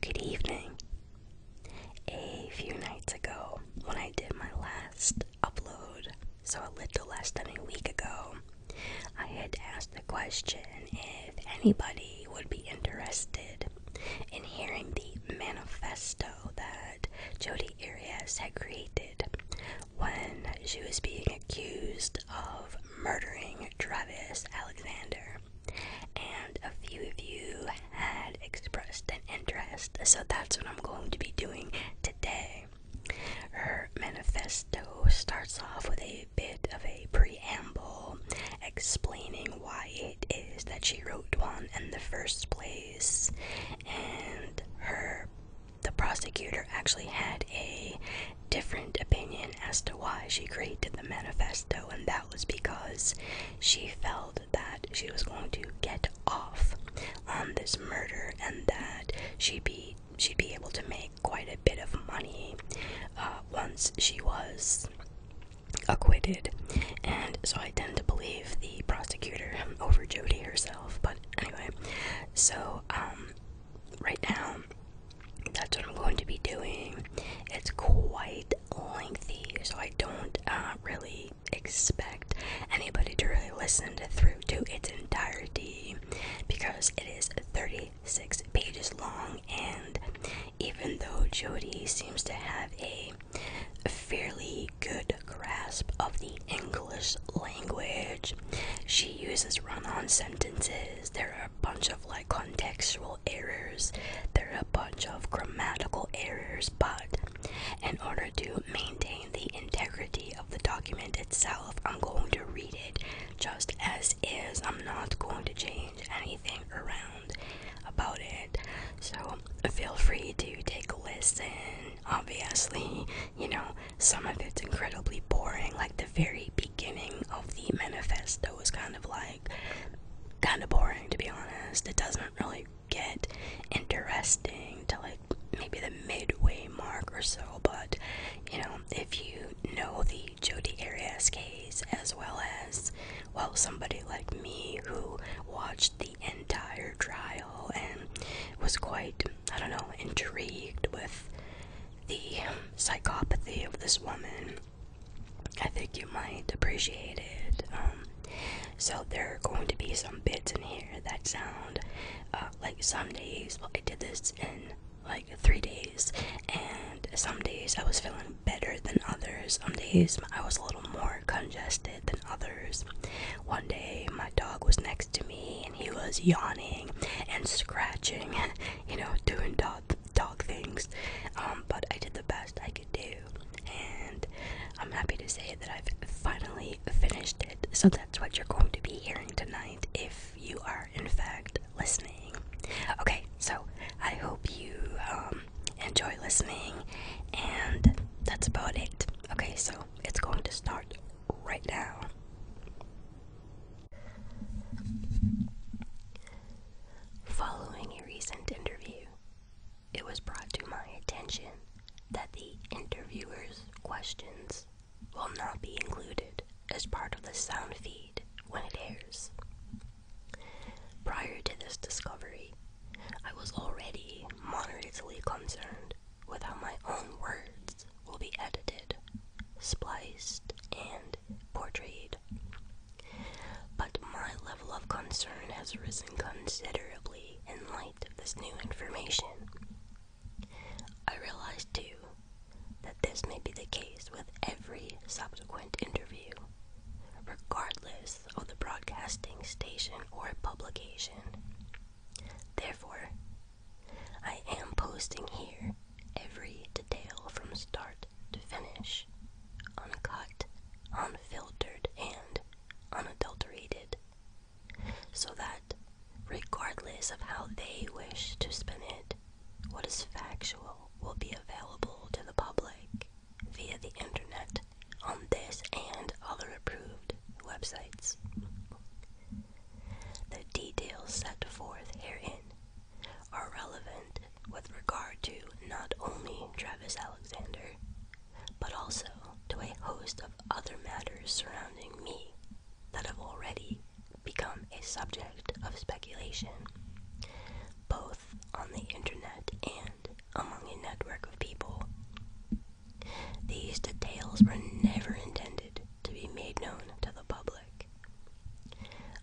Good evening. A few nights ago, when I did my last upload, so a little less than a week ago, I had asked the question if anybody would be interested in hearing the manifesto that Jodi Arias had created when she was being accused of murdering Travis Alexander and a few of you had expressed an interest, so that's what I'm going to be doing today. Her manifesto starts off with a bit of a preamble explaining why it is that she wrote one in the first place, and her the prosecutor actually had a different opinion as to why she created the manifesto, and that was because she felt that she was going to get off on um, this murder and that she'd be she'd be able to make quite a bit of money uh, once she was acquitted. And so I tend to believe the prosecutor um, over Jody herself. But anyway, so um, right now that's what I'm going to be doing. It's quite lengthy, so I don't uh, really expect anybody to really listen to through to its entirety because it is 36 pages long and even though Jody seems to have a fairly good grasp of the English language, she uses run-on sentences. There are a bunch of like contextual errors. There are a bunch of grammatical errors, but in order to maintain the integrity of the document itself, I'm going to read it just as is. I'm not going to change anything around about it. So feel free to take a listen. Obviously, you know, some of it's incredibly boring, like the very beginning of the manifesto was kind of like kind of boring to be honest. It doesn't really get interesting to like maybe the midway mark or so, but you know, if you know the Jodi Arias case as well as well somebody like me who watched the entire trial and was quite I don't know intrigued with the psychopathy of this woman I think you might appreciate it. Um, so there are going to be some bits in here that sound uh, like some days. Well, I did this in like three days, and some days I was feeling better than others. Some days I was a little more congested than others. One day my dog was next to me, and he was yawning and scratching, you know, doing dog dog things. Um, but I did the best I could do, and I'm happy to say that I've finally finished it. So that's what you're going to be hearing tonight if you are, in fact, listening. Okay, so I hope you um, enjoy listening, and that's about it. Okay, so it's going to start right now. Following a recent interview, it was brought to my attention that the interviewer's questions will not be included as part of the sound feed when it airs. Prior to this discovery, I was already moderately concerned with how my own words will be edited, spliced, and portrayed. But my level of concern has risen considerably in light of this new information. I realize, too, that this may be the case with every subsequent interview, regardless of the broadcasting station or publication. Therefore, I am posting here every detail from start to finish, uncut, unfiltered, and unadulterated, so that, regardless of how they wish to spin it, what is factual will be available to the public via the internet on this and other approved websites. The details set forth herein are relevant with regard to not only Travis Alexander, but also to a host of other matters surrounding me that have already become a subject of speculation, both on the internet and among a network of people. These details were never intended to be made known to the public,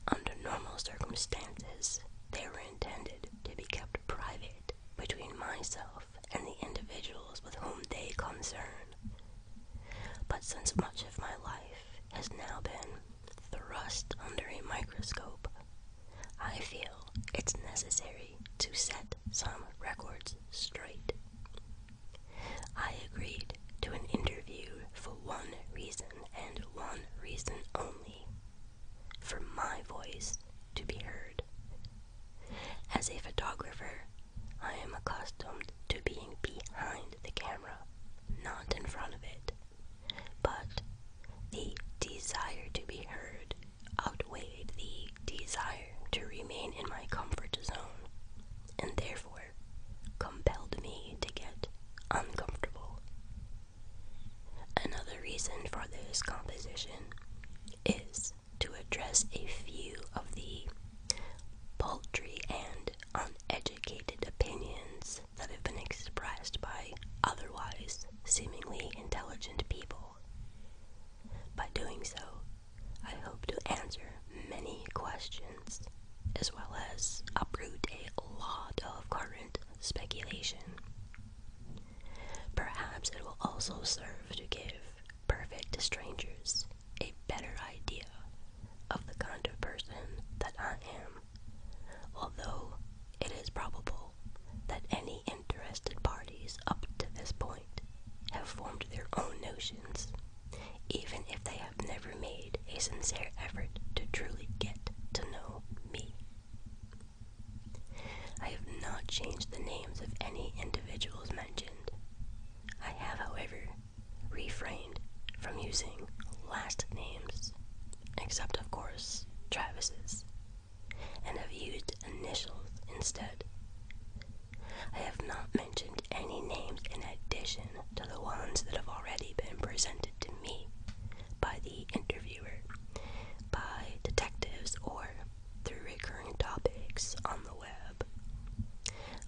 under normal circumstances, they were intended to be kept private between myself and the individuals with whom they concern. But since much of my life has now been thrust under a microscope, I feel it's necessary to set some records straight. I agreed to an interview for one reason and one reason only for my voice to be heard. As a photographer, I am accustomed to being behind the camera, not in front of it. But the desire to be heard outweighed the desire to remain in my comfort zone, and therefore compelled me to get uncomfortable. Another reason for this composition is to address a few of the paltry and uneducated opinions that have been expressed by otherwise seemingly intelligent people. By doing so, I hope to answer many questions as well as uproot a lot of current speculation. Perhaps it will also serve to give perfect strangers a better idea of the kind of person that I am, although it is probable that any interested parties up to this point have formed their own notions, even if they have never made a sincere effort to truly get to know me. I have not changed the names of any individuals mentioned. I have, however, refrained from using last names, except, of course, Travis's, and have used initials instead. I have not mentioned any names in addition to the ones that have already been presented to me, by the interviewer, by detectives, or through recurring topics on the web.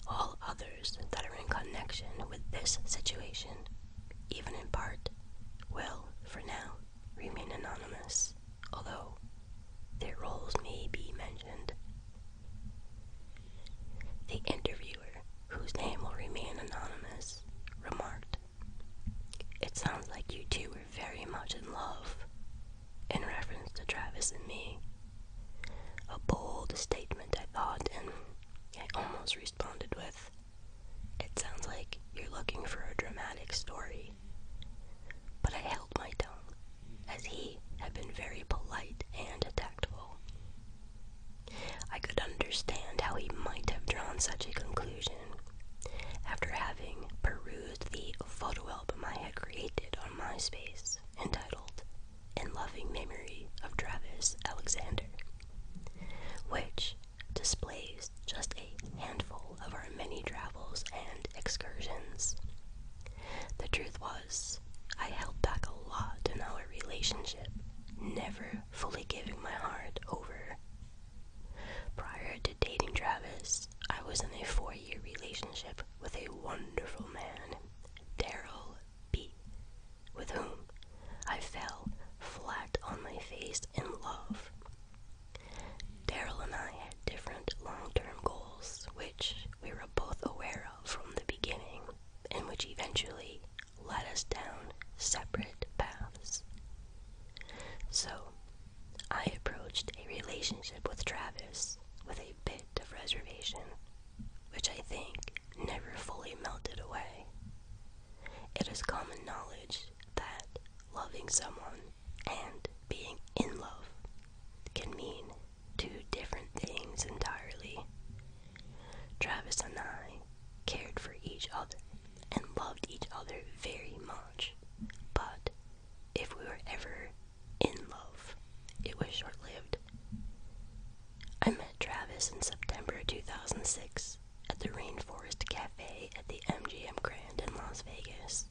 All others that are in connection with this situation, even in part, will, for now, remain anonymous, although their roles may be mentioned. The interviewer, whose name will remain anonymous, remarked it sounds like you two were very much in love, in reference to Travis and me. A bold statement, I thought, and I almost responded with, It sounds like you're looking for a dramatic story. But I held my tongue, as he had been very polite and tactful. I could understand how he might have drawn such a conclusion after having perused the photo album I had created on MySpace entitled In Loving Memory of Travis Alexander, which displays just a handful of our many travels and excursions. The truth was, I held back a lot in our relationship, never fully giving my heart over. Prior to dating Travis, I was in a four year relationship with a wonderful man, Daryl B., with whom I fell flat on my face in love. Daryl and I had different long term goals, which we were both aware of from the beginning, and which eventually led us down separate paths. So, I approached a relationship with Travis with a bit of reservation, which I think never fully melted away. It is common knowledge that loving someone and being in love can mean two different things entirely. Travis and I cared for each other and loved each other very much. But if we were ever in love, it was short lived. I met Travis in September 2006 at the Rainforest Cafe at the MGM Grand in Las Vegas.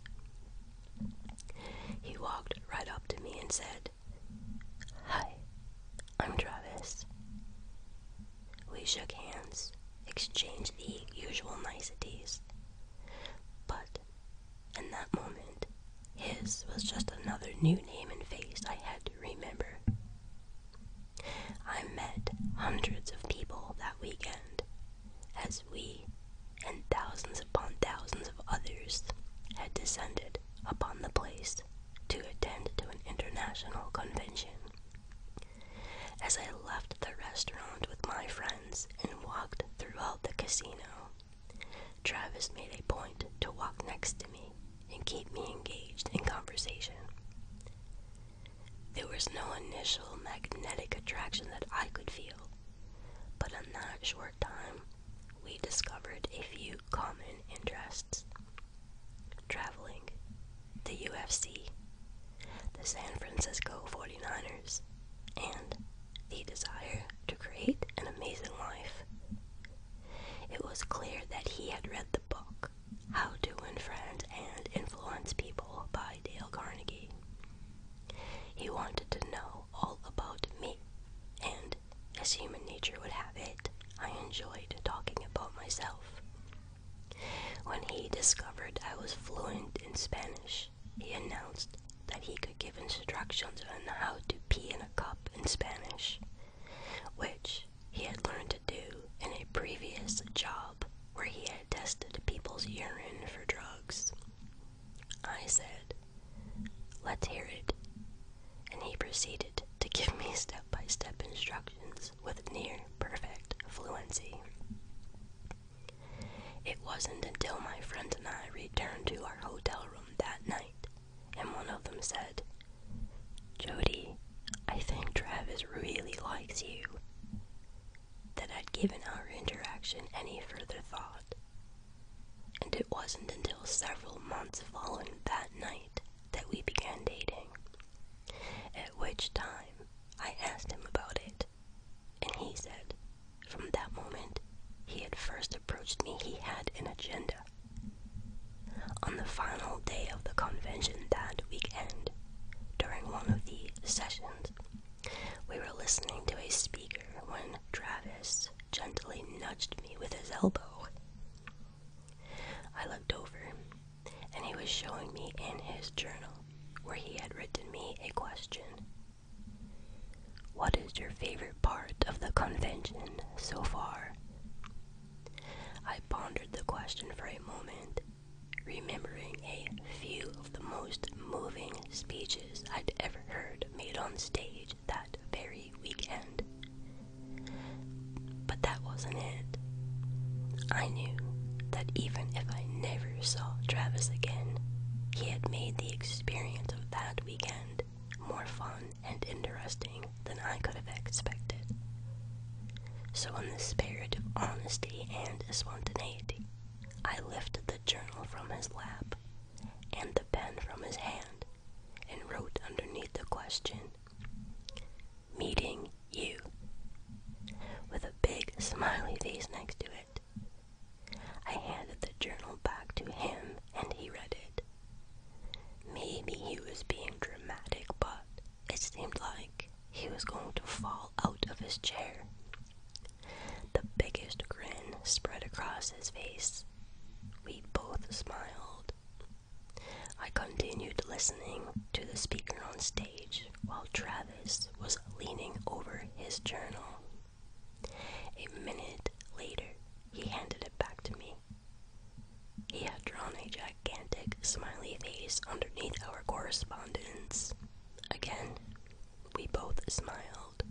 He walked right up to me and said, Hi, I'm Travis. We shook hands, exchanged the usual niceties. But in that moment, his was just another new name and face I had to remember. I met hundreds of people that weekend, as we and thousands upon thousands of others had descended upon the place to attend to an international convention as I left the restaurant with my friends and walked throughout the casino. Travis made a point to walk next to me and keep me engaged in conversation. There was no initial magnetic attraction that I could feel, but in that short time, we discovered a few common interests. Traveling, the UFC, the San Francisco 49ers, and the desire to create an amazing life. It was clear that he had read the book, How to Win Friends and Influence People by Dale Carnegie. He wanted to know all about me, and as human nature would have it, I enjoyed talking about myself. When he discovered I was fluent in Spanish, he announced that he could give instructions on how to pee in a cup in Spanish, which he had learned to do in a previous job where he had tested people's urine for drugs. I said, Let's hear it. And he proceeded to give me step by step instructions with near perfect fluency. It wasn't until my friend and I returned to our hotel room that night, and one of them said, Jody, I think Travis really likes you, that I'd given our interaction any further thought. And it wasn't until several months following that night that we began dating. At which time I asked him about it, and he said from that moment he had first approached me, he had an agenda. On the final day of the convention that weekend, during one of the sessions, we were listening to a speaker when Travis gently nudged me with his elbow. I looked over and he was showing me in his journal where he had written me a question. What is your favorite part of the convention so far? I pondered the question for a moment, remembering a few of the most moving speeches I'd ever heard made on stage that very weekend. But that wasn't it. I knew that even if I never saw Travis again, he had made the experience of that weekend more fun and interesting than I could have expected. So, in the spirit of honesty and spontaneity, I lifted the journal from his lap and the pen from his hand and wrote underneath the question meeting you with a big smiley face next to it. I handed the journal back to him and he read it. Maybe he was being dramatic, but it seemed like he was going to fall out of his chair. The biggest grin spread across his face. We both smiled. I continued listening to the speaker on stage while Travis was leaning over his journal. A minute later, he handed it back to me. He had drawn a gigantic smiley face underneath our correspondence. Again, we both smiled.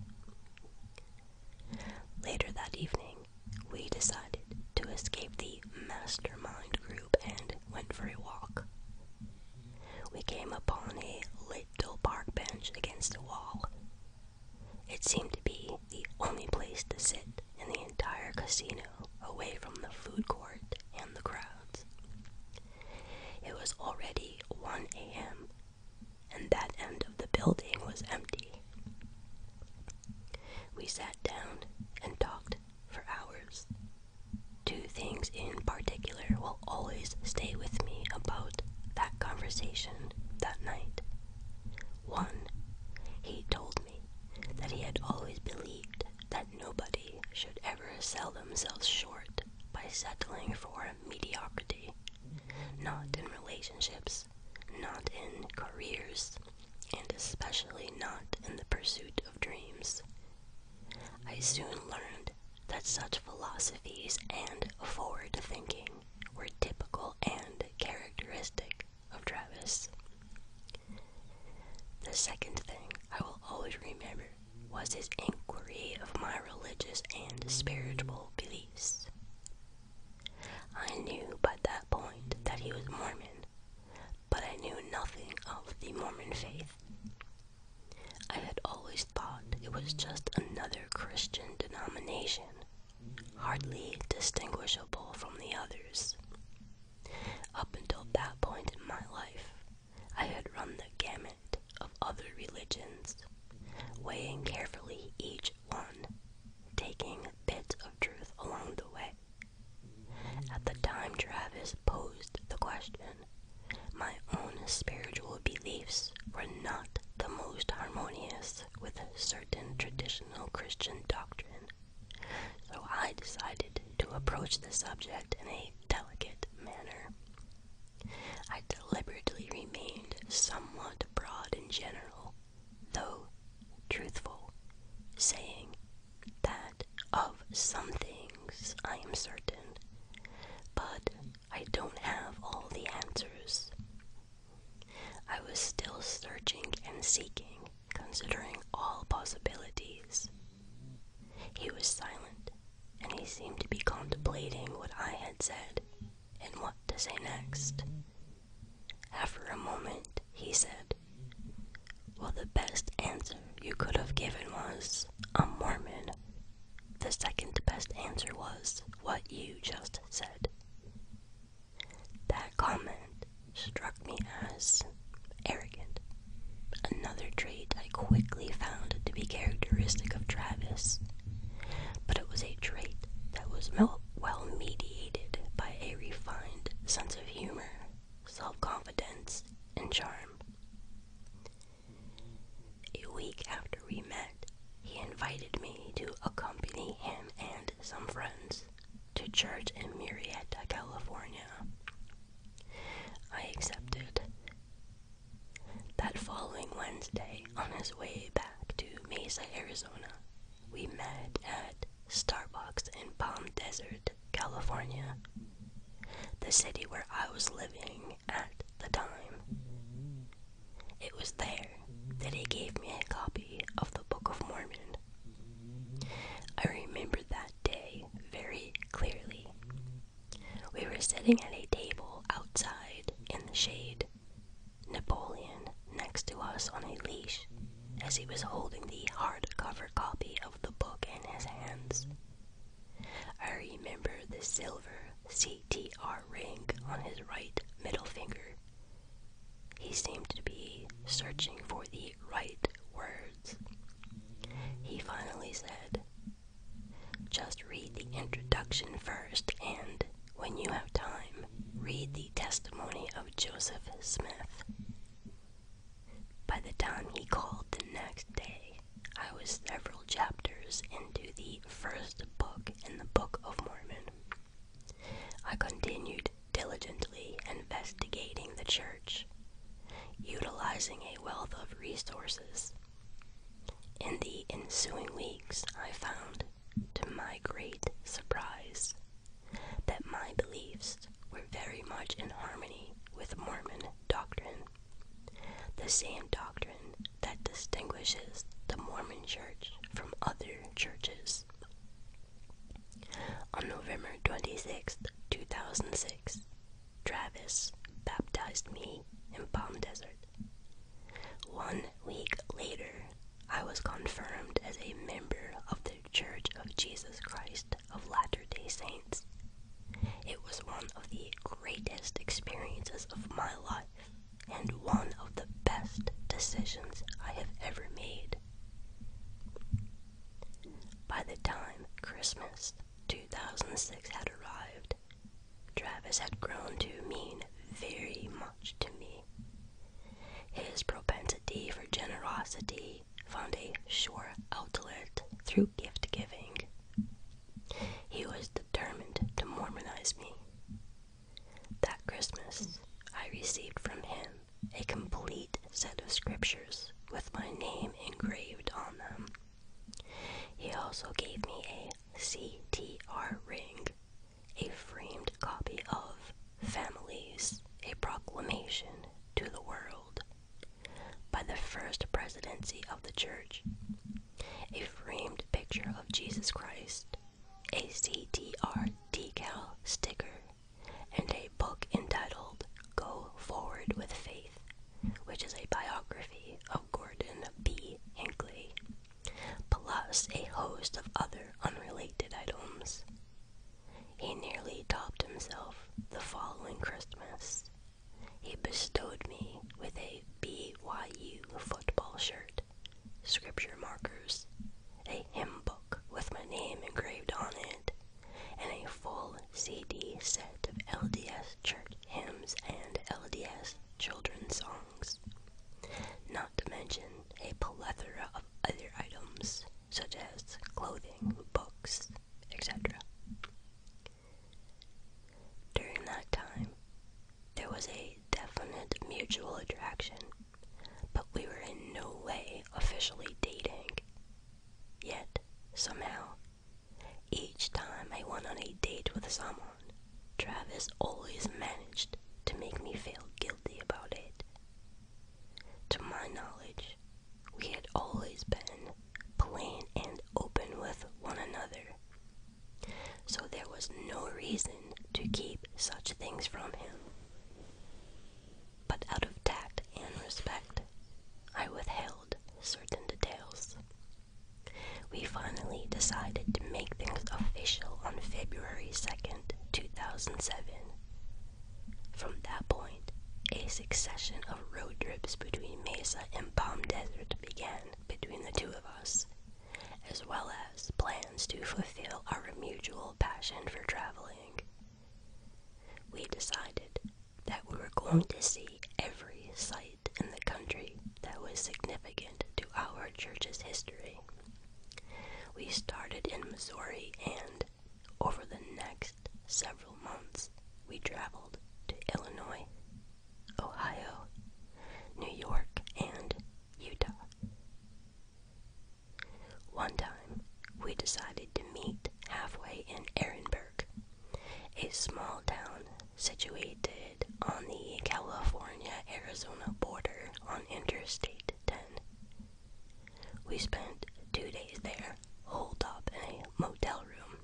Later that evening, we decided to escape the mastermind group and and went for a walk. We came upon a little park bench against a wall. It seemed to be the only place to sit in the entire casino, away from the food court and the crowds. It was already 1 a.m., and that end of the building was empty. We sat down and talked for hours Two things in particular will always stay with me about that conversation that night. One, he told me that he had always believed that nobody should ever sell themselves short by settling for mediocrity, not in relationships, not in careers, and especially not in the pursuit of dreams. I soon learned that such philosophies and forward thinking were typical and characteristic of Travis. The second thing I will always remember was his inquiry of my religious and spiritual beliefs. I knew by that point that he was Mormon, but I knew nothing of the Mormon faith. I had always thought it was just another Christian denomination, hardly distinguishable from the others. Up until that point in my life, I had run the gamut of other religions, weighing carefully each one, taking bits of truth along the way at the time Travis posed the question, my own spiritual beliefs were not the most harmonious with certain traditional Christian doctrine, so I decided to approach the subject in a delicate manner. I deliberately remained somewhat broad and general, though truthful, saying that of some things I am certain, but I don't have all the answers. I was still searching and seeking, considering all possibilities. He was silent, and he seemed to be contemplating what I had said and what to say next. After a moment, he said, well, the best answer you could have given was, I'm Mormon. The second best answer was what you just said. That comment struck me as arrogant, another trait I quickly found to be characteristic of Travis, but it was a trait that was well mediated by a refined sense of humor, self confidence, and charm. A week after we met, he invited me to accompany him and some friends to church in Murrieta, California. I accepted. That following Wednesday, on his way back to Mesa, Arizona, we met at Starbucks in Palm Desert. California, the city where I was living at the time. It was there that he gave me a copy of the Book of Mormon. I remember that day very clearly. We were sitting at a table outside in the shade, Napoleon next to us on a leash as he was holding the hardcover copy of the book in his hands. I remember the silver CTR ring on his right middle finger. He seemed to be searching for the right words. He finally said, Just read the introduction first, and when you have time, read the testimony of Joseph Smith. By the time he called the next day, I was several chapters into the first book in the Book of Mormon. I continued diligently investigating the church, utilizing a wealth of resources. In the ensuing weeks, I found, to my great surprise, that my beliefs were very much in harmony with Mormon doctrine, the same doctrine that distinguishes the Mormon Church from other churches. On November twenty sixth, 2006, Travis baptized me in Palm Desert. One week later, I was confirmed as a member of the Church of Jesus Christ of Latter day Saints. It was one of the greatest experiences of my life and one of the best decisions I have ever made. By the time Christmas 2006 had arrived, Travis had grown to mean very much to me. His propensity for generosity found a sure outlet through gift giving. He was determined to Mormonize me. That Christmas, I received from him a complete set of scriptures with my name engraved on them. He also gave me a CTR ring, a framed copy of Families, a proclamation to the world, by the first presidency of the church. A framed picture of Jesus Christ, a CTR decal sticker, and a book entitled Go Forward with Faith, which is a biography of Gordon B. Hinckley, plus a host of other unrelated items. He nearly topped himself the following Christmas he bestowed me with a BYU football shirt, scripture markers, a hymn book with my name engraved on it, and a full CD set of LDS church hymns and LDS children's songs, not to mention a plethora of other items such as clothing, books, etc. During that time, there was a definite mutual attraction, but we were in no way officially dating. Yet, somehow, each time I went on a date with someone, Travis always managed to make me feel guilty about it. To my knowledge, we had always been plain and open with one another, so there was no reason to keep such things from him. But out of tact and respect, I withheld certain details. We finally decided to make things official on February 2nd, 2007. From that point, a succession of road trips between Mesa and Palm Desert began between the two of us, as well as plans to fulfill our mutual passion for traveling. We decided that we were going to see every site in the country that was significant to our church's history. We started in Missouri and, over the next several months, we traveled to Illinois, Ohio, New York, and Utah. One time, we decided to meet halfway in Ehrenberg, a small town situated on the California Arizona border on Interstate 10. We spent two days there, holed up in a motel room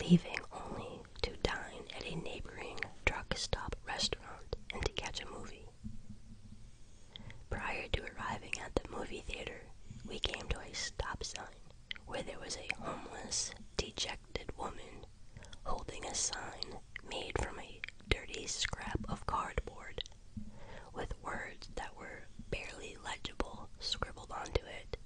leaving only to dine at a neighboring truck stop restaurant and to catch a movie. Prior to arriving at the movie theater, we came to a stop sign where there was a homeless, dejected woman holding a sign made from a dirty scrap of cardboard with words that were barely legible scribbled onto it.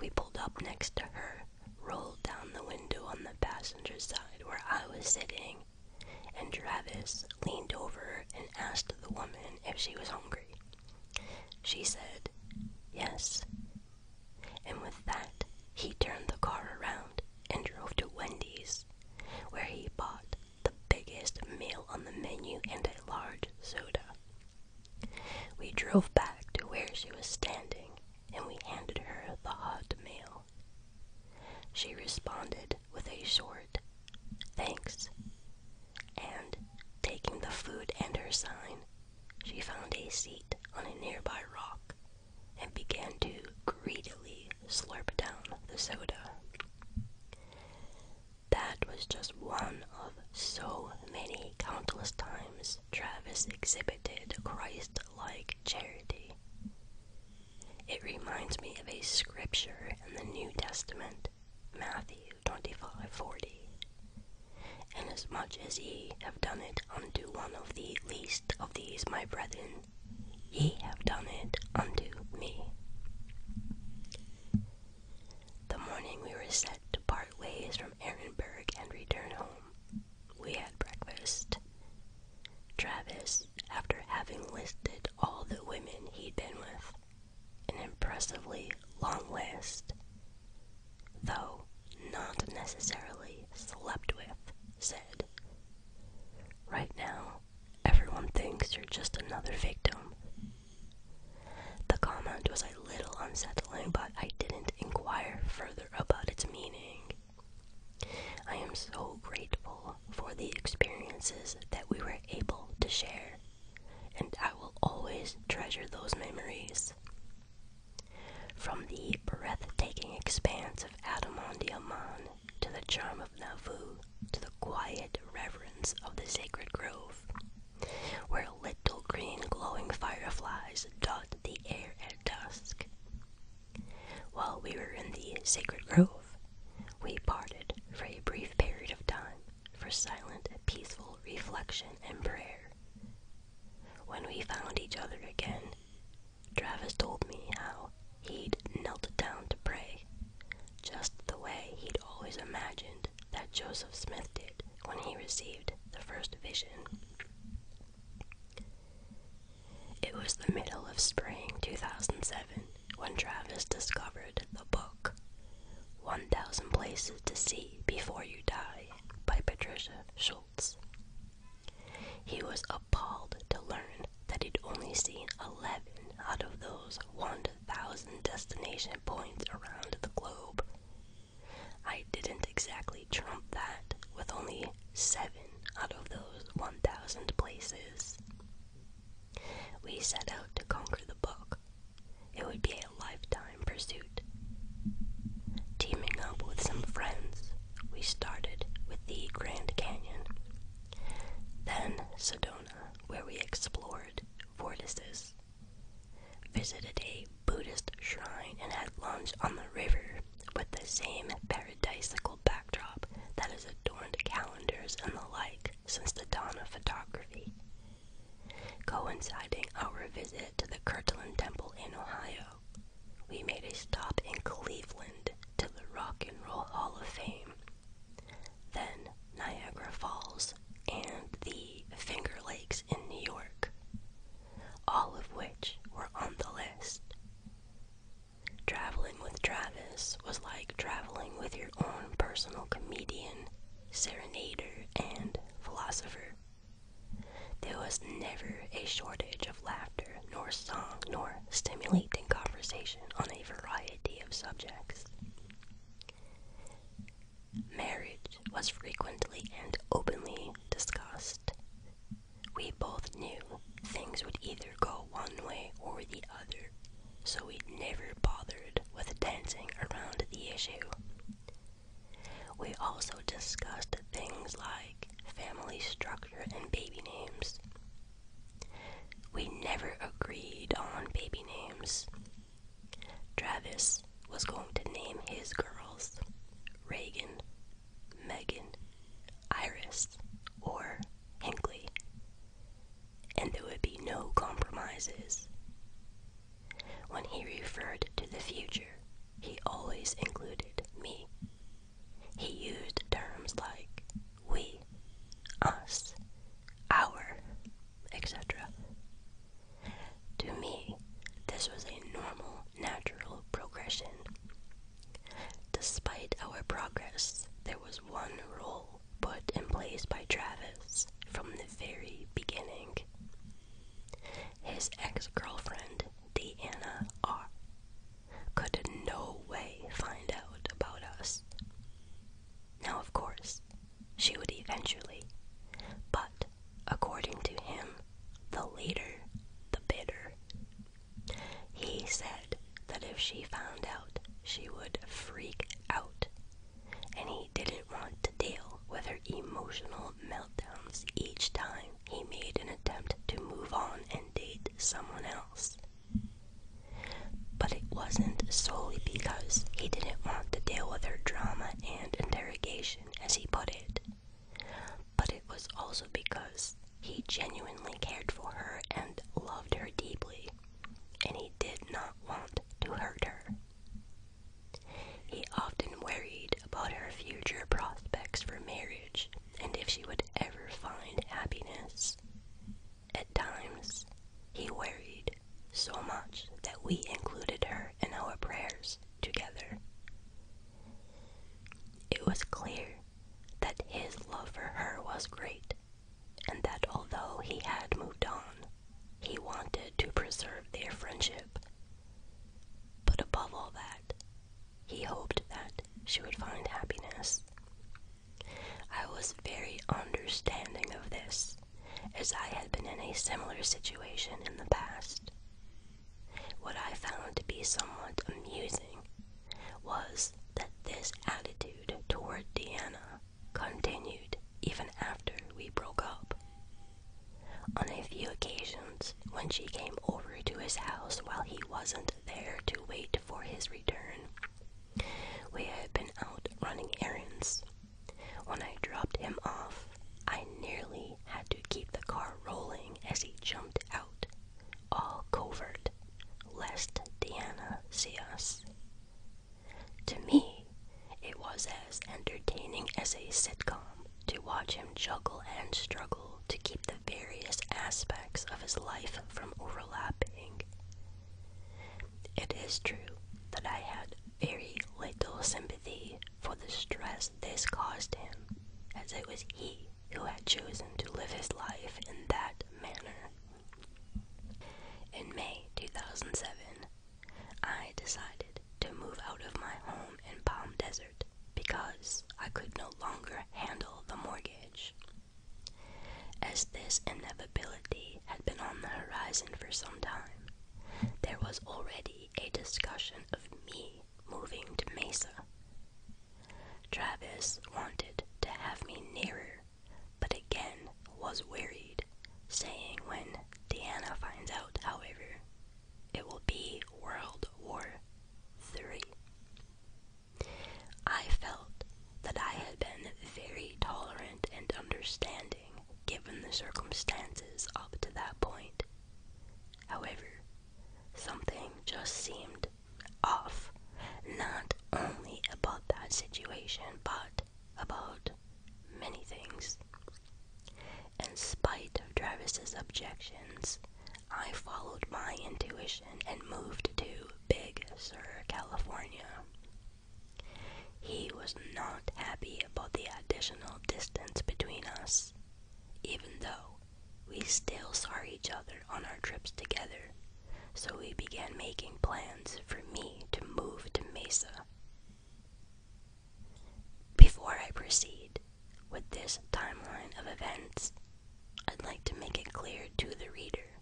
We pulled up next to her, rolled down the window on the passenger side where I was sitting, and Travis leaned over and asked the woman if she was hungry. She said, Yes. And with that, he turned the car around and drove to Wendy's, where he bought the biggest meal on the menu, and a large soda. We drove back to where she was standing, and we handed her the hot meal. She responded with a short, thanks, and taking the food and her sign, she found a seat on a nearby rock and began to greedily slurp down the soda. That was just one of so many countless times Travis exhibited Christ like charity. It reminds me of a scripture in the New Testament, Matthew 25 40. Inasmuch as ye have done it unto one of the least of these, my brethren, ye have done it unto me. The morning we were set to part ways from Erinberg and return home, we had breakfast. Travis, after having listed all the women he'd been with, an impressively long list, though not necessarily slept with, said, Right now, everyone thinks you're just another victim the comment was a little unsettling, but I didn't inquire further about its meaning. I am so grateful for the experiences that we were able to share, and I will always treasure those memories. From the breathtaking expanse of Adamondi Aman to the charm of Nauvoo to the quiet reverence of the sacred grove, where little green glowing fireflies dot the air at dusk. While we were in the sacred grove, we parted for a brief period of time for silent, peaceful reflection and prayer. When we found each other again, Travis told me how he'd knelt down to pray, just the way he'd always imagined that Joseph Smith did when he received the first vision. It was the middle of spring 2007 when Travis discovered the book 1000 Places to See Before You Die by Patricia Schultz. He was appalled to learn that he'd only seen 11 out of those 1 1,000 destination points around the globe. I didn't exactly trump that with only 7 out of those 1,000 places. We set out to conquer the book. It would be a lifetime pursuit. Teaming up with some friends, we started with the Grand Canyon, then Sedona, where we explored fortresses visited a Buddhist shrine, and had lunch on the river with the same paradisical backdrop that has adorned calendars and the like since the dawn of photography. Coinciding our visit to the Kirtland Temple in Ohio, we made a stop in Cleveland to the Rock and Roll Hall of Fame then Niagara Falls, and the Finger Lakes in New York, all of which were on the list. Traveling with Travis was like traveling with your own personal comedian, serenader, and philosopher. There was never a shortage of laughter, nor song, nor stimulating conversation on a variety of subjects. Marriage was frequently and openly discussed. We both knew things would either go one way or the other, so we never bothered with dancing around the issue. We also discussed things like family structure and baby names. We never agreed on baby names, Travis was going to name his girls Reagan, Megan, Iris, or Hinkley, and there would be no compromises. When he referred to the future, he always included me. He used terms like we, us, our, etc. To me, this was a normal, natural progression. Despite our progress, there was one rule put in place by Travis from the very beginning. His ex girlfriend, Deanna R., could no way find out about us. Now, of course, she would eventually. But according to him, the later, the better. He said that if she found out, she would freak out, and he didn't want to deal with her emotional meltdowns each time he made an attempt to move on and date someone else but it wasn't solely because he didn't want to deal with her drama and interrogation, as he put it, but it was also because he genuinely cared for her and loved her deeply, and he did not want to hurt her. He often worried about her future prospects for marriage and if she would ever find happiness. At times, he worried so much that we included her in our prayers together. It was clear that his love for her was great, and that although he had moved on, he wanted to preserve their friendship. But above all that, he hoped that she would find happiness. I was very understanding of this as I had been in a similar situation in the past. What I found to be somewhat amusing was that this attitude toward Diana continued even after we broke up. On a few occasions, when she came over to his house while he wasn't there to wait for his return, we had been out running errands when I dropped him off, I nearly had to keep the car rolling as he jumped out, all covert, lest Diana see us. To me, it was as entertaining as a sitcom to watch him juggle and struggle to keep the various aspects of his life from overlapping. It is true that I had very little sympathy for the stress this caused him, as it was he who had chosen to live his life in that manner. In May 2007, I decided to move out of my home in Palm Desert because I could no longer handle the mortgage. As this inevitability had been on the horizon for some time. There was already a discussion of me moving to Mesa. Travis wanted to have me nearer, but again was worried, saying when Diana finds out, however, it will be World War III. I felt that I had been very tolerant and understanding given the circumstances up to that point. However, something just seemed off, not only about that situation, but about many things. In spite of Travis's objections, I followed my intuition and moved to Big Sur, California. He was not happy about the additional distance between us, even though we still saw each other on our trips together, so we began making plans for me to move to Mesa. Before I proceed with this timeline of events, I'd like to make it clear to the reader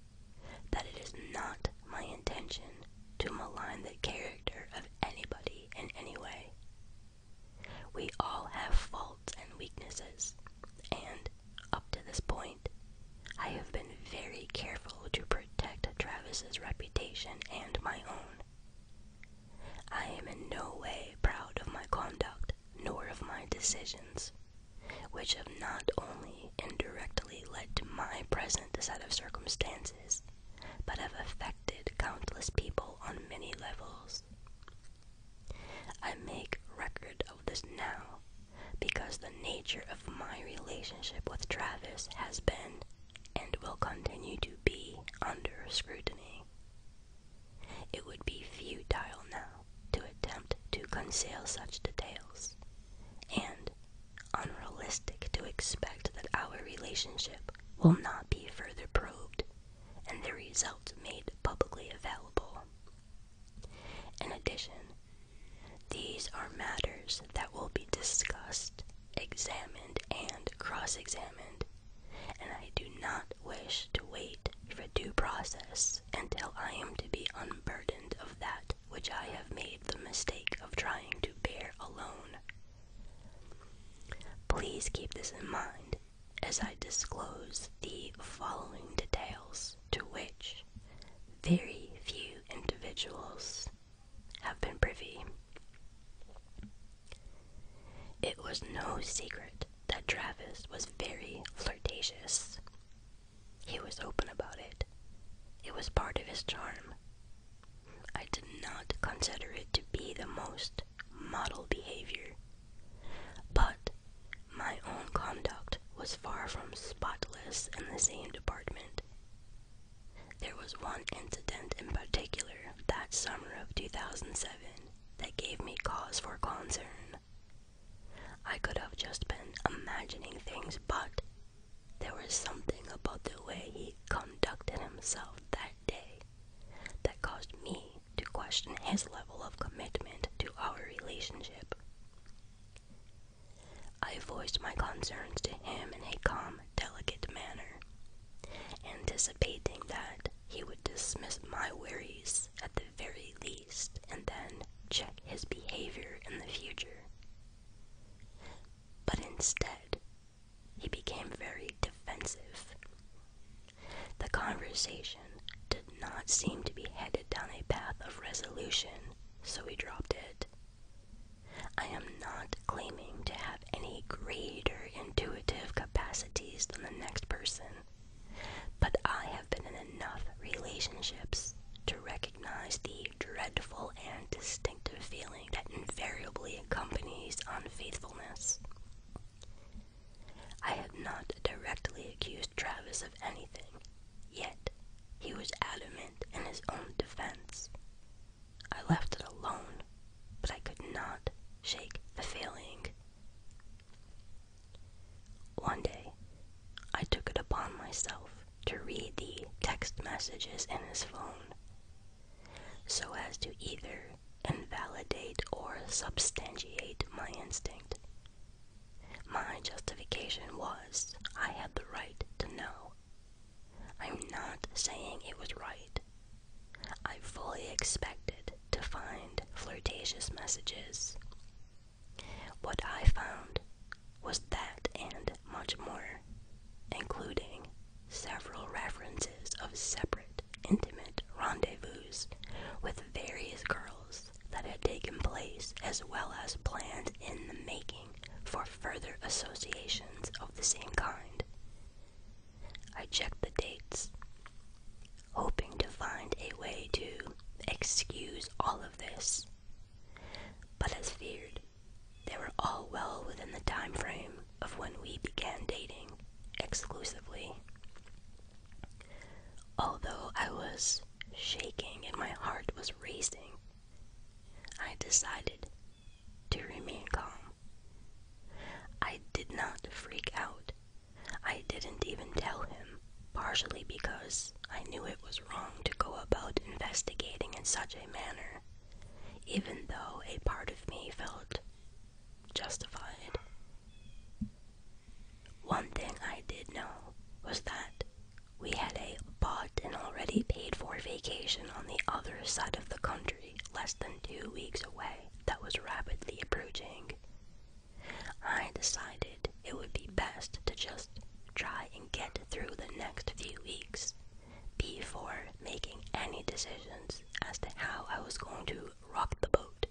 that it is not my intention to malign the character of anybody in any way. We all have faults and weaknesses, and up to this point, I have been very careful to protect Travis's reputation and my own. I am in no way proud of my conduct nor of my decisions, which have not only indirectly led to my present set of circumstances but have affected countless people on many levels. I make record of this now because the nature of my relationship with Travis has been and will continue to be under scrutiny. It would be futile now to attempt to conceal such details, and unrealistic to expect that our relationship will not be further probed and the result made publicly available. In addition, these are matters that will be discussed, examined, and cross examined, and I do not wish to wait for due process until I am to be unburdened of that which I have made the mistake of trying to bear alone. Please keep this in mind as I disclose the following details to which very few individuals have been privy. It was no secret that Travis was very flirtatious. He was open about it. It was part of his charm I did not consider it to be the most model behavior, but my own conduct was far from spotless in the same department. There was one incident in particular that summer of 2007 that gave me cause for concern. I could have just been imagining things, but there was something about the way he conducted himself that day that caused me to question his level of commitment to our relationship. I voiced my concerns to him in a calm, delicate manner, anticipating that he would dismiss my worries at the very least and then check his behavior in the future. But instead, he became very defensive. The conversation did not seem to be headed down a path of resolution, so we dropped it. I am not claiming to have any greater intuitive capacities than the next person, but I have been in enough relationships to recognize the dreadful and distinctive feeling that invariably accompanies unfaithfulness. I have not directly accused Travis of anything, yet he was adamant in his own defense. I left it alone, but I could not shake the feeling. One day, I took it upon myself to read the text messages in his phone so as to either invalidate or substantiate my instinct. My justification was I had the right to know. I'm not saying it was right. I fully expected to find flirtatious messages. What I found was that and much more, including several references of separate, intimate rendezvous with various girls that had taken place, as well as plans in the making for further associations of the same kind. I checked the dates, hoping to find a way to excuse all of this, but as feared, they were all well within the time frame of when we began dating exclusively. Although I was shaking and my heart was racing, I decided to remain calm. I did not freak out. I didn't even tell him, partially because I knew it was wrong to go about investigating in such a manner even though a part of me felt justified. One thing I did know was that we had a bought and already paid for vacation on the other side of the country, less than two weeks away, that was rapidly approaching. I decided it would be best to just try and get through the next few weeks before making any decisions as to how I was going to rock the boat.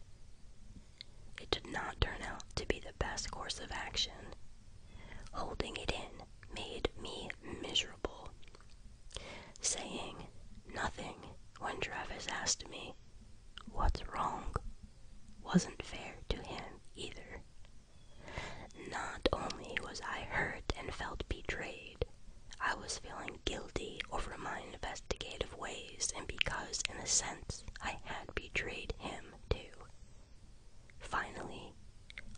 It did not turn out to be the best course of action. Holding it in made me miserable. Saying nothing when Travis asked me, What's wrong? wasn't fair to him either. Not only was I hurt and felt betrayed, I was feeling guilty over my investigative ways, and because, in a sense, I had betrayed him, too. Finally,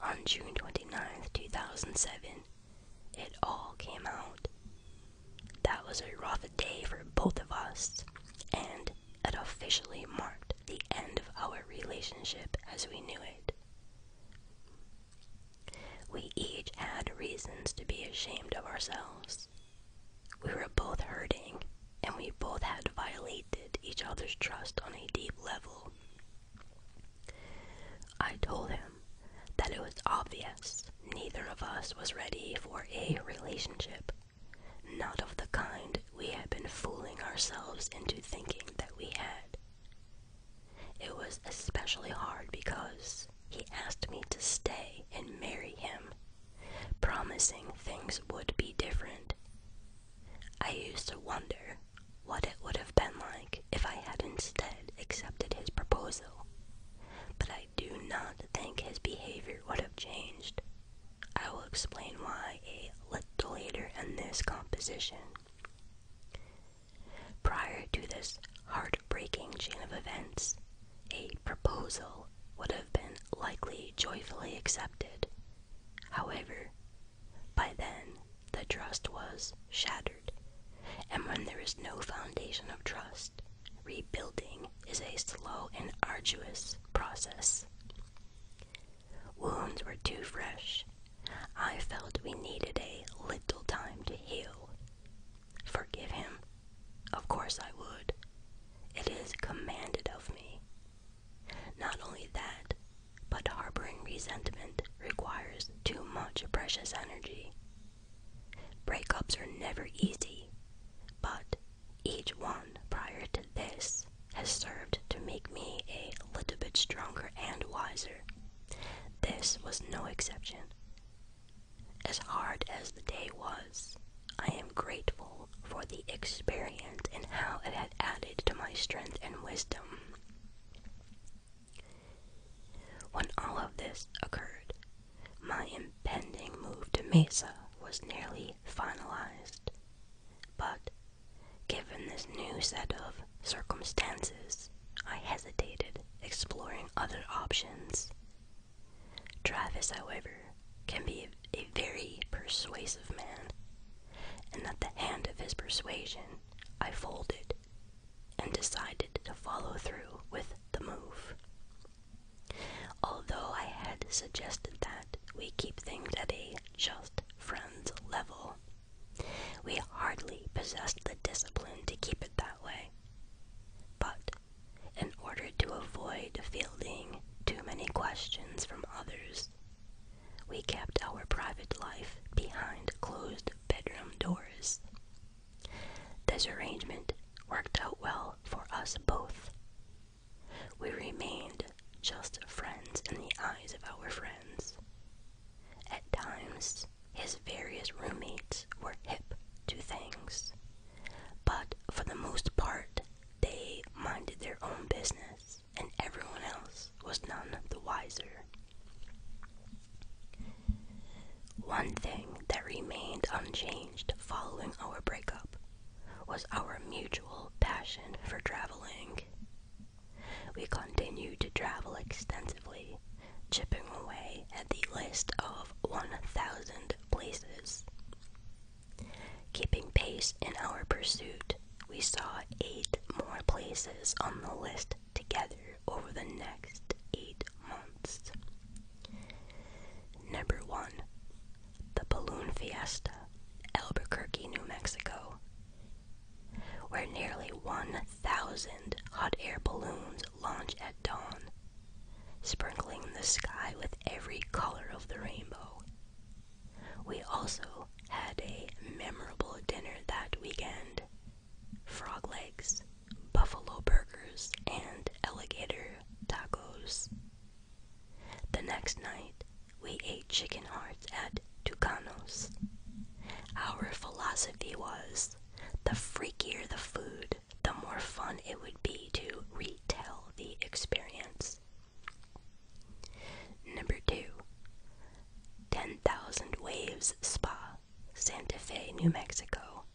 on June 29, 2007, it all came out. That was a rough day for both of us, and it officially marked the end of our relationship as we knew it. We each had reasons to be ashamed of ourselves. We were both hurting, and we both had violated each other's trust on a deep level. I told him that it was obvious neither of us was ready for a relationship, not of the kind we had been fooling ourselves into thinking that we had. It was especially hard because he asked me to stay and marry him, promising things would be different. I used to wonder what it would have been like if I had instead accepted his proposal, but I do not think his behavior would have changed. I will explain why a little later in this composition. Prior to this heartbreaking chain of events, a proposal would have been likely joyfully accepted. However, by then the trust was shattered, and when there is no foundation of trust, rebuilding is a slow and arduous process. Wounds were too fresh I felt we needed a little time to heal. Forgive him? Of course I would. It is commanded of me. Not only that, but harboring resentment requires too much precious energy. Breakups are never easy, but each one prior to this has served to make me a little bit stronger and wiser. This was no exception. As hard as the day was, I am grateful for the experience and how it had added to my strength and wisdom. When all of this occurred, my impending move to Mesa was nearly finalized. But given this new set of circumstances, I hesitated exploring other options. Travis, however, can be a, very persuasive man, and at the hand of his persuasion, I folded and decided to follow through with the move. Although I had suggested that we keep things at a just friends level, we hardly possessed the discipline to keep it that way. But, in order to avoid fielding too many questions from others, we kept our private life behind closed bedroom doors. This arrangement worked out well for us both. We remained just friends in the eyes of our friends, at times, his various roommates were hip to things, but for the most part, they minded their own business, and everyone else was none the wiser. One thing that remained unchanged following our breakup was our mutual passion for traveling. We continued to travel extensively, chipping away at the list of 1,000 places. Keeping pace in our pursuit, we saw eight more places on the list together over the next eight months. Number 1. The Balloon Fiesta, Albuquerque, New Mexico, where nearly 1,000 hot air balloons launch at dawn, sprinkling the sky with every color of the rainbow. We also had a memorable dinner that weekend frog legs, buffalo burgers, and alligator tacos. The next night, we ate chicken hearts at Tucanos. Our philosophy was the freakier the food, the more fun it would be to retell the experience. Number two, 10,000 Waves Spa, Santa Fe, New Mexico,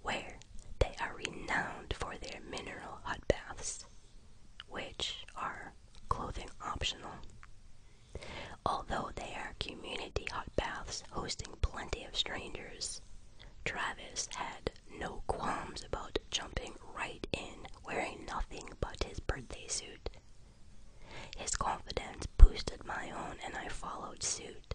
where they are renowned for their mineral hot baths, which are clothing optional. Although they are community hot baths hosting plenty of strangers, Travis had no qualms about jumping right in wearing nothing but his birthday suit. His confidence boosted my own, and I followed suit.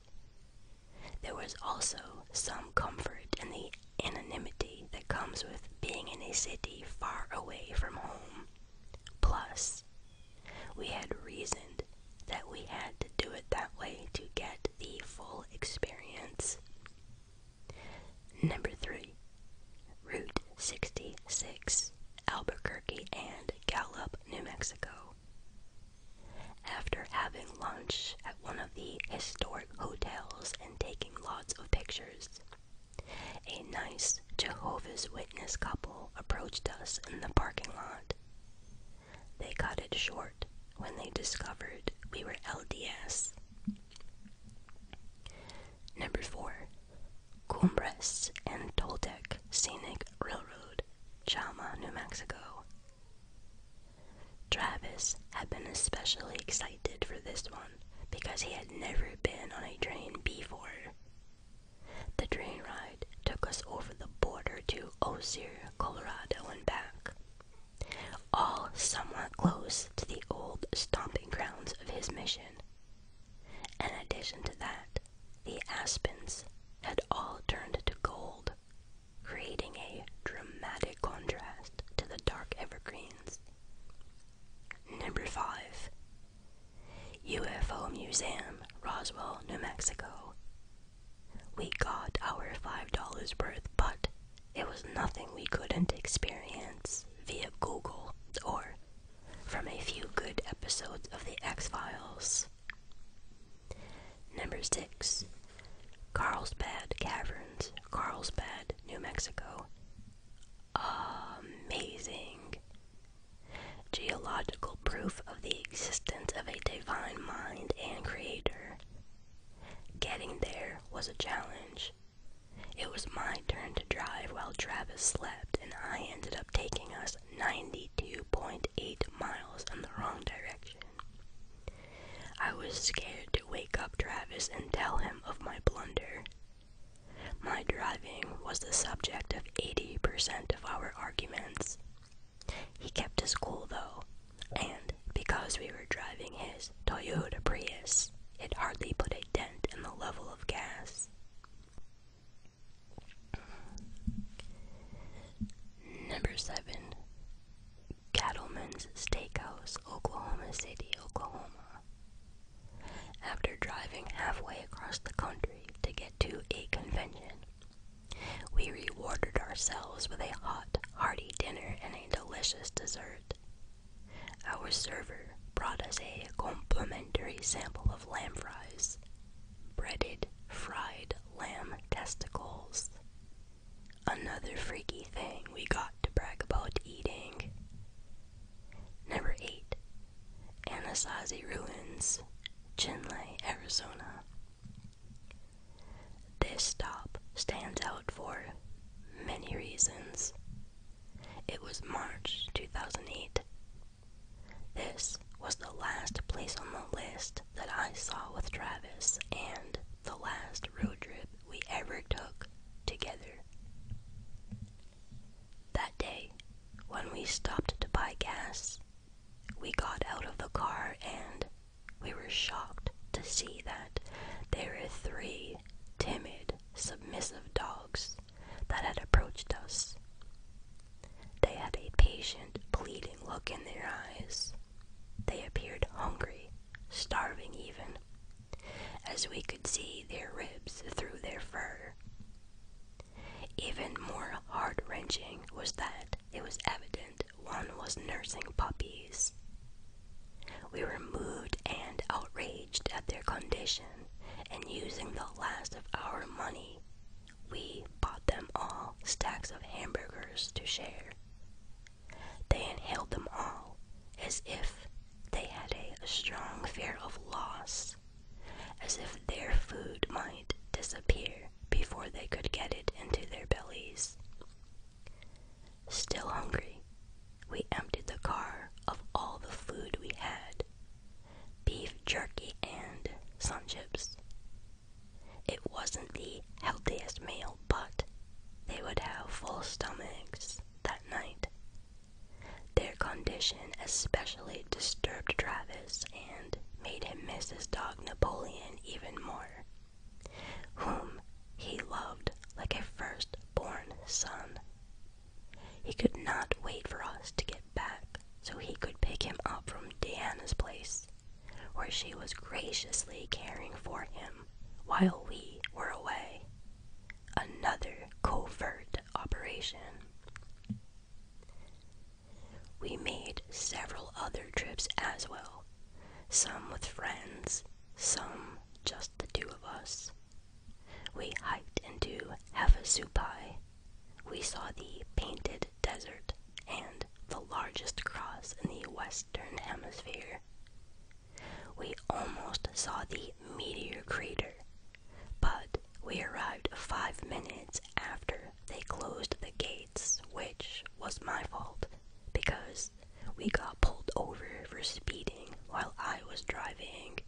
There was also some comfort in the anonymity that comes with being in a city far away from home. Plus, we had reasoned that we had to do it that way to get the full experience. Number three, Route 66, Albuquerque and Gallup, New Mexico. After having lunch at one of the historic hotels and taking lots of pictures, a nice Jehovah's this couple approached us in the parking lot. They cut it short when they discovered we were LDS. Number 4. Cumbres and Toltec Scenic Railroad, Chama, New Mexico. Travis had been especially excited for this one because he had never been on a train before. The train ride took us over the border to Osier, Colorado, and back, all somewhat close to the old stomping grounds of his mission. In addition to that, the aspens had all turned to gold, creating a dramatic contrast to the dark evergreens. Number 5. UFO Museum, Roswell, New Mexico. We got our $5 worth, but it was nothing we couldn't experience via Google or from a few good episodes of The X Files. Number 6. Carlsbad Caverns, Carlsbad, New Mexico. Amazing! geological proof of the existence of a divine mind and creator. Getting there was a challenge. It was my turn to drive while Travis slept, and I ended up taking us 92.8 miles in the wrong direction. I was scared to wake up Travis and tell him of my blunder. My driving was the subject of 80% of our argument he kept his cool though, and because we were driving his Toyota Prius, it hardly put a dent in the level of gas. Number 7. Cattlemen's Steakhouse, Oklahoma City, Oklahoma. After driving halfway across the country, to get to a convention. We rewarded ourselves with a hot, hearty dinner and a delicious dessert. Our server brought us a complimentary sample of lamb fries, breaded, fried lamb testicles. Another freaky thing we got to brag about eating. Number 8. Anasazi Ruins, Chinle, Arizona. This stop stands out for many reasons. It was March 2008. This was the last place on the list that I saw with Travis and the last road trip we ever took together. That day, when we stopped to buy gas, we got out of the car and we were shocked to see that there were three timid, submissive dogs that had approached us. They had a patient, pleading look in their eyes. They appeared hungry, starving even, as we could see their ribs through their fur. Even more heart wrenching was that it was evident one was nursing puppies. We were moved and outraged at their condition, and using the last of our money, we bought them all stacks of hamburgers to share. They inhaled them all as if they had a strong fear of loss as if their food might disappear before they could get it into their bellies. Still hungry, we emptied the car of all the food we had beef jerky and sun chips. It wasn't the healthiest meal, but they would have full stomachs that night. Their condition especially disturbed Travis and made him miss his dog Napoleon even more, whom he loved like a first born son. He could not wait for us to get back so he could pick him up from Diana's place, where she was graciously caring for him while we were away. Another covert operation. We made several other trips as well, some with friends, some just the two of us. We hiked into Havasupai. We saw the Painted Desert and the largest cross in the Western Hemisphere. We almost saw the meteor crater, but we arrived five minutes after they closed the gates, which was my fault because we got pulled over for speeding while I was driving.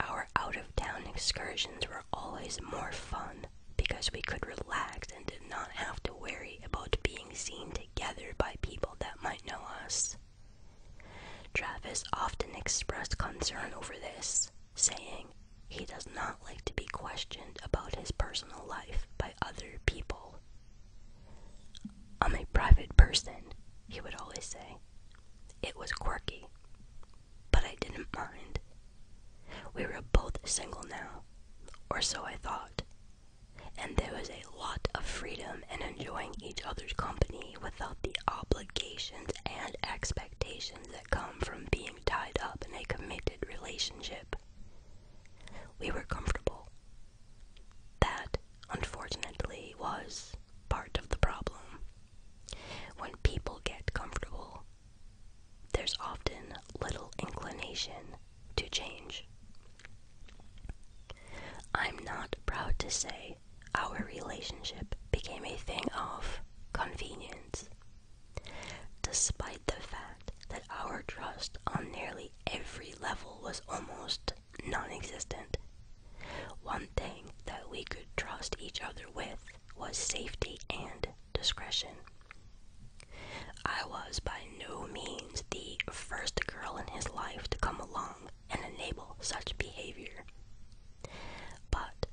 Our out of town excursions were always more fun because we could relax and did not have to worry about being seen together by people that might know us. Travis often expressed concern over this, saying he does not like to be questioned about his personal life by other people. I'm a private person, he would always say. It was quirky, but I didn't mind. We were both single now, or so I thought, and there was a lot of freedom in enjoying each other's company without the obligation and expectations that come from being tied up in a committed relationship. We were comfortable. That, unfortunately, was part of the problem. When people get comfortable, there's often little inclination to change. I'm not proud to say our relationship became a thing of convenience. Despite the fact that our trust on nearly every level was almost non existent, one thing that we could trust each other with was safety and discretion. I was by no means the first girl in his life to come along and enable such behavior. But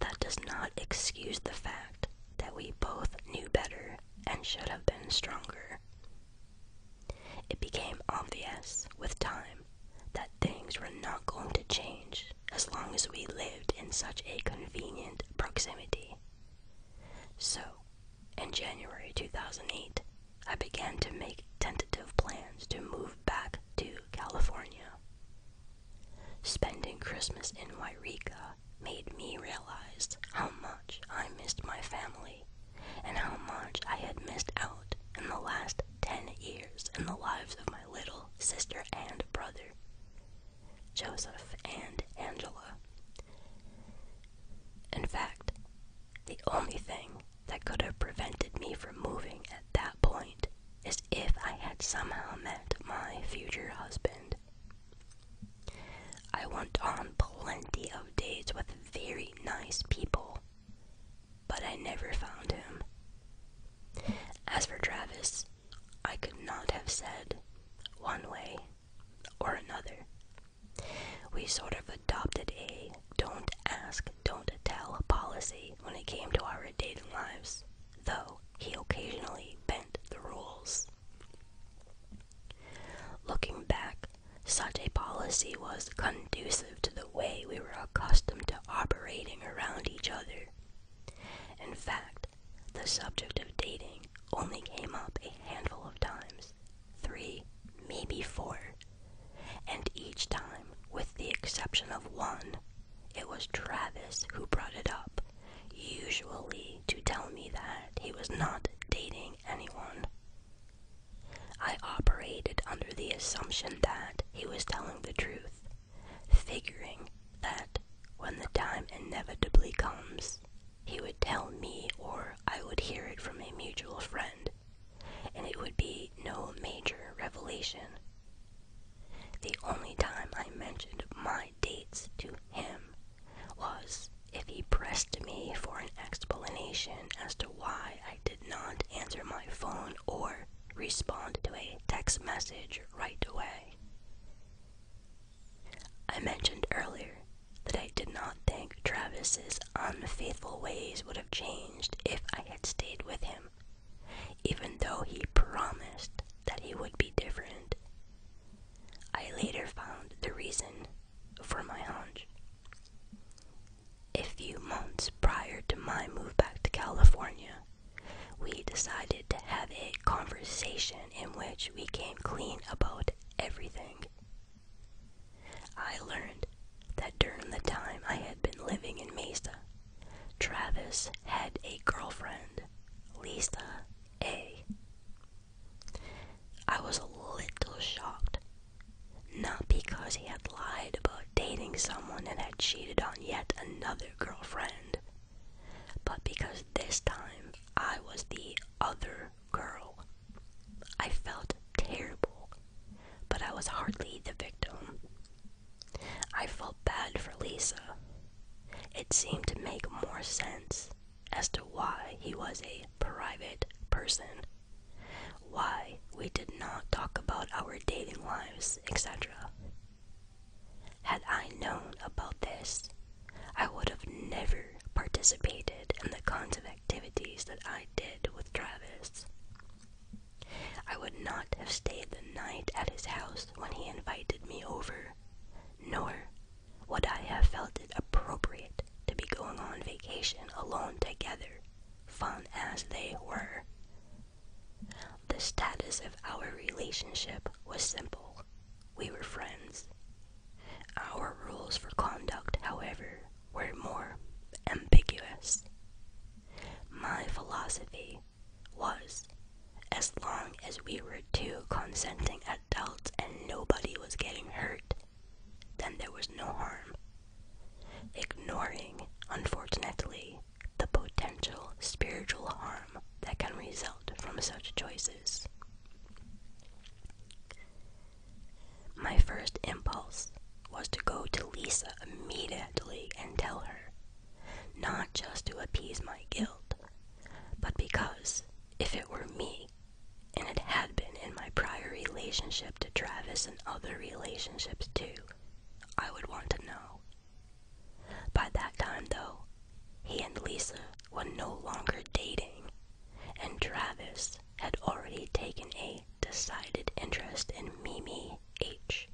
that does not excuse the fact that we both knew better and should have been stronger. It became obvious with time that things were not going to change as long as we lived in such a convenient proximity. So, in January 2008, I began to make tentative plans to move back to California. Spending Christmas in Wairika made me realize how much I missed my family and how much I had missed out in the last 10 years in the lives of my little sister and brother, Joseph and Angela. In fact, the only thing that could have prevented me from moving at that point as if I had somehow met my future husband. I went on plenty of dates with very nice people, but I never found him. As for Travis, I could not have said one way or another. We sort of adopted a don't ask, don't tell policy when it came to our dating lives though he occasionally bent the rules. Looking back, such a policy was conducive to the way we were accustomed to operating around each other. In fact, the subject of dating only came up a handful of times three, maybe four and each time, with the exception of one, it was Travis who brought it up, usually to tell me that he was not dating anyone. I operated under the assumption that he was telling the truth, figuring that when the time inevitably comes, he would tell me or I would hear it from a mutual friend, and it would be no major revelation. The only time I mentioned my dates to him was if he pressed me for an explanation as to why I did not answer my phone or respond to a text message right away. I mentioned earlier that I did not think Travis's unfaithful ways would have changed if I had stayed with him even though he promised that he would be different. I later found the reason for my hunch. A few months prior to my move back to California, we decided to have a conversation in which we came clean about everything. I learned that during the time I had been living in Mesa, Travis had a girlfriend, Lisa A. I was a little shocked. Not because he had lied about dating someone and had cheated on yet another girlfriend, but because this time I was the other girl. I felt terrible, but I was hardly the victim. I felt bad for Lisa. It seemed to make more sense as to why he was a private person, why we did not talk about our dating lives, etc. Had I known about this, I would have never participated in the kinds of activities that I did with Travis. I would not have stayed the night at his house when he invited me over, nor would I have felt it appropriate to be going on vacation alone together, fun as they were. The status of our relationship was simple. We were friends. Our rules for conduct, however, were more ambiguous. My philosophy was. As long as we were two consenting adults and nobody was getting hurt, then there was no harm. Ignoring, unfortunately, the potential spiritual harm that can result from such choices. My first impulse was to go to Lisa immediately and tell her not just to appease my guilt, but because if it were me, and it had been in my prior relationship to Travis and other relationships too, I would want to know. By that time, though, he and Lisa were no longer dating, and Travis had already taken a decided interest in Mimi H.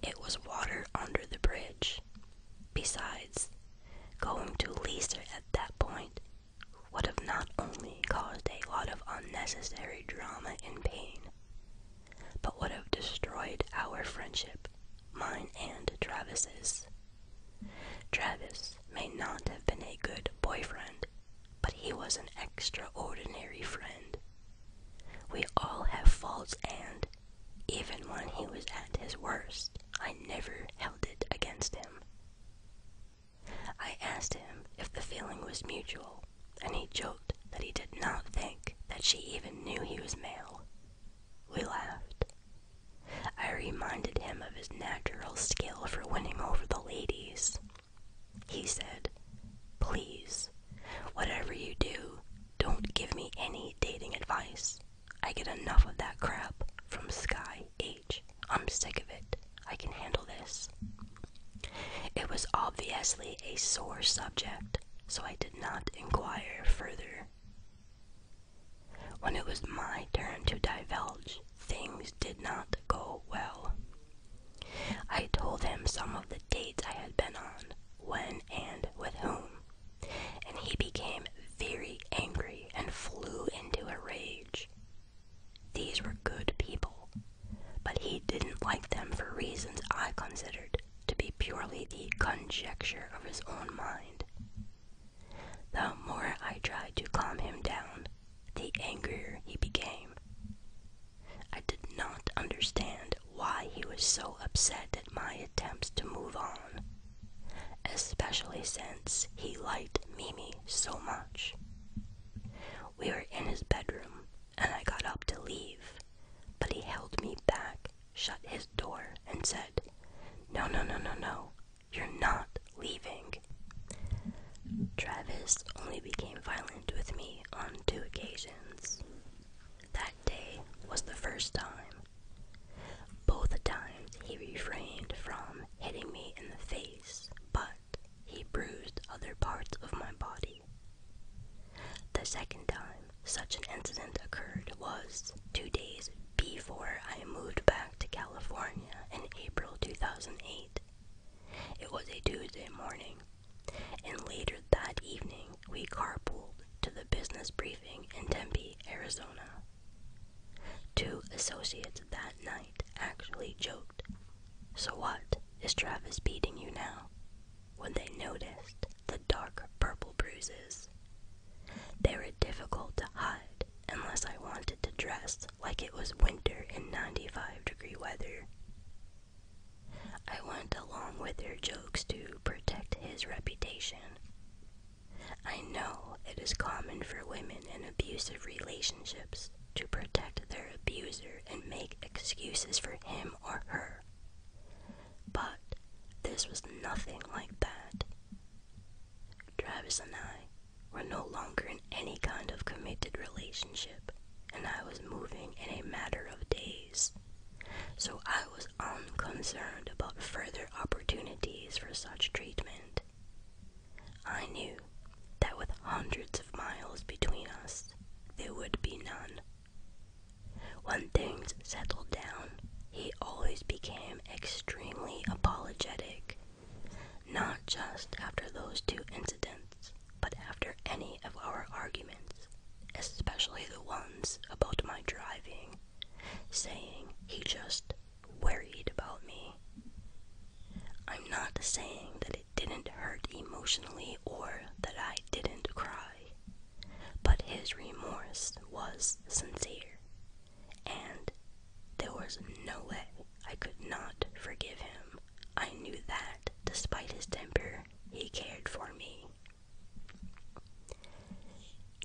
It was water under the bridge. Besides, going to Leicester at that point would have not only caused a lot of unnecessary drama and pain, but would have destroyed our friendship, mine and Travis's. Travis may not have been a good boyfriend, but he was an extraordinary friend. We all have faults and even when he was at his worst, I never held it against him. I asked him if the feeling was mutual, and he joked that he did not think that she even knew he was male. We laughed. I reminded him of his natural skill for winning over the ladies. He said, Please, whatever you do, don't give me any dating advice. I get enough of that crap from Sky H. I'm sick of it. I can handle this. It was obviously a sore subject, so I did not inquire further. When it was my turn to divulge, things did not go well. I told him some of the dates I had been on, when and with whom, and he became very angry and flew into a rage. These were good people, but he didn't like them for reasons I considered to be purely the conjecture of his own mind. The more I tried to calm him down, the angrier he became. I did not understand why he was so upset at my attempts to move on, especially since he liked Mimi so much. We were in his bedroom, and I got up to leave, but he held me back, shut his door, and said, No, no, no, no, no, you're not leaving. Travis only became violent with me on two occasions. That day was the first time. Both times he refrained from hitting me in the face, but he bruised other parts of my body. The second time such an incident occurred was two days before I moved back to California in April 2008. It was a Tuesday morning, and later that evening, we carpool to the business briefing in Tempe, Arizona. Two associates that night actually joked, So what is Travis beating you now? When they noticed the dark purple bruises. They were difficult to hide unless I wanted to dress like it was winter in 95 degree weather. I went along with their jokes to protect his reputation. I know it is common for women in abusive relationships to protect their abuser and make excuses for him or her. But this was nothing like that. Travis and I were no longer in any kind of committed relationship, and I was moving in a matter of days so I was unconcerned um, about further opportunities for such treatment. I knew that with hundreds of miles between us, there would be none. When things settled down, he always became extremely apologetic, not just after those two incidents, but after any of our arguments especially the ones about my driving, saying he just worried about me. I'm not saying that it didn't hurt emotionally or that I didn't cry, but his remorse was sincere, and there was no way I could not forgive him. I knew that, despite his temper, he cared for me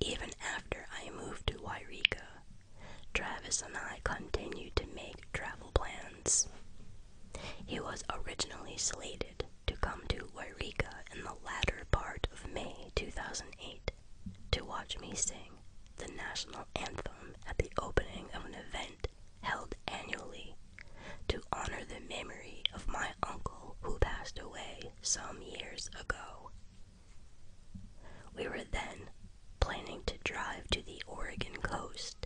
even after I moved to Wairika, Travis and I continued to make travel plans. He was originally slated to come to Wairika in the latter part of May 2008 to watch me sing the national anthem at the opening of an event held annually to honor the memory of my uncle who passed away some years ago. We were then planning to drive to the Oregon coast,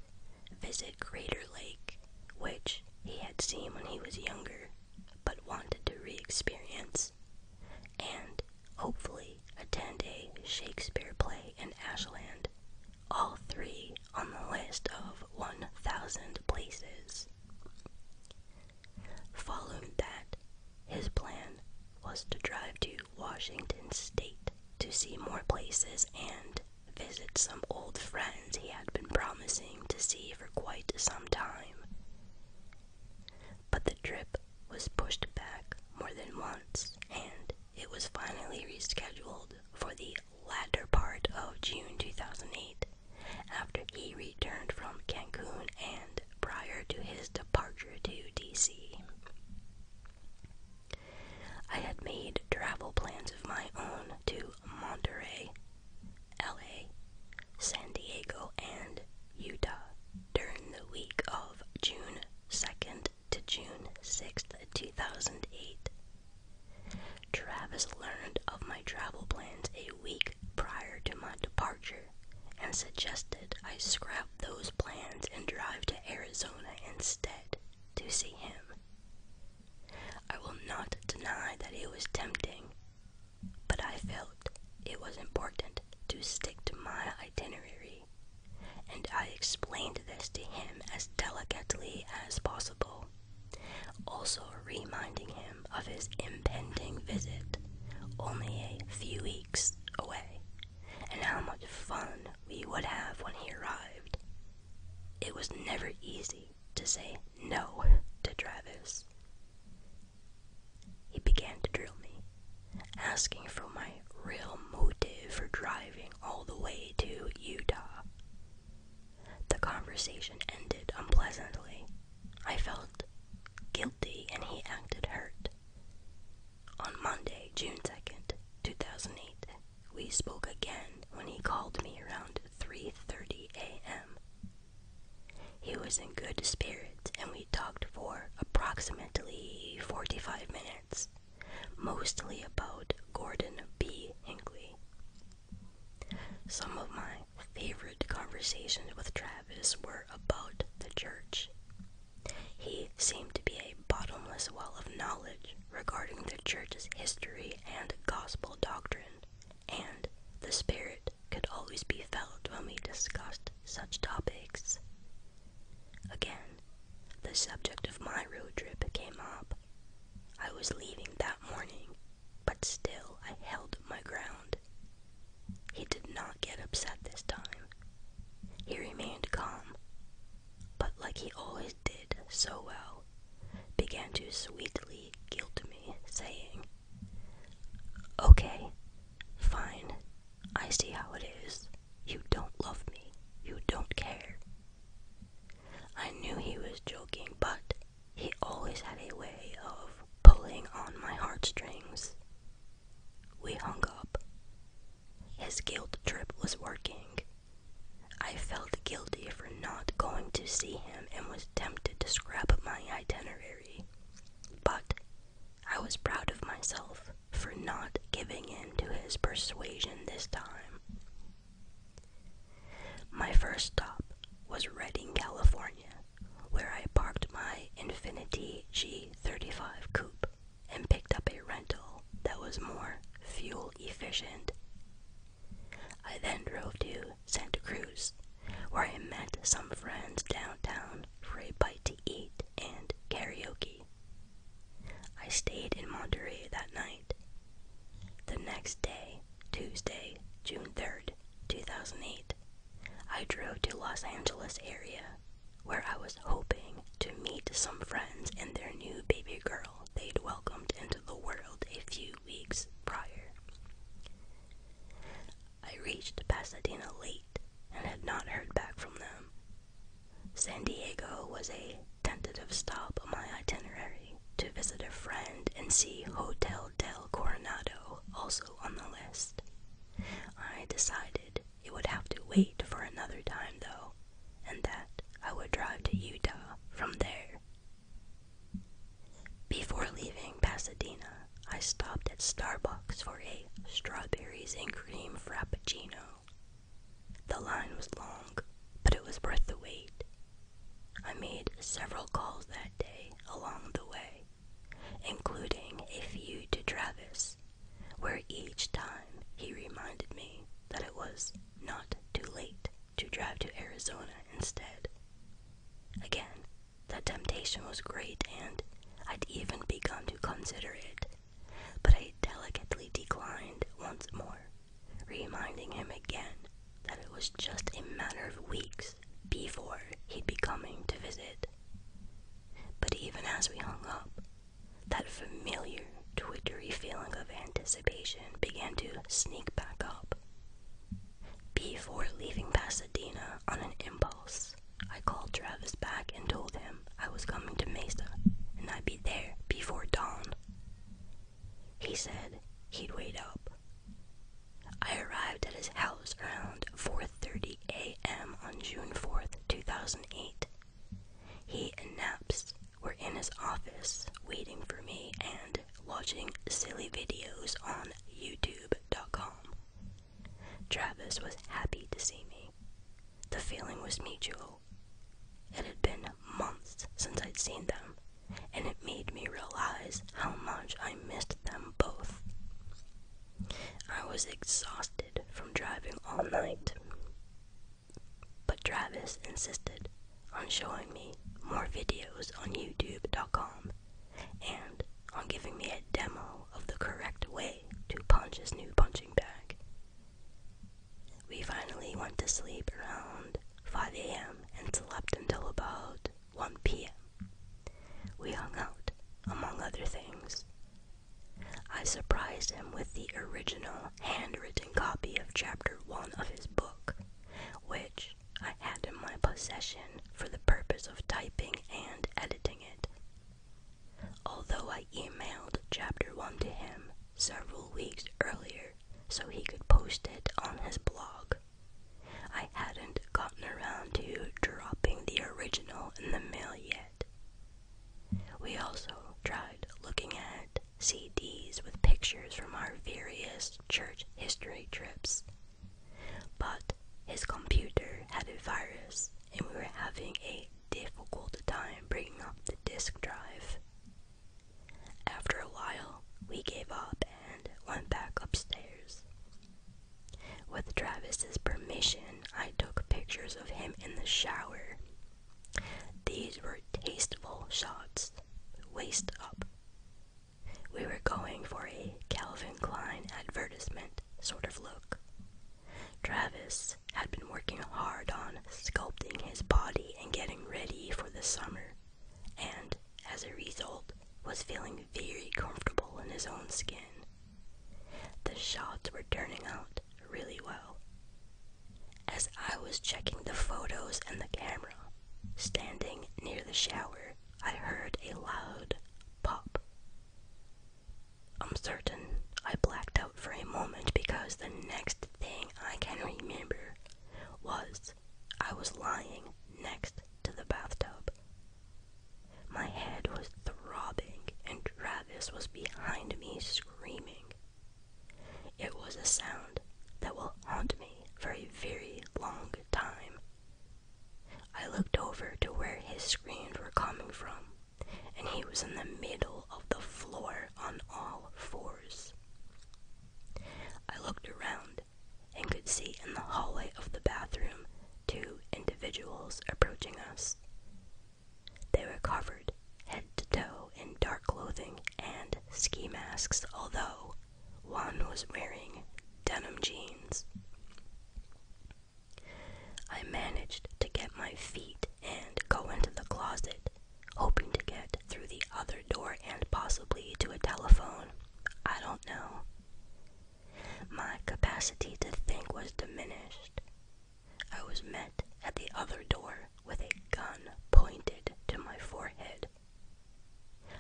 visit Crater Lake, which he had seen when he was younger but wanted to re experience, and hopefully attend a Shakespeare play in Ashland, all three on the list of 1,000 places Following that, his plan was to drive to Washington State to see more places and visit some old friends he had been promising to see for quite some time. But the trip was pushed back more than once, and it was finally rescheduled for the latter part of June 2008 after he returned from Cancun and prior to his departure to DC. I had made travel plans of my own to Monterey, LA, San Diego, and Utah during the week of June 2nd to June 6th, 2008. Travis learned of my travel plans a week prior to my departure and suggested I scrap those plans and drive to Arizona instead to see him. I will not deny that it was tempting, but I felt it was important to stick to my itinerary, and I explained this to him as delicately as possible also reminding him of his impending visit, only a few weeks away, and how much fun we would have when he arrived. It was never easy to say no to Travis. He began to drill me, asking for my real motive for driving all the way to Utah. The conversation ended unpleasantly. I felt guilty and he acted hurt. On Monday, June 2nd, 2008, we spoke again when he called me around 3:30 a.m. He was in good spirits and we talked for approximately 45 minutes, mostly about Gordon B. Hinckley. Some of my favorite conversations with Travis were about the church. He seemed to be a bottomless well of knowledge regarding the church's history and gospel doctrine, and the spirit could always be felt when we discussed such topics. Again, the subject of my road trip came up. I was leaving that morning, but still I held my ground. He did not get upset this time. He remained calm, but like he always did so well, began to sweetly guilt me, saying, Okay, fine, I see how it is. You don't love me, you don't care. I knew he was joking, but he always had a way of pulling on my heartstrings. We hung up. His guilt trip was working. I felt guilty for not going to see him and was tempted to scrap my itinerary. But I was proud of myself for not giving in to his persuasion this time. My first stop was Redding, California where I parked my Infiniti G35 coupe and picked up a rental that was more fuel efficient. I then drove to Santa Cruz, where I met some friends downtown for a bite to eat and karaoke. I stayed in Monterey that night. The next day, Tuesday, June 3rd, 2008, I drove to Los Angeles area where I was hoping to meet some friends and their new baby girl they'd welcomed into the world a few weeks prior. I reached Pasadena late and had not heard back from them. San Diego was a tentative stop on my itinerary to visit a friend and see hotel Hotel del Coronado also on the list. I decided it would have to wait for another time, though, and that I would drive to Utah from there. Before leaving Pasadena, I stopped at Starbucks for a strawberries and cream frappuccino. The line was long, but it was worth the wait I made several calls that day along the way, including a few to Travis, where each time he reminded me that it was not too late to drive to Arizona instead. Again, the temptation was great, and I'd even begun to consider it, but I delicately declined once more, reminding him again that it was just a matter of weeks before he'd be coming to visit. But even as we hung up, that familiar twittery feeling of anticipation began to sneak back up. Before leaving Pasadena on an impulse, I called Travis back and told him I was coming to Mesa and I'd be there before dawn. He said he'd wait up, I arrived at his house around 4:30 a.m. on June 4th, 2008. He and Naps were in his office waiting for me and watching silly videos on youtube.com. Travis was happy to see me. The feeling was mutual. It had been months since I'd seen them, and it made me realize how much I missed them both. I was exhausted from driving all night, but Travis insisted on showing me more videos on YouTube.com and on giving me a demo of the correct way to punch his new punching bag. We finally went to sleep around 5 a.m. and slept until about 1 p.m. We hung out, among other things. I surprised him with the original handwritten copy of Chapter 1 of his book, which I had in my possession for the purpose of typing and editing it. Although I emailed Chapter 1 to him several weeks earlier so he could post it on his blog, I hadn't gotten around to dropping the original in the mail yet. We also tried looking at CDs with pictures from our various church history trips, but his computer had a virus and we were having a difficult time bringing up the disk drive. After a while, we gave up and went back upstairs. With Travis's permission, I took pictures of him in the shower. These were tasteful shots, waist up. We were going for a Calvin Klein advertisement sort of look. Travis had been working hard on sculpting his body and getting ready for the summer and, as a result, was feeling very comfortable in his own skin. The shots were turning out really well. As I was checking the photos and the camera, standing near the shower, I heard a loud pop. I'm certain I blacked out for a moment because the next thing I can remember was I was lying next to the bathtub. My head was throbbing, and Travis was behind me screaming. It was a sound that will haunt me for a very long time. I looked over to where his screams were coming from, and he was in the middle of the floor on all fours. I looked around and could see in the hallway of the bathroom two individuals approaching us. They were covered head to toe in dark clothing and ski masks, although one was wearing denim jeans. I managed to get my feet and go into the closet, hoping to get through the other door and possibly to a telephone. I don't know. My capacity to think was diminished. I was met at the other door with a gun pointed to my forehead.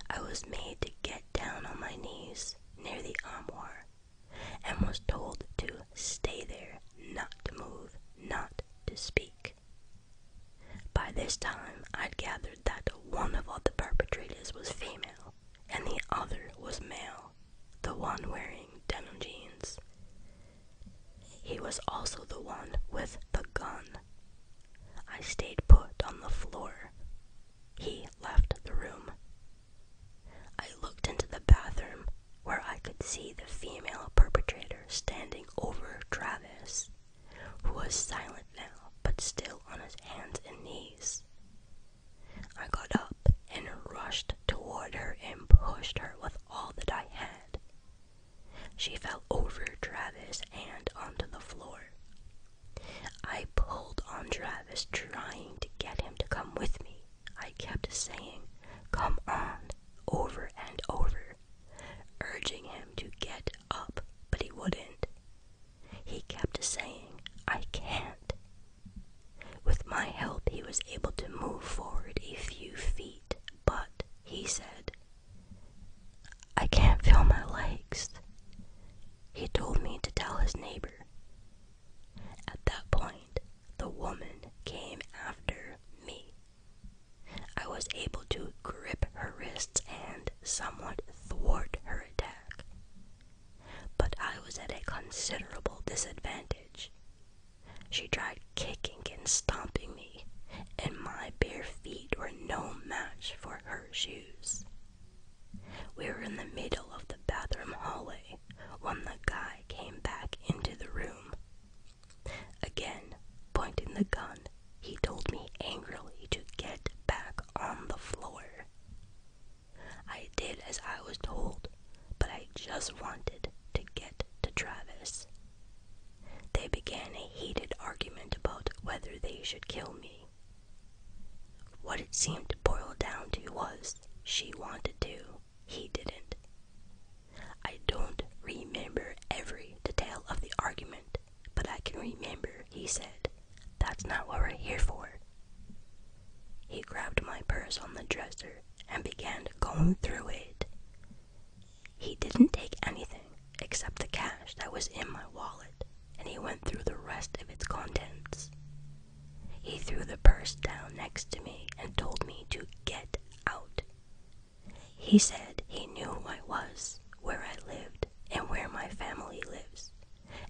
I was made to get down on my knees near the armoire and was told to stay there, not to move, not to speak. By this time, I'd gathered that one of the perpetrators was female and the other was male, the one wearing denim jeans. He was also the one with the gun. I stayed put on the floor. He left the room. I looked into the bathroom where I could see the female perpetrator standing over Travis, who was silent now but still on his hands and knees. I got up and rushed toward her and pushed her with all that I had. She fell over Travis and onto the floor. I pulled on Travis, trying to get him to come with me. I kept saying, Come on, over and over, urging him to get up, but he wouldn't. He kept saying, I can't. With my help, he was able to move forward a few feet, but he said, I can't feel my legs. He told me to tell his neighbor. At that point, the woman came after me. I was able to grip her wrists and somewhat thwart her attack but I was at a considerable disadvantage. She tried kicking and stomping me, and my bare feet were no match for her shoes. We were in the middle of the bathroom hallway when the guy came back into the room. Again, pointing the gun, he told me angrily to get back on the floor. I did as I was told, but I just wanted to get to Travis. They began a heated argument about whether they should kill me. What it seemed to boil down to was she wanted to, he didn't. I don't remember every detail of the argument, but I can remember he said, that's not what we're here for. He grabbed my purse on the dresser and began going through it. He didn't take anything except the cash that was in my wallet, and he went through the rest of its contents. He threw the purse down next to me and told me to get out. He said he knew who I was, where I lived, and where my family lives,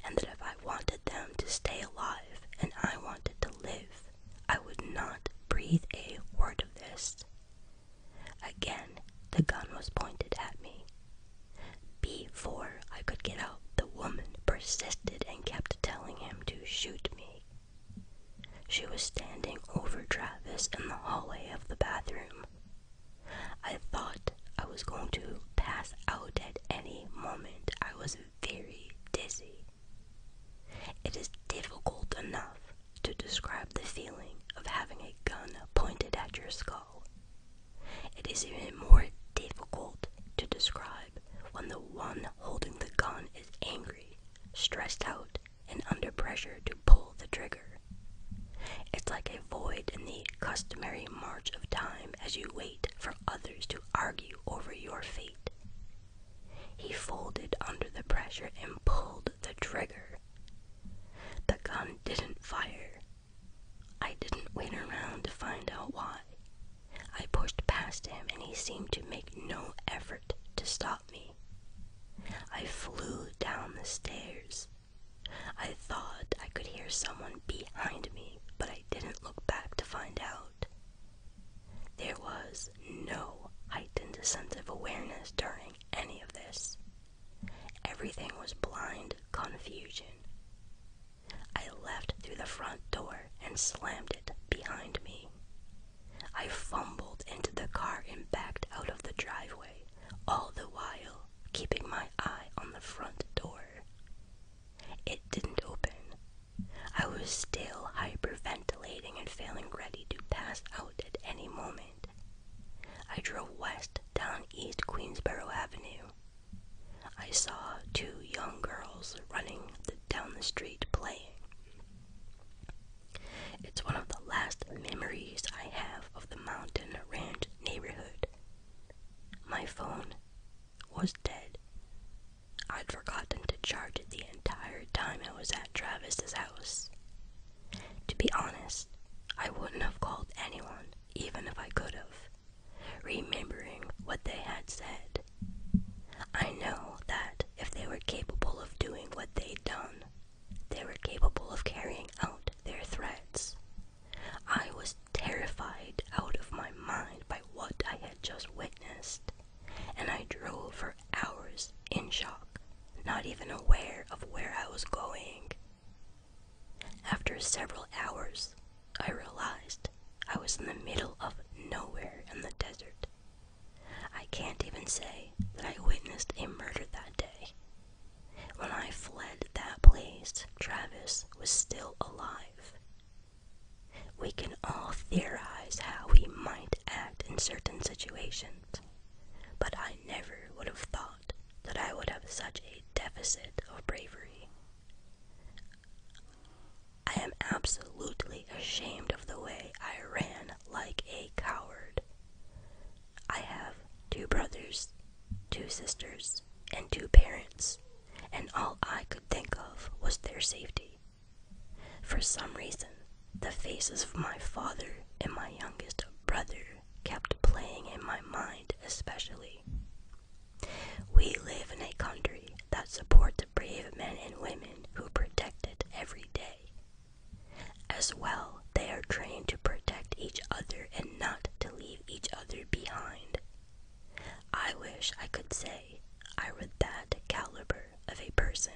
and that if I wanted them to stay alive and I wanted to live, I would not breathe a word of this. Again, the gun was pointed at me. Before I could get out, the woman persisted and kept telling him to shoot me. She was standing over Travis in the hallway of the bathroom, I thought I was going to pass out at any moment. I was very dizzy. It is difficult enough to describe the feeling of having a gun pointed at your skull. It is even more difficult to describe when the one holding the gun is angry, stressed out, and under pressure to pull the trigger. It's like a void in the customary of time as you wait for others to argue over your fate. He folded under the pressure and pulled the trigger. The gun didn't fire. I didn't wait around to find out why. I pushed past him and he seemed to make no effort to stop me. I flew down the stairs. I thought I could hear someone behind me, but I didn't look back to find out. There was no heightened sense of awareness during any of this. Everything was blind confusion. I left through the front door and slammed it behind me. I fumbled into the car and backed out of the driveway, all the while keeping my eye on the front door. It didn't open. I was still hyperventilating and feeling ready to pass out at any moment. I drove west down East Queensborough Avenue. I saw two young girls running down the street playing. It's one of the last memories I have of the Mountain Ranch neighborhood. My phone was dead. I'd forgotten to charge it the entire time I was at Travis's house. To be honest, I wouldn't have called anyone, even if I could have, remembering what they had said. I know that if they were capable of doing what they'd done, they were capable of carrying out their threats. I was terrified out of my mind by what I had just witnessed, and I drove for hours in shock, not even aware of where I was going. After several hours, I realized I was in the middle of nowhere in the desert. I can't even say that I witnessed a murder that day. When I fled that place, Travis was still alive. We can all theorize how we might act in certain situations, but I never would have thought that I would have such a deficit of bravery. I am absolutely ashamed of the way I ran like a coward. I have two brothers, two sisters, and two parents and all I could think of was their safety. For some reason, the faces of my father and my youngest brother kept playing in my mind, especially. We live in a country that supports brave men and women who protect it every day. As well, they are trained to protect each other and not to leave each other behind. I wish I could say I were that caliber of a person.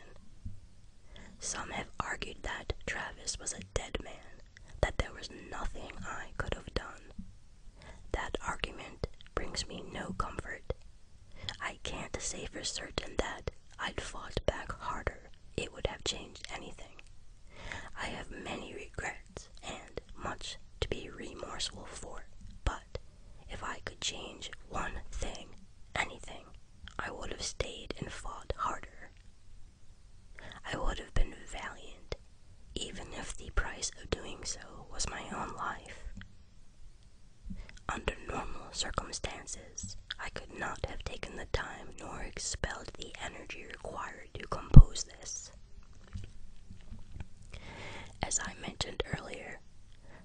Some have argued that Travis was a dead man, that there was nothing I could have done. That argument brings me no comfort. I can't say for certain that I'd fought back harder, it would have changed anything. I have many regrets and much to be remorseful for. But if I could change one thing, anything, I would have stayed and fought harder. I would have been valiant, even if the price of doing so was my own life. Under normal circumstances, I could not have taken the time nor expelled the energy required to compose this. As I mentioned earlier,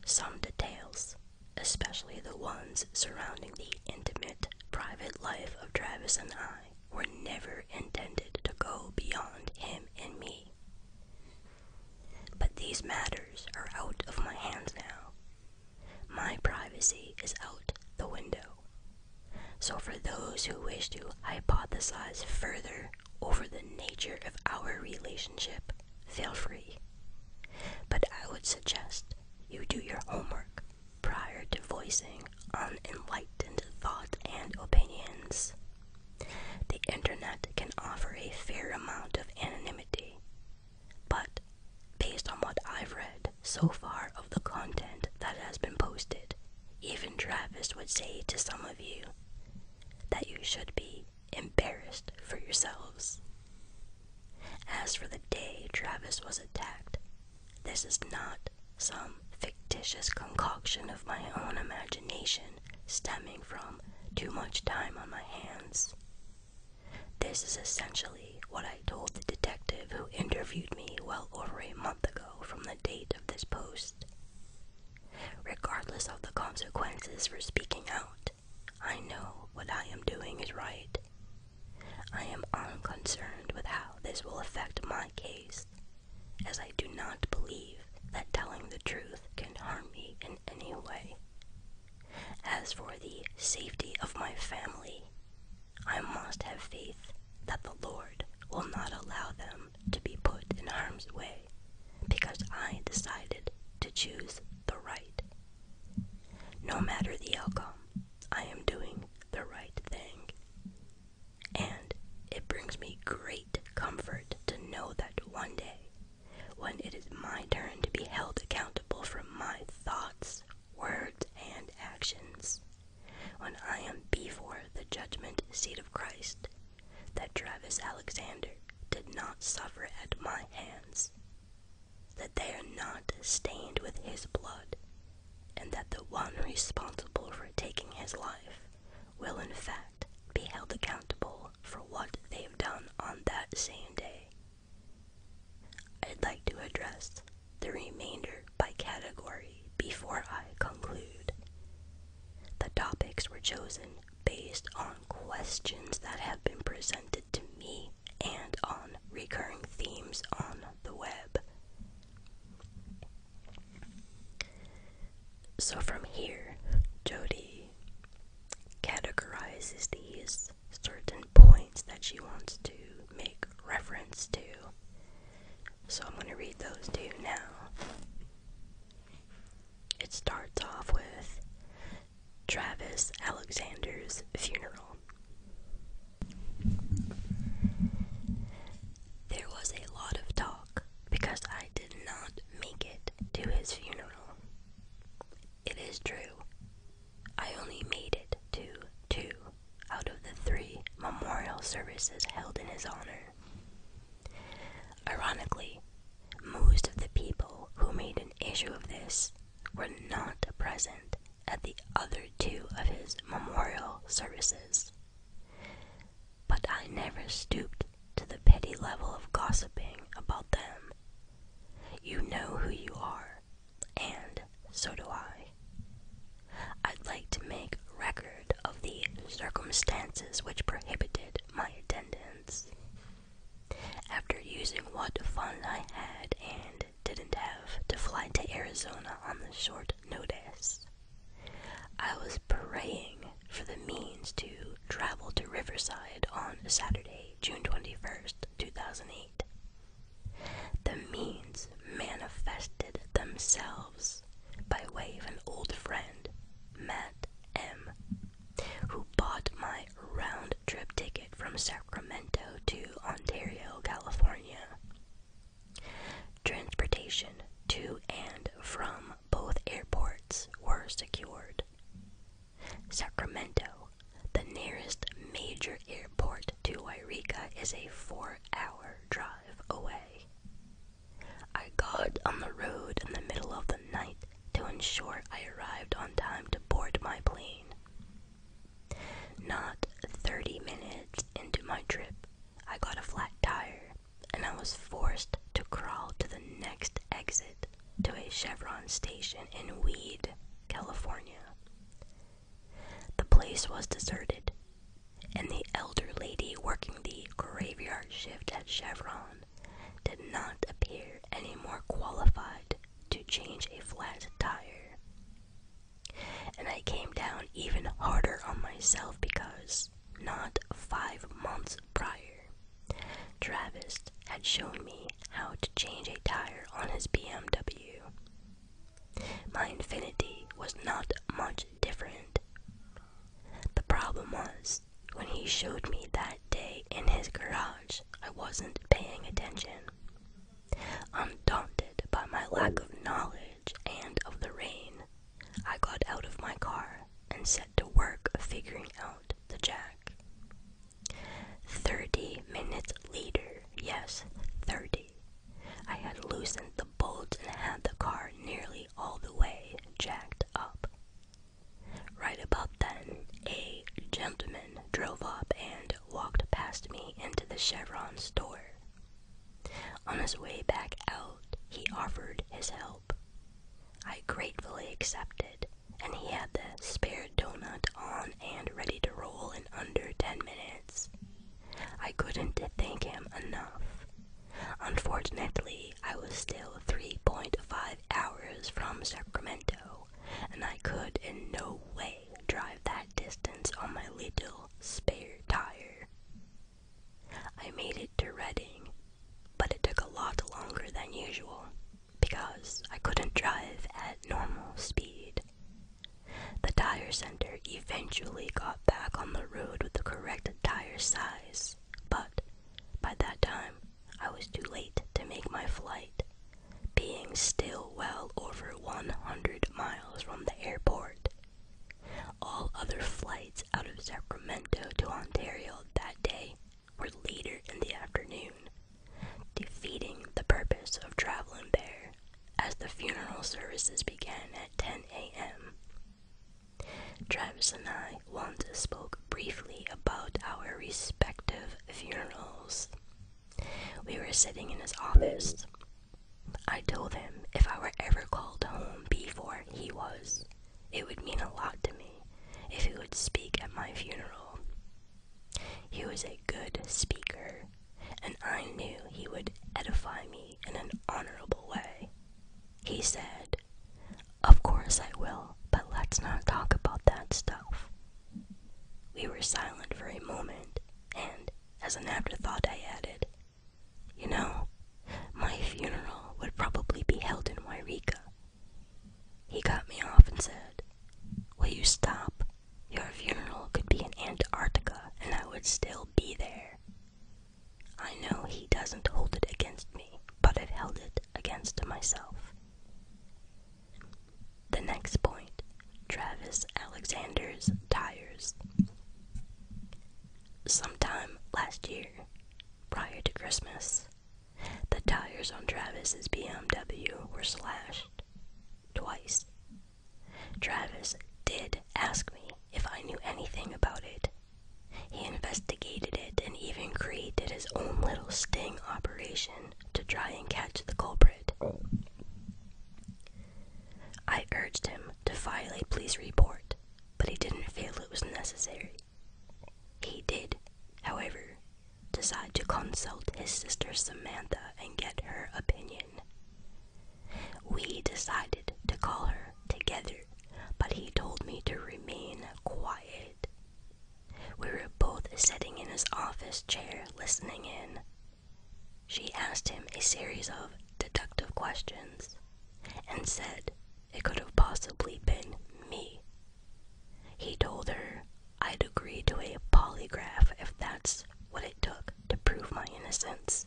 some details, especially the ones surrounding the intimate private life of Travis and I, were never intended to go beyond him and me. But these matters are out of my hands now. My privacy is out the window. So, for those who wish to hypothesize further over the nature of our relationship, feel free. But I would suggest you do your homework prior to voicing unenlightened thoughts and opinions. The internet can offer a fair amount of anonymity, but based on what I've read so far of the content that has been posted, even Travis would say to some of you that you should be embarrassed for yourselves. As for the day Travis was attacked, this is not some fictitious concoction of my own imagination stemming from too much time on my hands. This is essentially what I told the detective who interviewed me well over a month ago from the date of this post regardless of the consequences for speaking out. I know what I am doing is right. I am unconcerned with how this will affect my case, as I do not believe that telling the truth can harm me in any way. As for the safety of my family, I must have faith that the Lord will not allow them to be put in harm's way because I decided to choose the right. No matter the outcome, I am doing the right thing. And it brings me great comfort to know that one day, when it is my turn to be held accountable for my thoughts, words, and actions, when I am before the judgment seat of Christ, that Travis Alexander did not suffer at my hands, that they are not stained with his blood, and that the one responsible for taking his life will in fact be held accountable for what they've done on that same day. I'd like to address the remainder by category before I conclude. The topics were chosen based on questions that have been presented to me and on recurring themes on the web. So from here, Jody categorizes these certain points that she wants to make reference to. So I'm going to read those to you now. It starts off with Travis Alexander's funeral. There was a lot of talk because I did not make it to his funeral. It is true, I only made it to two out of the three memorial services held in his honor. Ironically, most of the people who made an issue of this were not present at the other two of his memorial services. But I never stooped to the petty level of gossiping about them. You know who you are, and so do I. I'd like to make record of the circumstances which prohibited my attendance. After using what funds I had and didn't have to fly to Arizona on the short notice, I was praying for the means to travel to Riverside on Saturday, June 21st, 2008. The means manifested themselves by way of an old friend, Matt M., who bought my round trip ticket from Sacramento to Ontario, California. Transportation to and from both airports were secured. Sacramento, the nearest major airport to Wairika, is a four hour drive away. I got on the road in the middle of the night to ensure I arrived on time to board my plane. Not 30 minutes into my trip, I got a flat tire and I was forced to crawl to the next exit to a Chevron station in Weed, California. The place was deserted, and the elder lady working the graveyard shift at Chevron did not appear any more qualified to change a flat tire. And I came down even harder on myself because not five months prior, Travis had shown me how to change a tire on his BMW. My infinity was not much different, the problem was, when he showed me that day in his garage, I wasn't paying attention. Undaunted by my lack of knowledge and of the rain, I got out of my car and set to work figuring out the jack. Thirty minutes later, yes, thirty, I had loosened the bolt and had the car nearly all the way jacked up. Right about then, a gentleman drove up and walked past me into the Chevron store. On his way back out, he offered his help. I gratefully accepted, and he had the spare donut on and ready to roll in under ten minutes. I couldn't thank him enough. Unfortunately, I was still 3.5 hours from Sacramento, and I could in no way drive that distance on my little spare tire. I made it to Redding, but it took a lot longer than usual because I couldn't drive at normal speed. The tire center eventually got back on the road with the correct tire size, but by that time I was too late to make my flight, being still well over 100 miles from the airport. All other flights out of Sacramento to Ontario that day were later in the afternoon, defeating the purpose of traveling there as the funeral services began at 10 a.m. Travis and I once spoke briefly about our respective funerals. We were sitting in his office. I told him if I were ever called home before he was, it would mean a lot to me if he would speak at my funeral. He was a good speaker, and I knew he would edify me in an honorable way. He said, Of course I will, but let's not talk about that stuff. We were silent for a moment, and, as an afterthought, I added, You know, my funeral would probably be held in Wairika. He cut me off and said, Will you stop? Your funeral could be in Antarctica, and I would still be there. I know he doesn't hold it against me, but i held it against myself. The next point Travis Alexander's tires. Sometime last year, prior to Christmas, the tires on Travis's BMW were slashed twice. Travis did ask me if I knew anything about it, he investigated it and even created his own little sting operation to try and catch the culprit. I urged him to file a police report, but he didn't feel it was necessary. He did, however, decide to consult his sister Samantha and get her opinion. We decided to call her together but he told me to remain quiet. We were both sitting in his office chair listening in. She asked him a series of detective questions and said it could have possibly been me. He told her I'd agree to a polygraph if that's what it took to prove my innocence.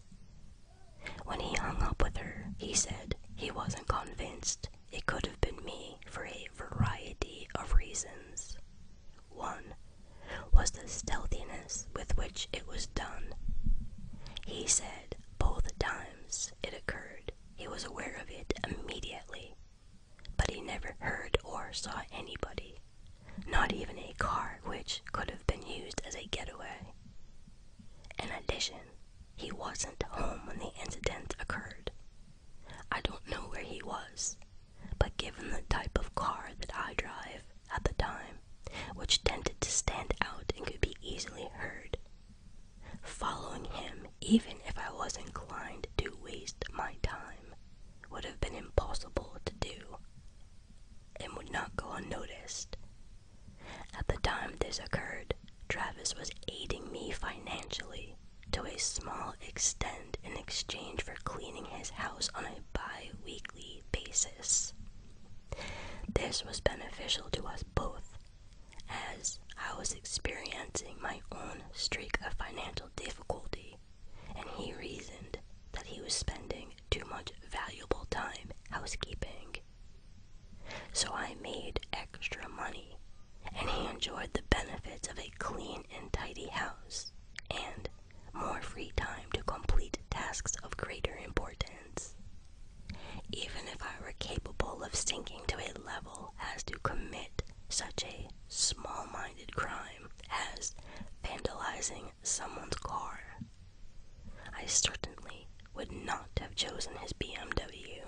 When he hung up with her, he said he wasn't convinced it could have been me for a variety of reasons. One was the stealthiness with which it was done. He said both times it occurred, he was aware of it immediately, but he never heard or saw anybody, not even a car which could have been used as a getaway. In addition, he wasn't home when the incident occurred. I don't know where he was, but given the type of car that I drive at the time, which tended to stand out and could be easily heard, following him, even if I was inclined to waste my time, would have been impossible to do and would not go unnoticed at the time this occurred, Travis was aiding me financially to a small extent in exchange for cleaning his house on a biweekly basis. This was beneficial to us both, as I was experiencing my own streak of financial difficulty, and he reasoned that he was spending too much valuable time housekeeping so I made extra money, and he enjoyed the benefits of a clean and tidy house, and more free time to complete tasks of greater importance. Even if I were capable of sinking to a level as to commit such a small minded crime as vandalizing someone's car, I certainly would not have chosen his BMW.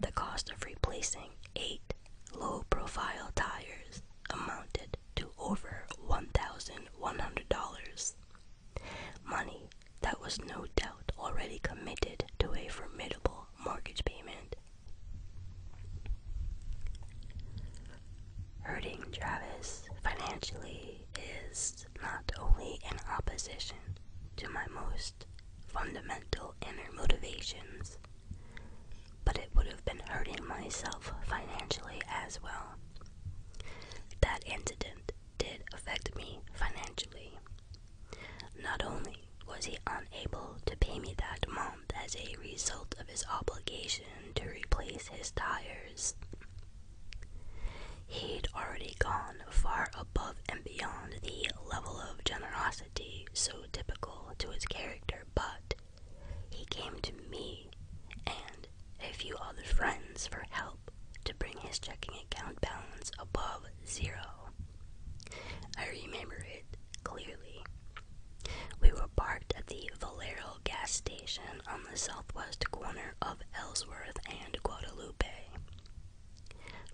The cost of replacing eight low profile tires amounted to over $1,100, money that was no doubt already committed to a formidable mortgage payment. Hurting Travis financially is not only in opposition to my most fundamental inner motivations, but it would have been hurting myself financially as well. That incident did affect me financially. Not only was he unable to pay me that month as a result of his obligation to replace his tires, he'd already gone far above and beyond the level of generosity so typical to his character, but he came to me and a few other friends for help to bring his checking account balance above zero. I remember it clearly. We were parked at the Valero gas station on the southwest corner of Ellsworth and Guadalupe.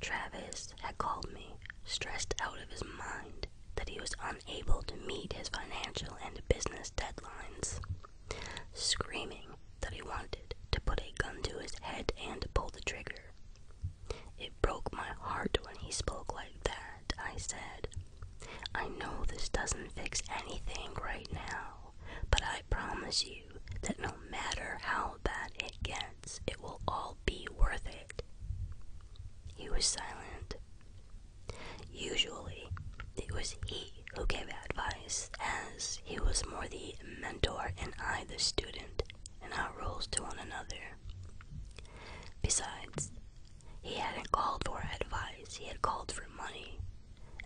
Travis had called me, stressed out of his mind that he was unable to meet his financial and business deadlines, screaming that he wanted to put a gun to his head and pull the trigger. It broke my heart when he spoke like that. I said, I know this doesn't fix anything right now, but I promise you that no matter how all it gets, it will all be worth it. He was silent. Usually, it was he who gave advice, as he was more the mentor and I the student, and our roles to one another. Besides, he hadn't called for advice, he had called for money,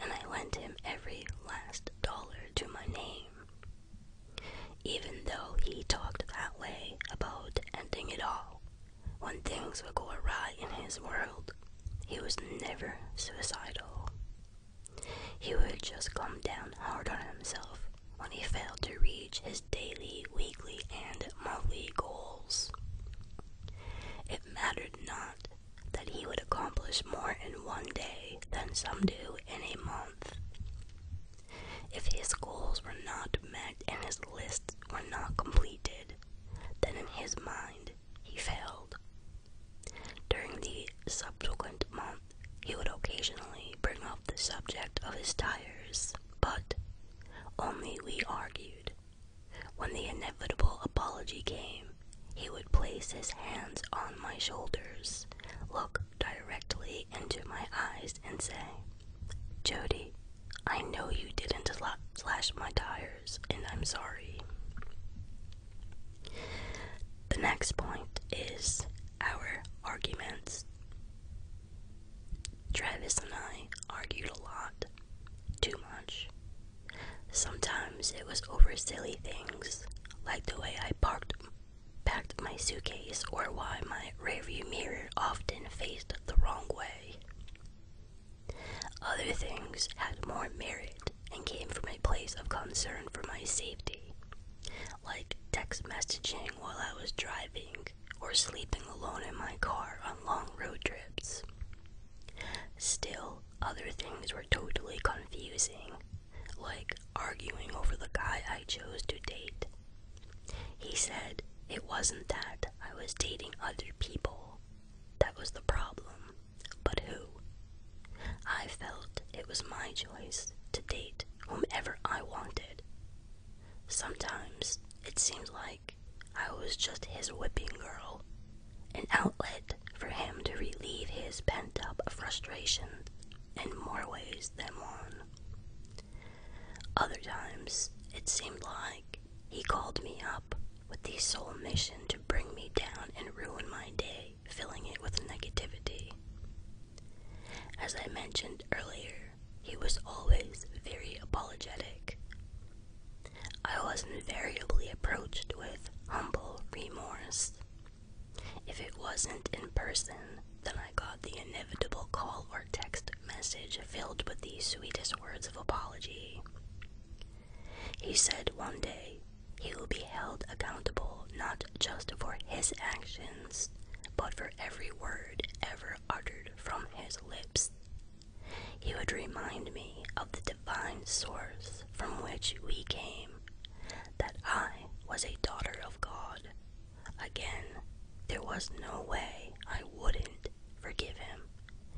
and I lent him every last dollar to my name. Even though he talked that way about ending it all, when things would go awry in his world, he was never suicidal. He would just come down hard on himself when he failed to reach his daily, weekly, and monthly goals. It mattered not that he would accomplish more in one day than some do in a month. If his goals were not met and his lists were not completed, then in his mind he failed. During the subsequent month, he would occasionally bring up the subject of his tires, but only we argued. When the inevitable apology came, he would place his hands on my shoulders, look directly into my eyes and say, Jody, I know you didn't slash my tires, and I'm sorry. The next point is our arguments. Travis and I argued a lot, too much. Sometimes it was over silly things, like the way I parked packed my suitcase or why my rearview mirror often faced the wrong way. Other things had more merit and came from a place of concern for my safety, like text messaging while I was driving or sleeping alone in my car on long road trips. Still, other things were totally confusing, like arguing over the guy I chose to date. He said it wasn't that I was dating other people that was the problem, but who? I felt it was my choice to date whomever I wanted. Sometimes it seemed like I was just his whipping girl, an outlet for him to relieve his pent up frustration in more ways than one. Other times, it seemed like he called me up with the sole mission to bring me down and ruin my day, filling it with negativity. As I mentioned earlier, he was always very apologetic. I was invariably approached with humble remorse if it wasn't in person, then I got the inevitable call or text message filled with the sweetest words of apology. He said one day he will be held accountable not just for his actions, but for every word ever uttered from his lips. He would remind me of the divine source from which we came, that I was a daughter of. God. Again, there was no way I wouldn't forgive him.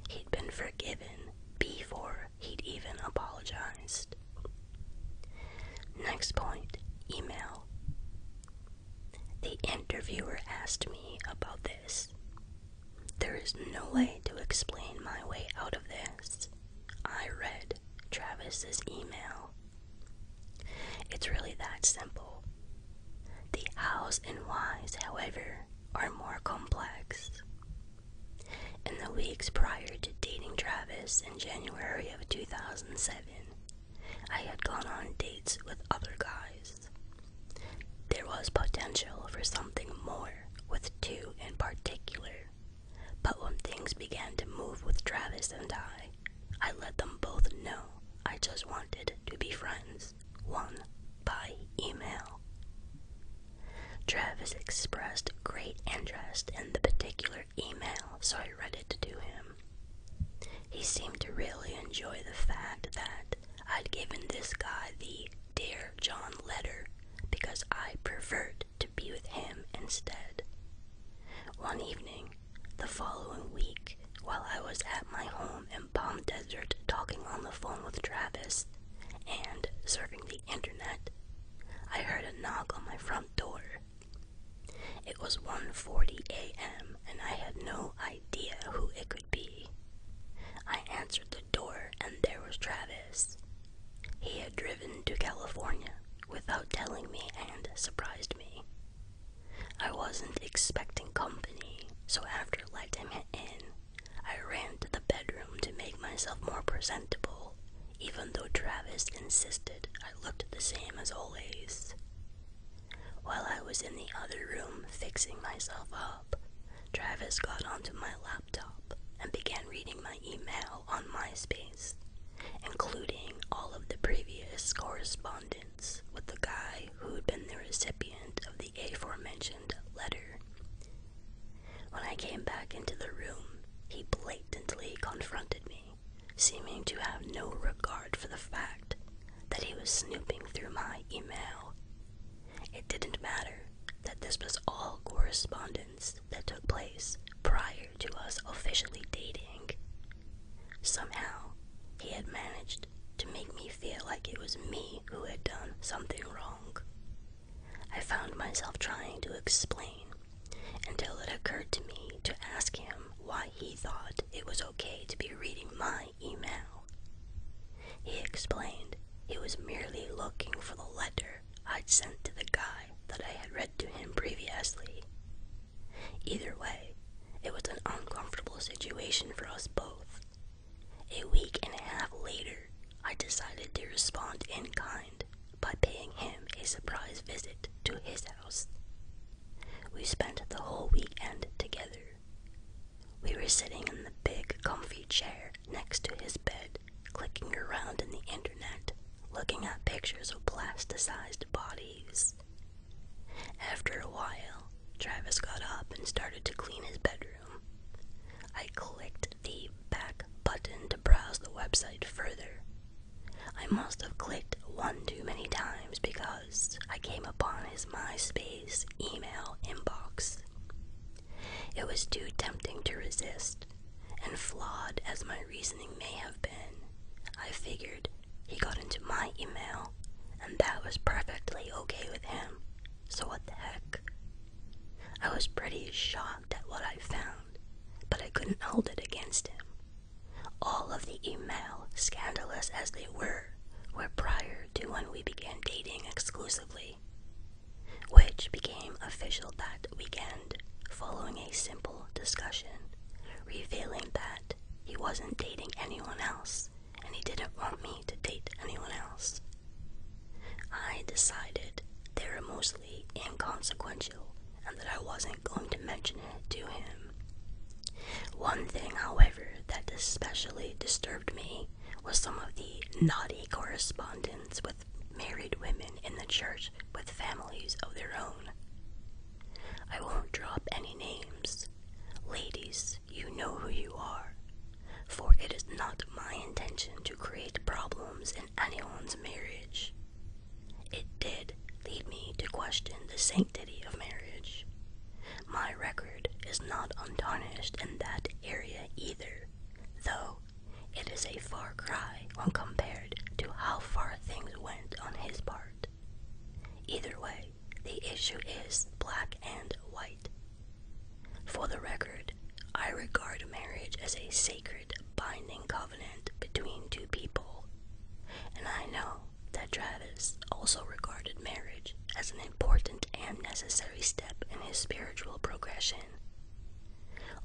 He'd been forgiven before he'd even apologized. Next point email. The interviewer asked me about this. There is no way to explain my way out of this. I read Travis's email it's really that simple. The hows and whys, however, are more complex. In the weeks prior to dating Travis in January of 2007, I had gone on dates with other guys. There was potential for something more with two in particular but when things began to move with Travis and I, I let them both know I just wanted to be friends, one by email. Travis expressed great interest in the particular email, so I read it to him. He seemed to really enjoy the fact that I'd given this guy the Dear John letter because I preferred to be with him instead. One evening, the following week, while I was at my home in Palm Desert talking on the phone with Travis and surfing the internet, I heard a knock on my front door. It was 1:40 a.m. and I had no idea who it could be. I answered the door and there was Travis. He had driven to California without telling me and surprised me. I wasn't expecting company, so after letting him in, I ran to the bedroom to make myself more presentable, even though Travis insisted I looked the same as always. While I was in the other room fixing myself up, Travis got onto my laptop and began reading my email on MySpace including all of the previous correspondence with the guy who'd been the recipient of the aforementioned letter. When I came back into the room, he blatantly confronted me, seeming to have no regard for the fact that he was snooping through my email. It didn't matter that this was all correspondence that took place prior to us officially dating. Somehow, he had managed to make me feel like it was me who had done something wrong. I found myself trying to explain until it occurred to me to ask him why he thought it was okay to be reading my email. He explained he was merely looking for the letter I'd sent to the guy that I had read to him previously, Either way, it was an uncomfortable situation for us both. A week and a half later, I decided to respond in kind by paying him a surprise visit to his house. We spent the whole weekend together. We were sitting in the big comfy chair next to his bed, clicking around in the internet looking at pictures of plasticized bodies. After a while, Travis got up and started to clean his bedroom. I clicked the back button to browse the website further. I must have clicked one too many times because I came upon his MySpace email inbox. It was too tempting to resist, and flawed as my research may have been. I figured he got into my email, and that was perfectly okay with him, so what the heck? I was pretty shocked at what I found, but I couldn't hold it against him. All of the email, scandalous as they were, were prior to when we began dating exclusively, which became official that weekend following a simple discussion, revealing that he wasn't dating anyone else and he didn't want me to date anyone else. I decided they were mostly inconsequential and that I wasn't going to mention it to him. One thing, however, that especially disturbed me was some of the naughty correspondence with married women in the church with families of their own. I won't drop any names. Ladies, you know who you are, for it is not my intention to create problems in anyone's marriage. It did lead me to question the sanctity of marriage. My record is not untarnished in that area either, though it is a far cry when compared to how far things went on his part. Either way, the issue is black and white. For the record, I regard marriage as a sacred, binding covenant between two people, and I know that Travis also regarded marriage as an important and necessary step in his spiritual progression.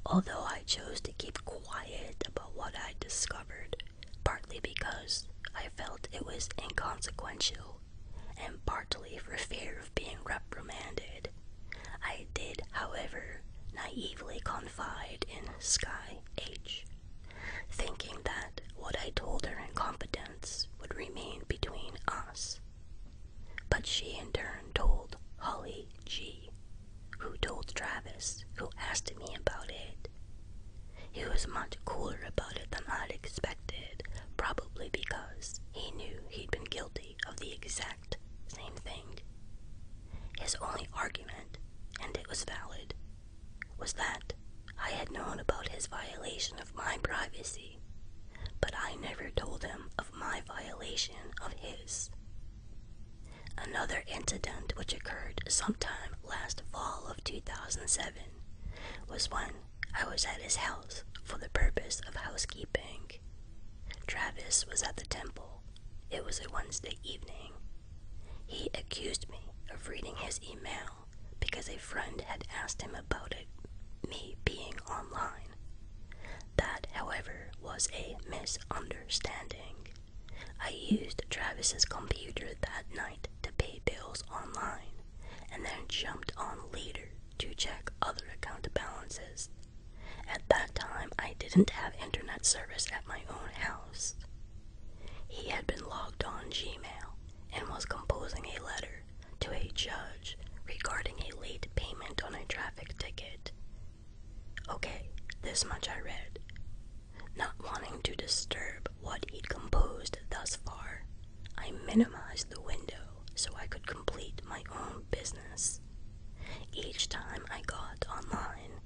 Although I chose to keep quiet about what I discovered, partly because I felt it was inconsequential, and partly for fear of being reprimanded. I did, however, naively confide in Sky H, thinking that what I told her in confidence would remain between us. But she in turn told Holly G who told Travis, who asked me about it. He was much cooler about it than I'd expected, probably because he knew he'd been guilty of the exact same thing. His only argument, and it was valid, was that I had known about his violation of my privacy, but I never told him of my violation of his. Another incident which occurred sometime last fall of 2007 was when I was at his house for the purpose of housekeeping. Travis was at the temple. It was a Wednesday evening. He accused me of reading his email because a friend had asked him about it, me being online. That, however, was a misunderstanding. I used Travis's computer that night to pay bills online and then jumped on later to check other account balances. At that time, I didn't have internet service at my own house. He had been logged on Gmail and was composing a letter to a judge regarding a late payment on a traffic ticket. Okay, this much I read. Not wanting to disturb what he'd composed thus far, I minimized the window so I could complete my own business. Each time I got online,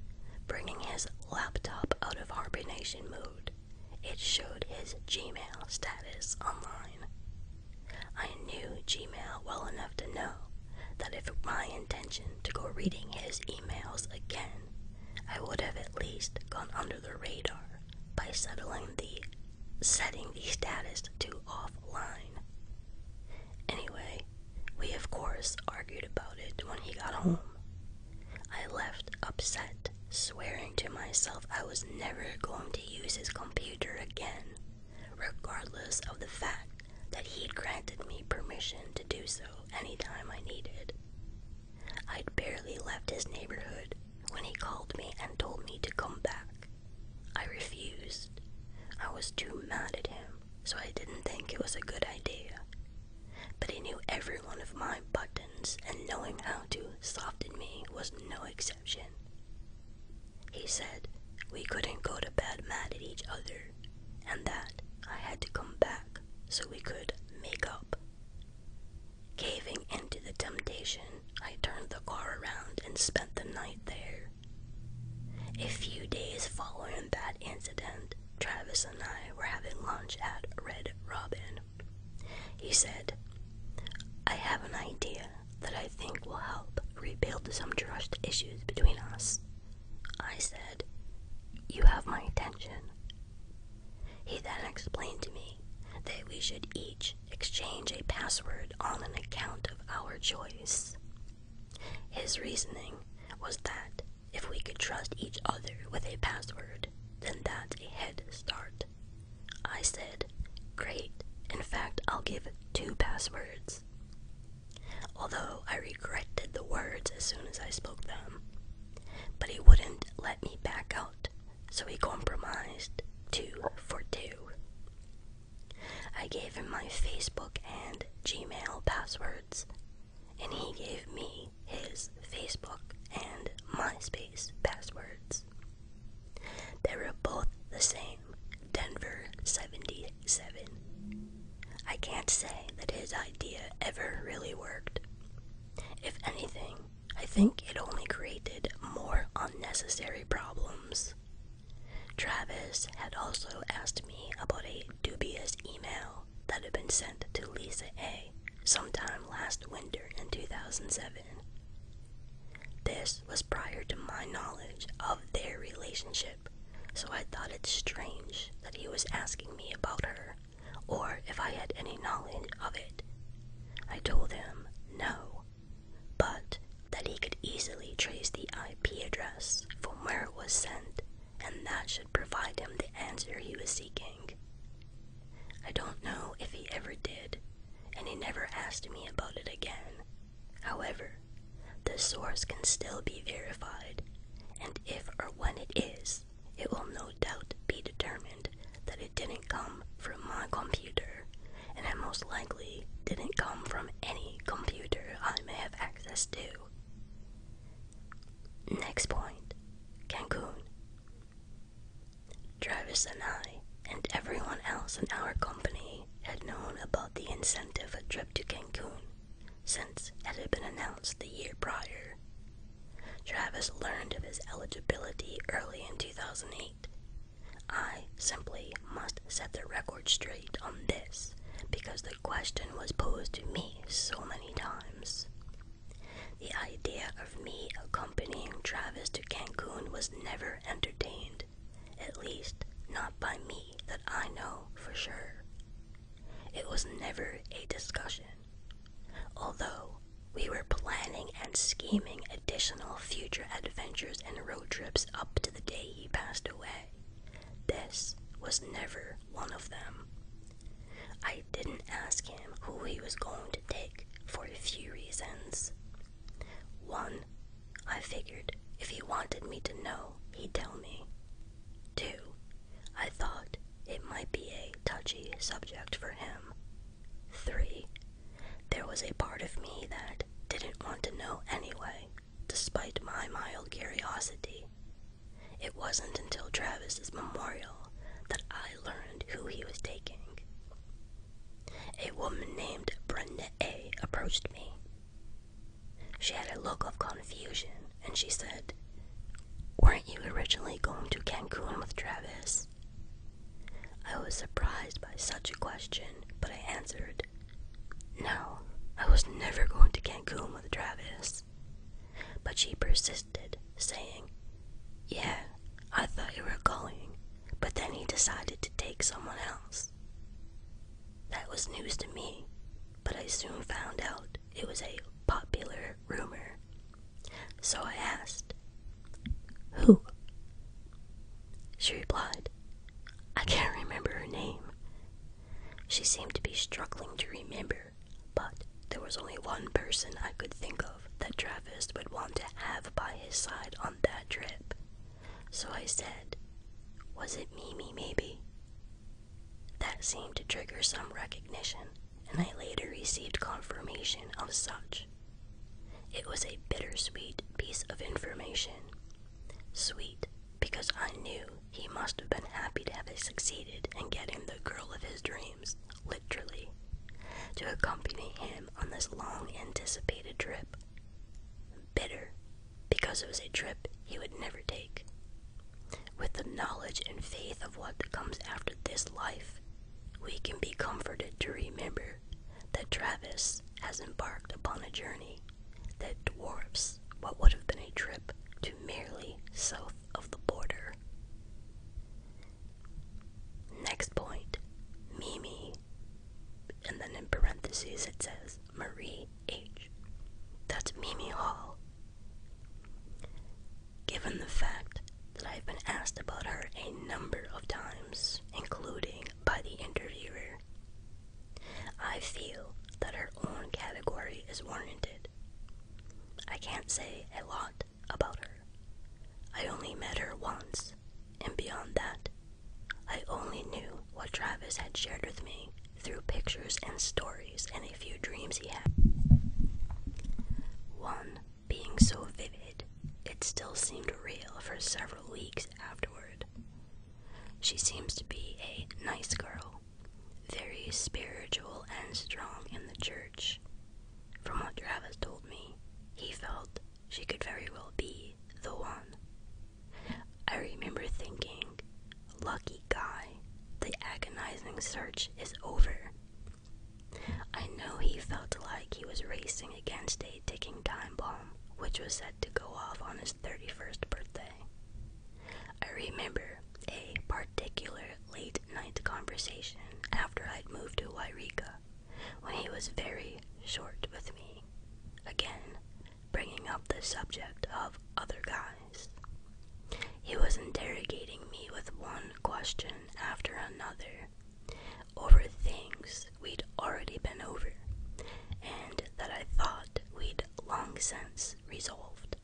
bringing his laptop out of hibernation mode, it showed his Gmail status online. I knew Gmail well enough to know that if my intention to go reading his emails again I would have at least gone under the radar by settling the setting the status to offline. Anyway, we of course argued about it when he got home. I left upset, swearing to myself I was never going to use his computer again, regardless of the fact that he'd granted me permission to do so. Any time I needed. I'd barely left his neighborhood when he called me and told me to come back. I refused. I was too mad at him, so I didn't think it was a good idea. But he knew every one of my buttons, and knowing how to soften me was no exception. He said we couldn't go to bed mad at each other, and that I had to come back so we could make up. Caving into the temptation, I turned the car around and spent the night there. A few days following that incident, Travis and I were having lunch at Red Robin. He said, I have an idea that I think will help rebuild some trust issues between us. I said, You have my attention. He then explained to me that we should each exchange a password on an account of our choice. His reasoning was that if we could trust each other with a password, then that's a head start. I said, Great, in fact, I'll give two passwords. Although I regretted the words as soon as I spoke them, but he wouldn't let me back out, so he compromised two for two. I gave him my Facebook and Gmail passwords, and he gave me his Facebook and MySpace passwords. They were both the same Denver 77. I can't say that his idea ever really worked. If anything, I think it only created more unnecessary problems. Travis had also asked me about a dubious email that had been sent to Lisa A. sometime last winter in 2007. This was prior to my knowledge of their relationship, so I thought it strange that he was asking me about her or if I had any knowledge of it. I told him no, but that he could easily trace the IP address from where it was sent, and that should provide him the answer he was seeking. I don't know if he ever did, and he never asked me about it again. However, the source can still be verified, and if or when it is, it will no doubt be determined that it didn't come from my computer, and it most likely didn't come from any computer I may have access to. Next point Cancun. Travis and I, and everyone else in our company, had known about the incentive trip to Cancun, since it had been announced the year prior. Travis learned of his eligibility early in 2008. I simply must set the record straight on this because the question was posed to me so many times. The idea of me accompanying Travis to Cancun was never entertained, at least not by me that I know for sure. It was never a discussion. Although we were planning and scheming additional future adventures and road trips up to the day he passed away, this was never one of them. I didn't ask him who he was going to take for a few reasons. One, I figured if he wanted me to know, he'd tell me. Two, I thought it might be a touchy subject for him. Three, there was a part of me that didn't want to know anyway, despite my mild curiosity. It wasn't until Travis's memorial that I learned who he was taking. A woman named Brenda A approached me. She had a look of confusion and she said, Weren't you originally going to Cancun with Travis? I was surprised by such a question, but I answered, No, I was never going to Cancun with Travis. But she persisted, saying, Yeah, I thought you were going, but then he decided to take someone else. That was news to me, but I soon found out it was a popular rumor, So I asked, Who? She replied, I can't remember her name. She seemed to be struggling to remember, but there was only one person I could think of that Travis would want to have by his side on that trip. So I said, Was it Mimi, maybe? That seemed to trigger some recognition, and I later received confirmation of such. It was a bittersweet piece of information. Sweet, because I knew he must have been happy to have succeeded in getting the girl of his dreams, literally, to accompany him on this long anticipated trip. Bitter, because it was a trip he would never take. With the knowledge and faith of what comes after this life, we can be comforted to remember that Travis has embarked upon a journey that dwarfs what would have been a trip to merely south of the border. Next point Mimi, and then in parentheses it says Marie H. That's Mimi Hall, Given the fact that I've been asked about her a number of times, including by the interviewer, I feel that her own category is warranted. I can't say a lot about her. I only met her once, and beyond that, I only knew what Travis had shared with me through pictures and stories and a few dreams he had. One being so vivid, it still seemed real for several weeks afterward. She seems to be a nice girl, very spiritual and strong in the church. From what Travis told me, he felt she could very well be the one. I remember thinking, lucky guy, the agonizing search is over. I know he felt like he was racing against a ticking time bomb, which was set to go off on his 31st birthday. I remember a particular late night conversation after I'd moved to Wairika when he was very short with me. Again, bringing up the subject of other guys. He was interrogating me with one question after another over things we'd already been over and that I thought we'd long since resolved.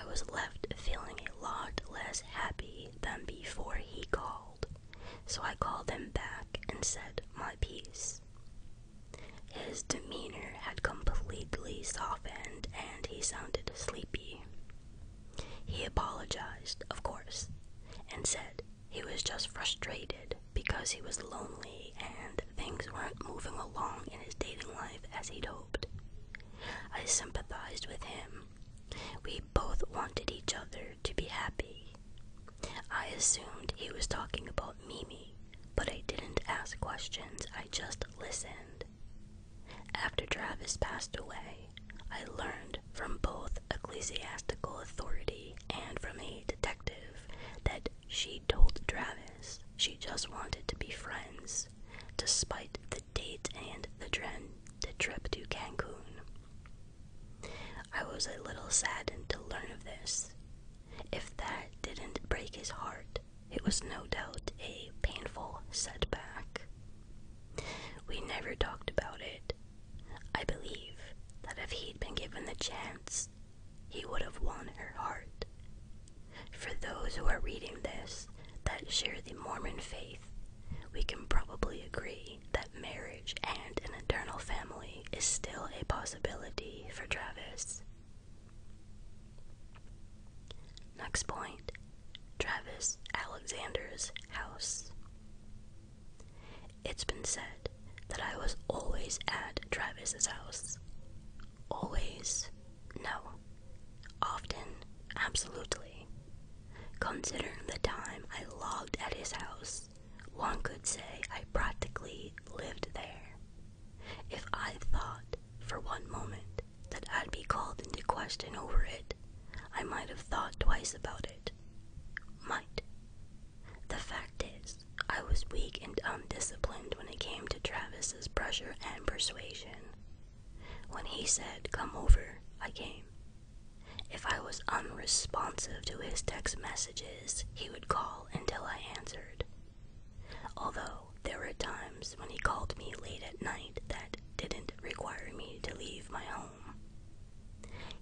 I was left feeling a lot less happy than before he called, so I called him back and said my piece. His demeanor had completely softened and he sounded sleepy. He apologized, of course, and said he was just frustrated because he was lonely and things weren't moving along in his dating life as he'd hoped. I sympathized with him. We both wanted each other to be happy. I assumed he was talking about Mimi, but I didn't ask questions, I just listened. After Travis passed away, I learned from both ecclesiastical authority and from a detective that she told Travis she just wanted to be friends, despite the date and the, the trip to Cancun. I was a little saddened to learn of this. If that didn't break his heart, it was no doubt a painful setback. We never talked about it. I believe that if he'd been given the chance, he would have won her heart. For those who are reading this that share the Mormon faith, we can probably agree that marriage and an eternal family is still a possibility for Travis. Next point Travis Alexander's house. It's been said that I was always at Travis's house. Always? No. Often? Absolutely. Considering the time I logged at his house, one could say I practically lived there. If I thought for one moment that I'd be called into question over it, I might have thought twice about it. Might. The fact is, I was weak and undisciplined when it came to Travis's pressure and persuasion. When he said, Come over, I came. If I was unresponsive to his text messages, he would call until I answered. Although there were times when he called me late at night that didn't require me to leave my home.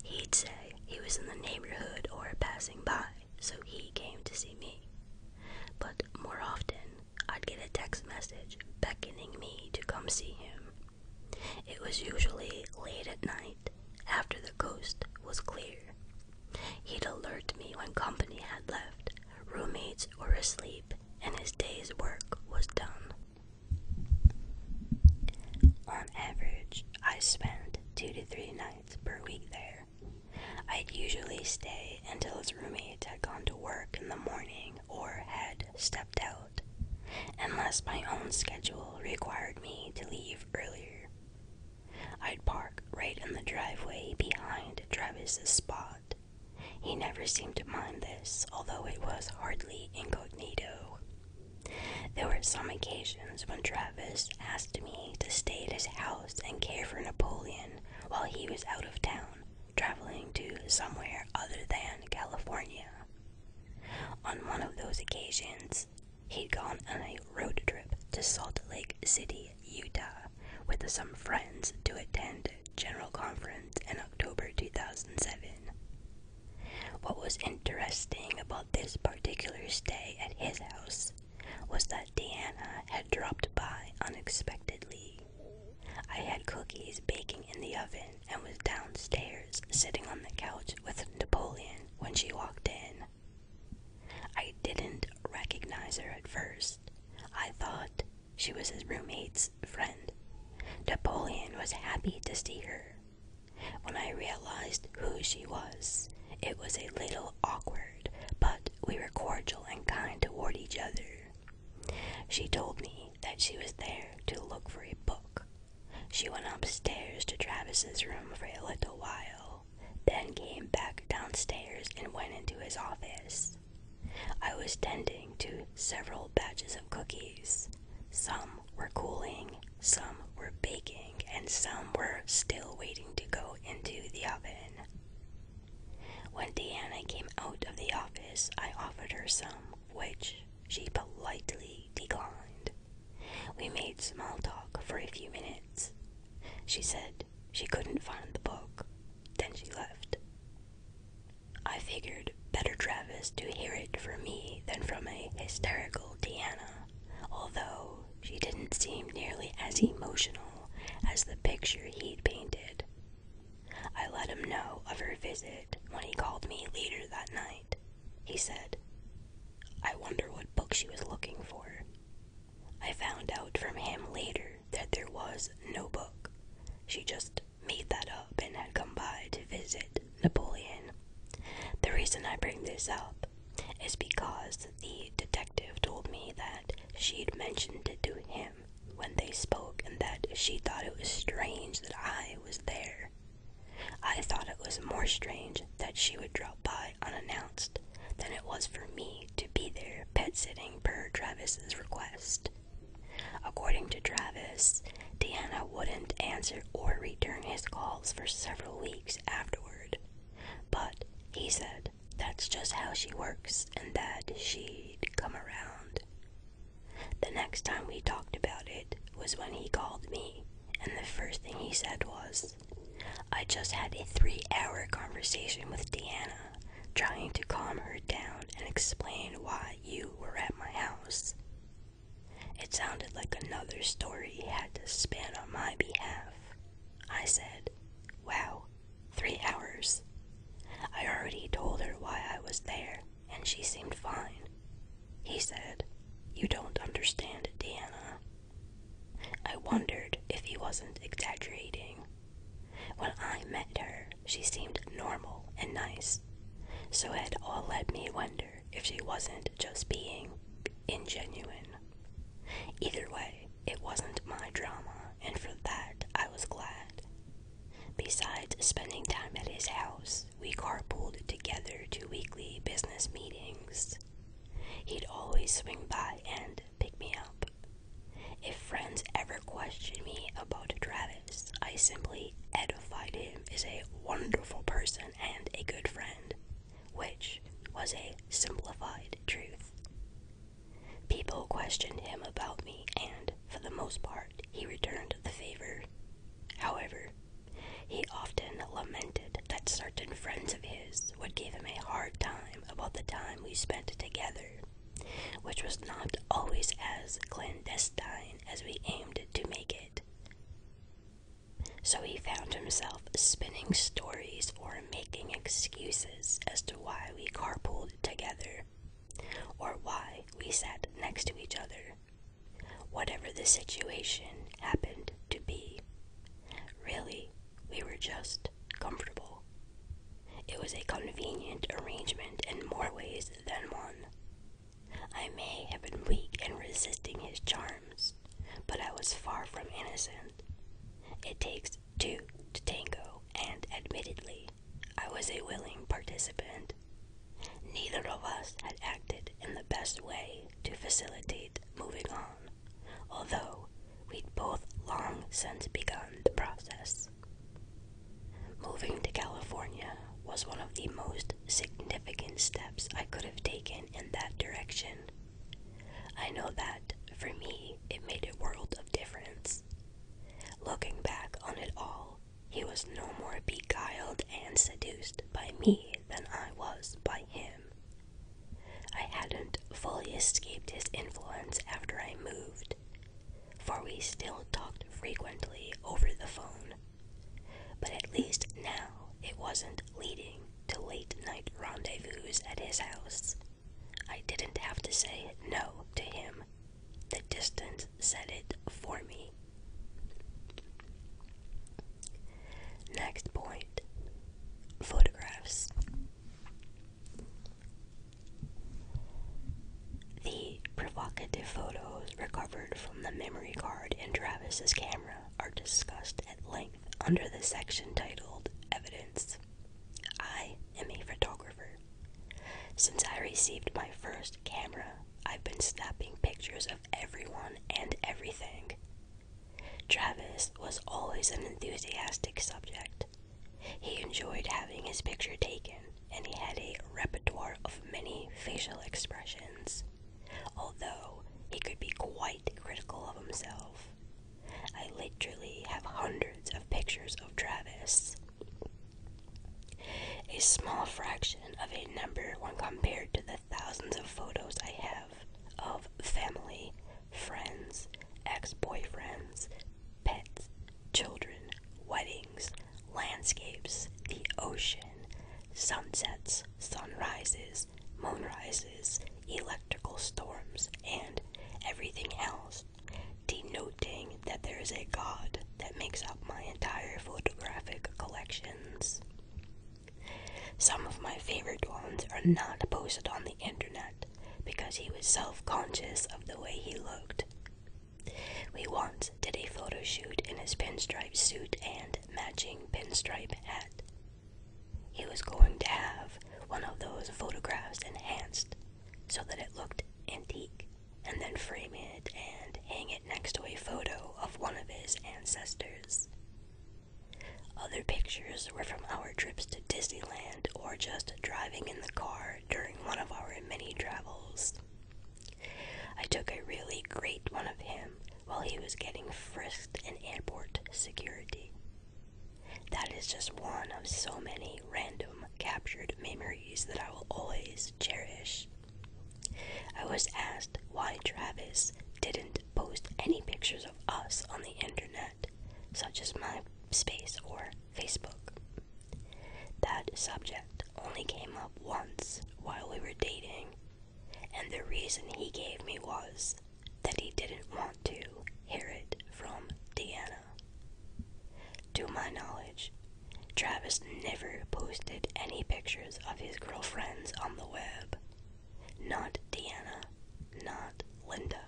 He'd say he was in the neighborhood or passing by, so he came to see me. But more often, I'd get a text message beckoning me to come see him. It was usually late at night, after the coast was clear. He'd alert me when company had left, roommates were asleep, and his day's work was done. On average, I spent two to three nights per week there. I'd usually stay until his roommate had gone to work in the morning or had stepped out, unless my own schedule required me to leave earlier. I'd park right in the driveway behind Travis's spot he never seemed to mind this, although it was hardly incognito. There were some occasions when Travis asked me to stay at his house and care for Napoleon while he was out of town, traveling to somewhere other than California. On one of those occasions, he'd gone on a road trip to Salt Lake City, Utah with some friends to attend General Conference in October 2007. What was interesting about this particular stay at his house was that Diana had dropped by unexpectedly. I had cookies baking in the oven and was downstairs sitting on the couch with Napoleon when she walked in. I didn't recognize her at first I thought she was his roommate's friend. Napoleon was happy to see her. When I realized who she was, it was a little awkward, but we were cordial and kind toward each other. She told me that she was there to look for a book. She went upstairs to Travis's room for a little while, then came back downstairs and went into his office. I was tending to several batches of cookies. Some were cooling, some were baking, and some were still waiting to go into the oven. When Diana came out of the office, I offered her some, which she politely declined. We made small talk for a few minutes. She said she couldn't find the book. Then she left. I figured better Travis to hear it from me than from a hysterical Diana, although she didn't seem nearly as emotional as the picture he'd painted. I let him know of her visit when he called me later that night. He said, I wonder what book she was looking for. I found out from him later that there was no book. She just made that up and had come by to visit Napoleon. The reason I bring this up is because the detective told me that she'd mentioned it to him when they spoke and that she thought it was strange that I was there. I thought it was more strange that she would drop by unannounced than it was for me to be there pet sitting per Travis's request. According to Travis, Deanna wouldn't answer or return his calls for several weeks afterward. But he said that's just how she works and that she'd come around. The next time we talked about it was when he called me, and the first thing he said was, I just had a three hour conversation with Deanna, trying to calm her down and explain why you were at my house. It sounded like another story he had to spin on my behalf. I said, Wow, three hours. I already told her why I was there, and she seemed fine. He said, You don't understand, Diana." I wondered if he wasn't exaggerating. When I met her, she seemed normal and nice, so it all led me wonder if she wasn't just being ingenuine. Either way, it wasn't my drama, and for that I was glad. Besides spending time at his house, we carpooled together to weekly business meetings. He'd always swing by and pick me up. If friends ever questioned me about Travis, I simply edified him as a wonderful person and a good friend, which was a simplified truth. People questioned him about me, and for the most part, he returned the favor. However, he often lamented that certain friends of his would give him a hard time about the time we spent together which was not always as clandestine as we aimed to make it. So he found himself spinning stories or making excuses as to why we carpool together, or why we sat next to each other. Whatever the situation happened to be, really, we were just comfortable. It was a convenient arrangement in more ways than one. I may have been weak in resisting his charms, but I was far from innocent. It takes two to tango, and admittedly, I was a willing participant. Neither of us had acted in the best way to facilitate moving on, although we'd both long since begun the process. Moving to California was one of the most significant steps I could have taken in that direction. I know that, for me, it made a world of difference. Looking back on it all, he was no more beguiled and seduced by me than I was by him. I hadn't fully escaped his influence after I moved, for we still talked frequently over the phone. But at least now it wasn't leading to late night rendezvous at his house. I didn't have to say no to him. The distance said it for me. Next point photographs. The provocative photos recovered from the memory card in Travis's camera are discussed at length under the section titled Evidence. I am a photographer. Since I received my first camera, I've been snapping pictures of everyone and everything. Travis was always an enthusiastic subject. He enjoyed having his picture taken, and he had a repertoire of many facial expressions, although he could be quite critical of himself. I literally have hundreds of pictures of Travis. A small fraction of a number when compared to the thousands of photos I have of family, friends, ex boyfriends, pets, children, weddings, landscapes, the ocean, sunsets, sunrises, moonrises, electrical storms, and everything else, denoting that there is a god that makes up my entire photographic collections. Some of my favorite ones are not posted on the internet because he was self conscious of the way he looked. We once did a photo shoot in his pinstripe suit and matching pinstripe hat. He was going to have one of those photographs enhanced so that it looked antique, and then frame it and hang it next to a photo of one of his ancestors. Other pictures were from our trips to Disneyland or just driving in the car during one of our many travels. I took a really great one of him while he was getting frisked in airport security. That is just one of so many random captured memories that I will always cherish. I was asked why Travis didn't post any pictures of us on the internet, such as MySpace or Facebook. That subject only came up once while we were dating, and the reason he gave me was that he didn't want to hear it from Deanna. To my knowledge, Travis never posted any pictures of his girlfriends on the web. Not Deanna, not Linda,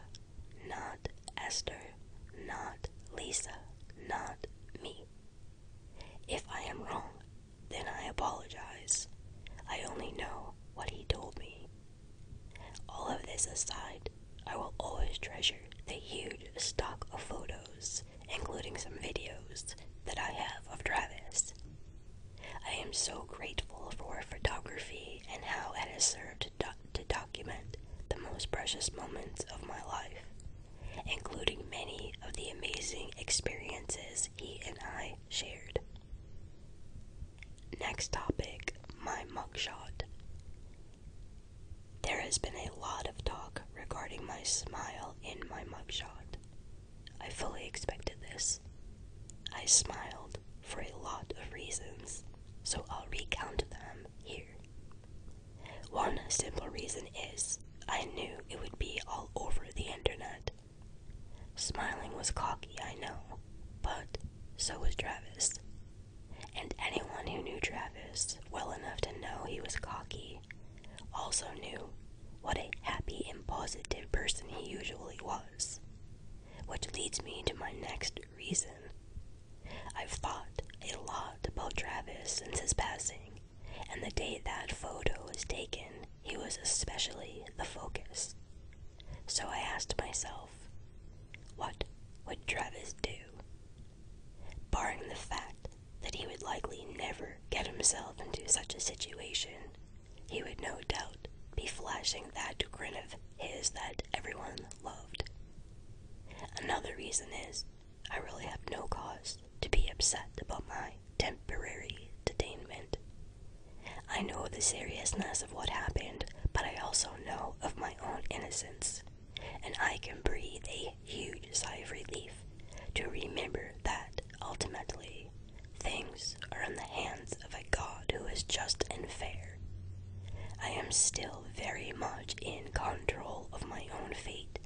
not Esther, not Lisa, not me. If I am wrong, then I apologize. I only know what he told me. All of this aside, I will always treasure the huge stock of photos, including some videos, that I have of Travis. I am so grateful for photography and how it has served to, document the most precious moments of my life including many of the amazing experiences he and I shared. Next topic my mugshot. There has been a lot of talk regarding my smile in my mugshot. I fully expected this. I smiled for a lot of reasons, so I'll recount them here. One simple reason is I knew it would be all over the internet. Smiling was cocky, I know, but so was Travis. And anyone who knew Travis well enough to know he was cocky also knew what a happy and positive person he usually was. Which leads me to my next reason. I've thought a lot about Travis since his passing and the date that photo was taken, he was especially the focus. So I asked myself, what would Travis do? Barring the fact that he would likely never get himself into such a situation, he would no doubt be flashing that grin of his that everyone loved. Another reason is I really have no cause to be upset about my temporary detainment. I know the seriousness of what happened, but I also know of my own innocence, and I can breathe a huge sigh of relief to remember that ultimately things are in the hands of a God who is just and fair. I am still very much in control of my own fate,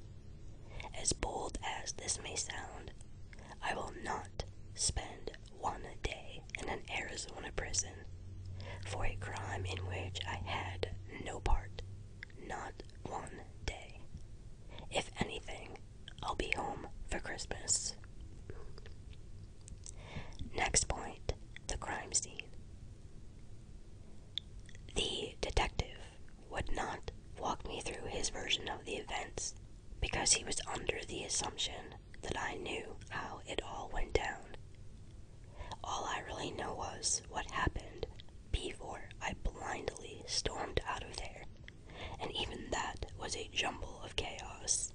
as bold as this may sound, I will not spend one day in an Arizona prison for a crime in which I had no part. Not one day. If anything, I'll be home for Christmas. Next point the crime scene. The detective would not walk me through his version of the events because he was under the assumption that I knew how it all went down. All I really know was what happened before I blindly stormed out of there, and even that was a jumble of chaos.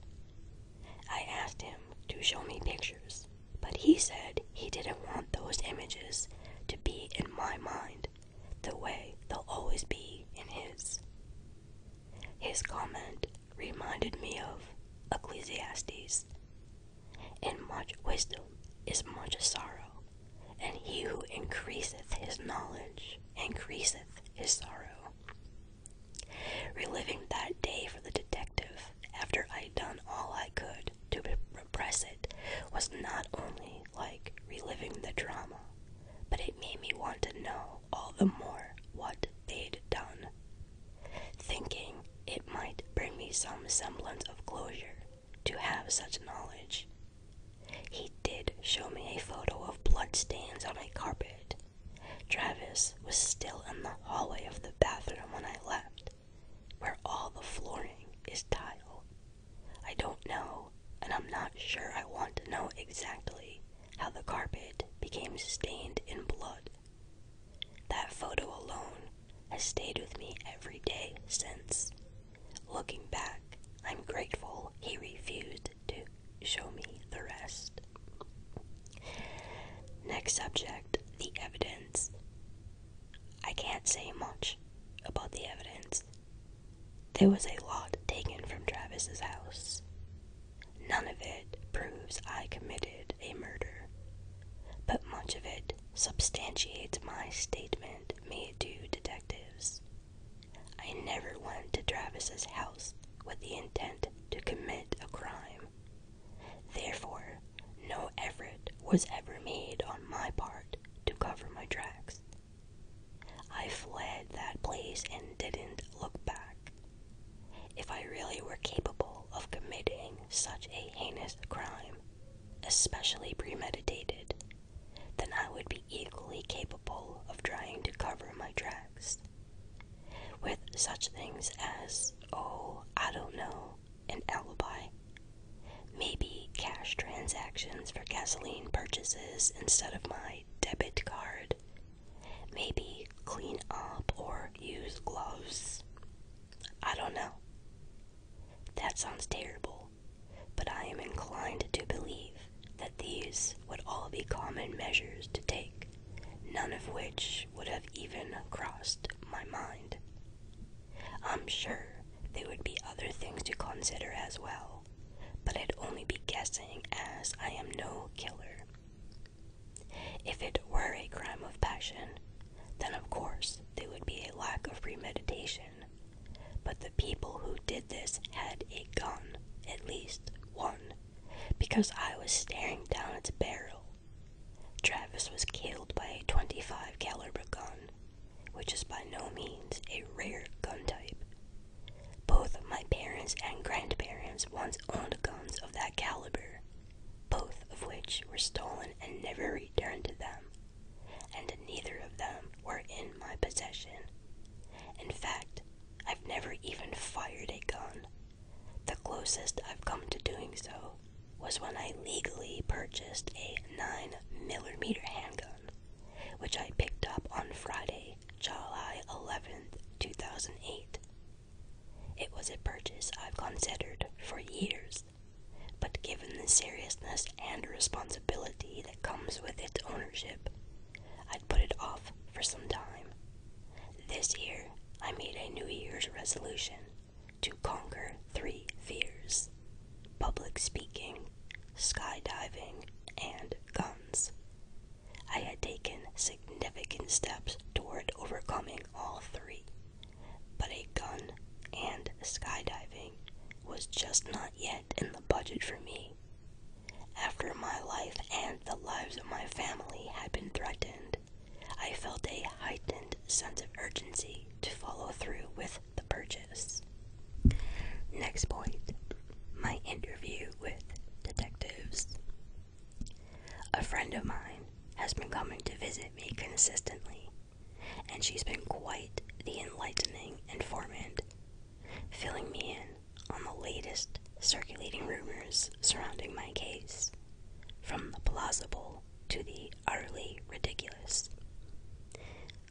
I asked him to show me pictures, but he said he didn't want those images to be in my mind the way they'll always be in His. His comment reminded me of Ecclesiastes. And much wisdom is much sorrow, and he who increaseth his knowledge increaseth his sorrow. Reliving that day for the detective, after I'd done all I could to repress it, was not only like reliving the drama, but it made me want to know all the more what they'd done, thinking it might bring me some semblance of closure to have such knowledge. He did show me a photo of bloodstains on a carpet. Travis was still in the hallway of the bathroom when I left, where all the flooring is tile. I don't know, and I'm not sure I want to know exactly how the carpet became stained in blood. That photo alone has stayed with me every day since. Looking back, I'm grateful he refused to show me the rest. Next subject the evidence. I can't say much about the evidence. There was a lot taken from Travis's house. None of it proves I committed a murder, but much of it substantiates my statement made to detectives. I never went to Travis's house with the intent to commit a crime. Therefore, no effort was ever made on my part to cover my tracks. I fled that place and didn't look back. If I really were capable of committing such a heinous crime, especially premeditated, then I would be equally capable of trying to cover my tracks. With such things as, oh, I don't know, an alibi, Maybe cash transactions for gasoline purchases instead of my debit card. Maybe clean up or use gloves. I don't know. That sounds terrible, but I am inclined to believe that these would all be common measures to take, none of which would have even crossed my mind. I'm sure there would be other things to consider as well, but I'd only be guessing as I am no killer. If it were a crime of passion, then of course there would be a lack of premeditation. But the people who did this had a gun, at least one, because I was staring down its barrel. Travis was killed by a 25 caliber gun, which is by no means a rare gun type. Both my parents and grandparents once owned guns of that caliber, both of which were stolen and never returned to them, and neither of them were in my possession. In fact, I've never even fired a gun. The closest I've come to doing so was when I legally purchased a 9mm handgun which I picked up on Friday, July 11th, 2008. It was a purchase I've considered for years, but given the seriousness and responsibility that comes with its ownership, I'd put it off for some time. This year, I made a New Year's resolution to conquer three fears public speaking, skydiving, and guns. I had taken significant steps toward overcoming all three, but a gun and skydiving was just not yet in the budget for me. After my life and the lives of my family had been threatened, I felt a heightened sense of urgency to follow through with the purchase. Next point my interview with detectives. A friend of mine has been coming to visit me consistently, and she's been quite the enlightening informant, filling me in on the latest circulating rumors surrounding my case, from the plausible to the utterly ridiculous.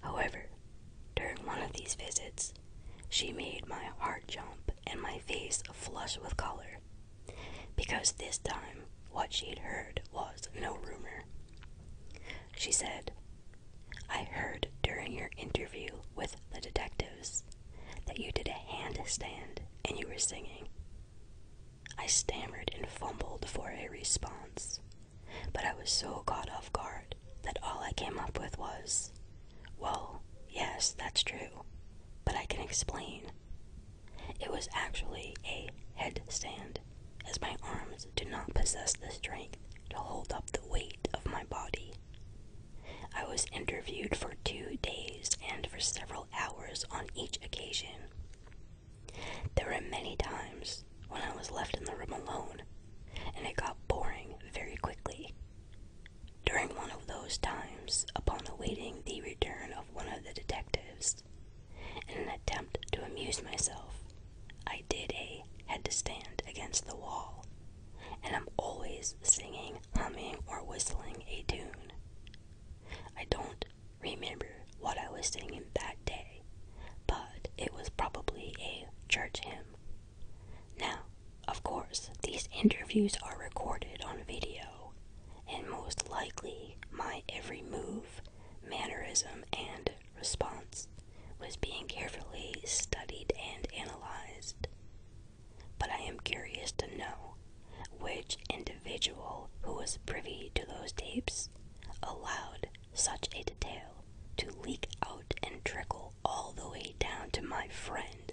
However, during one of these visits, she made my heart jump and my face flush with color, because this time what she'd heard was no rumor. She said, I heard during your interview with the detectives that you did a handstand and you were singing. I stammered and fumbled for a response. But I was so caught off guard that all I came up with was, Well, yes, that's true, but I can explain. It was actually a headstand, as my arms do not possess the strength to hold up the weight of my body. I was interviewed for two days and for several hours on each occasion. There were many times when I was left in the room alone, and it got boring very quickly. During one of those times, upon awaiting the return of one of the detectives, in an attempt to amuse myself, I did a head to stand against the wall, and I'm always singing, humming, or whistling a tune. I don't remember what I was singing that day, but it was probably a church hymn. Now, of course, these interviews are recorded on video, and most likely my every move, mannerism, and response was being carefully studied and analyzed. But I am curious to know which individual who was privy to those tapes allowed such a detail to leak out and trickle all the way down to my friend,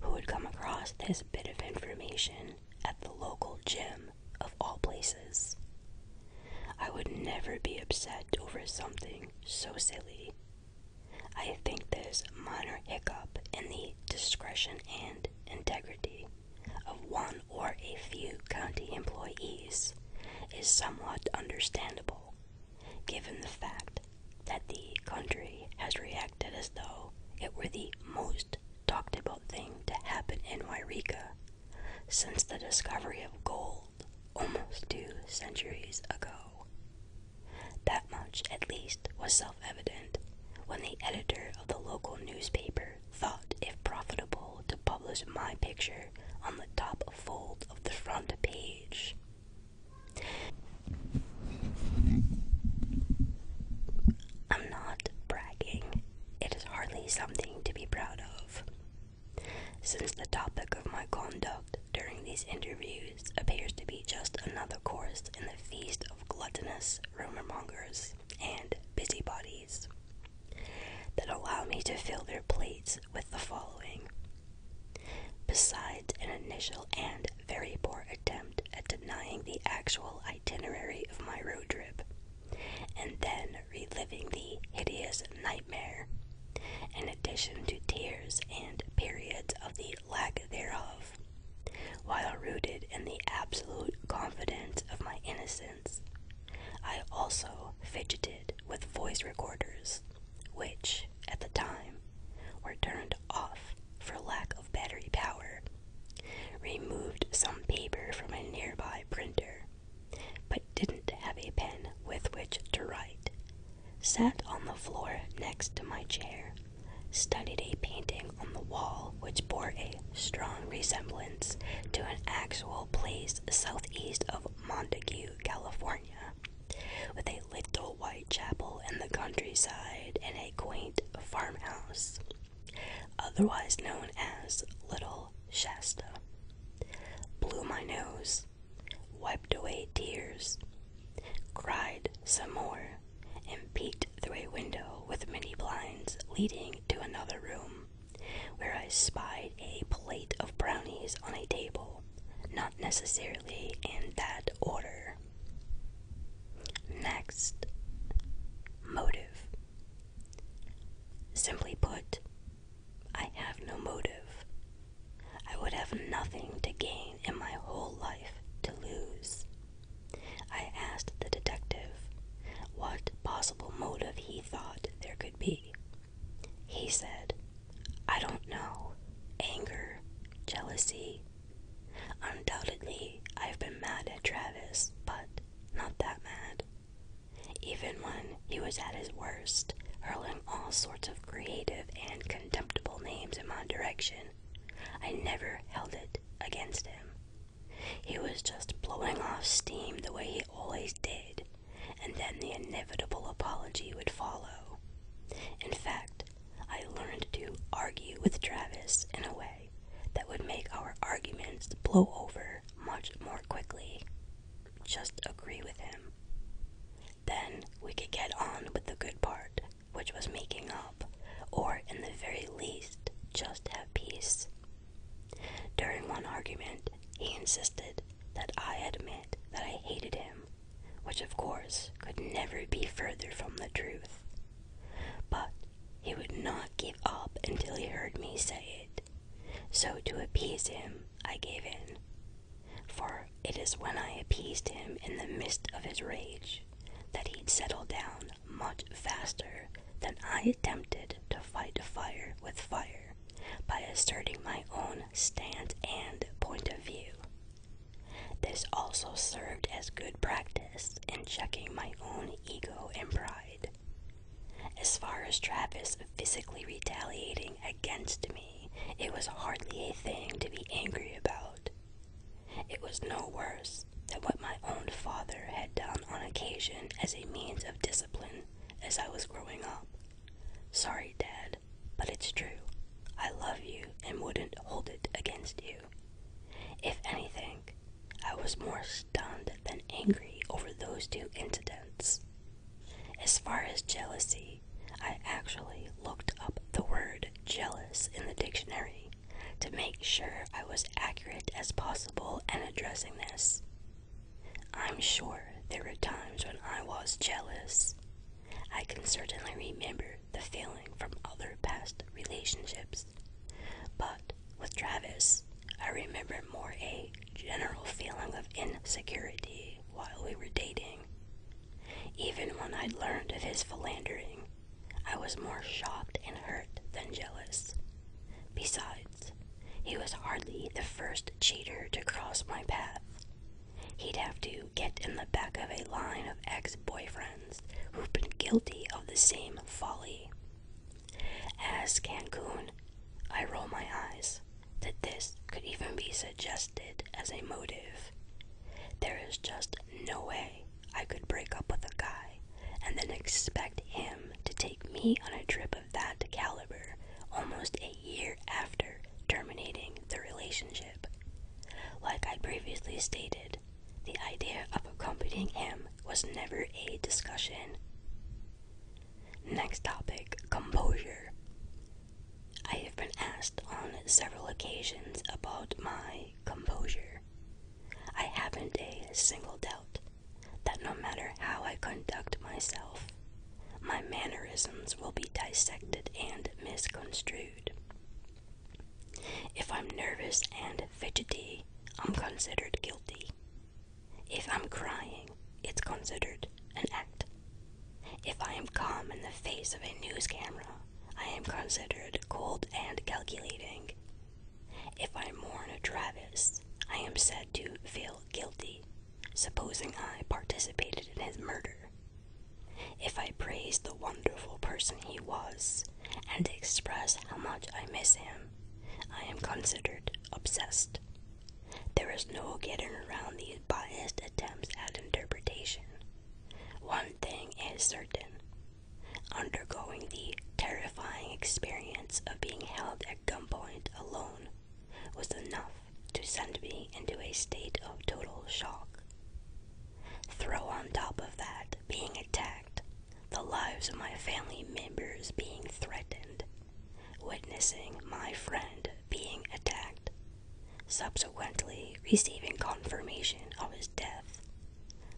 who would come across this bit of information at the local gym of all places. I would never be upset over something so silly. I think this minor hiccup in the discretion and integrity of one or a few county employees is somewhat understandable, given the fact that the country has reacted as though it were the most talked about thing to happen in Wairika since the discovery of gold almost two centuries ago. That much, at least, was self evident when the editor of the local newspaper thought it profitable to publish my picture on the top fold of the front page. I'm not bragging, it is hardly something to be proud of. Since the topic of my conduct during these interviews appears to be just another course in the feast of gluttonous rumormongers and busybodies, that allow me to fill their plates with the following. Besides an initial and very poor attempt at denying the actual itinerary of my road trip, and then reliving the hideous nightmare, in addition to tears and periods of the lack thereof, while rooted in the absolute confidence of my innocence. I also fidgeted with voice recorders, which, at the time, were turned off for lack of battery power, removed some paper from a nearby printer, but didn't have a pen with which to write, sat on the floor next to my chair, studied a painting on the wall which bore a strong resemblance to an actual place southeast of Montague, California, with a little white chapel in the countryside and a quaint farmhouse, otherwise known as Little Shasta. Blew my nose, wiped away tears, cried some more, and peeked through a window with many blinds leading to another room where I spied a plate of brownies on a table, not necessarily in that order. Next, motive. Simply put, I have no motive. I would have nothing to gain in my whole life to lose. I asked the detective what possible motive he thought there could be, he said, I don't know. Anger, jealousy. Undoubtedly, I've been mad at Travis, but not that mad. Even when he was at his worst, hurling all sorts of creative and contemptible names in my direction, I never held it against him. He was just blowing off steam the way he always did, and then the inevitable apology would follow. In fact, I learned to argue with Travis in a way that would make our arguments blow over much more quickly. Just agree with him. Then we could get on with the good part, which was making up, or in the very least, just have peace. During one argument, he insisted that I admit that I hated him, which of course could never be further from the truth. But he would not give up until he heard me say it, so to appease him, I gave in. For it is when I appeased him in the midst of his rage that he'd settle down much faster than I attempted to fight fire with fire by asserting my own stance and point of view. This also served as good practice in checking my own ego and pride. As far as Travis physically retaliating against me, it was hardly a thing to be angry about. It was no worse than what my own father had done on occasion as a means of discipline as I was growing up. Sorry, Dad, but it's true. I love you and wouldn't hold it against you. If anything, I was more stunned than angry over those two incidents. As far as jealousy, I actually looked up the word jealous in the dictionary to make sure I was accurate as possible in addressing this. I'm sure there were times when I was jealous. I can certainly remember the feeling from other past relationships. But with Travis, I remember more a general feeling of insecurity while we were dating. Even when I'd learned of his philandering, I was more shocked and hurt than jealous. Besides, he was hardly the first cheater to cross my path. He'd have to get in the back of a line of ex boyfriends who've been guilty of the same folly. As Cancun, I roll my eyes that this could even be suggested as a motive. There is just no way I could break up with a guy and then expect him to take me on a trip of of that caliber almost a year after terminating the relationship. Like I previously stated, the idea of accompanying him was never a discussion. Next topic composure. I have been asked on several occasions about my composure. I haven't a single doubt that no matter how I conduct myself, my mannerisms will be dissected and misconstrued. If I'm nervous and fidgety, I'm considered guilty. If I'm crying, it's considered an act. If I am calm in the face of a news camera, I am considered cold and calculating. If I mourn a Travis, I am said to feel guilty supposing I participated in his murder. If I praise the wonderful person he was and express how much I miss him, I am considered obsessed. There is no getting around these biased attempts at interpretation. One thing is certain undergoing the terrifying experience of being held at gunpoint alone was enough to send me into a state of total shock. Throw on top of that being attacked, the lives of my family members being threatened, witnessing my friend being attacked, subsequently receiving confirmation of his death,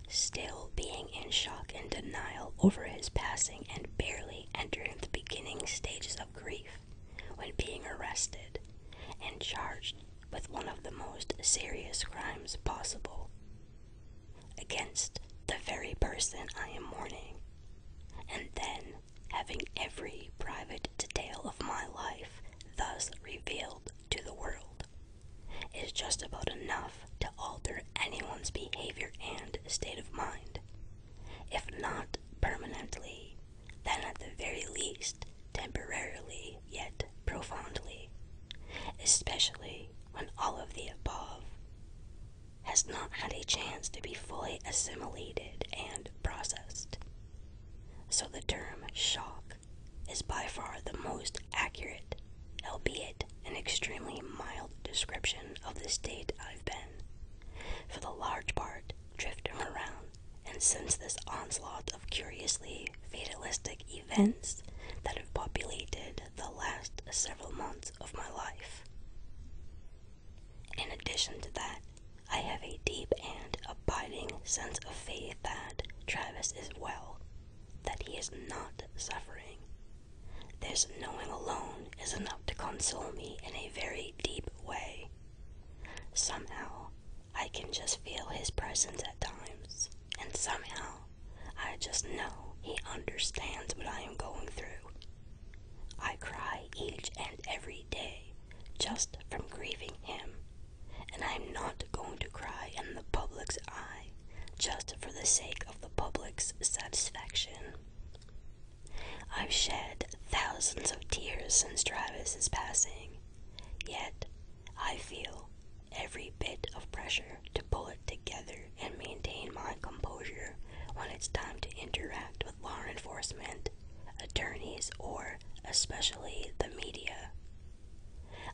still being in shock and denial over his passing and barely entering the beginning stages of grief when being arrested and charged with one of the most serious crimes possible against the very person I am mourning, and then having every private detail of my life thus revealed to the world is just about enough to alter anyone's behavior and state of mind if not permanently, then at the very least temporarily yet profoundly, especially when all of the above has not had a chance to be fully assimilated and processed. So the term shock is by far the most accurate, albeit an extremely mild description of the state I've been, for the large part Drifting around. And since this onslaught of curiously fatalistic events that have populated the last several months of my life. In addition to that, I have a deep and abiding sense of faith that Travis is well, that he is not suffering. This knowing alone is enough to console me in a very deep way. Somehow, I can just feel his presence at times, and somehow, I just know he understands what I am going through. I cry each and every day just from grieving him, and I am not going to cry in the public's eye just for the sake of the public's satisfaction. I've shed thousands of tears since Travis's passing, yet I feel every bit of pressure to pull it together and maintain my composure when it's time to interact with law enforcement, attorneys, or especially the media.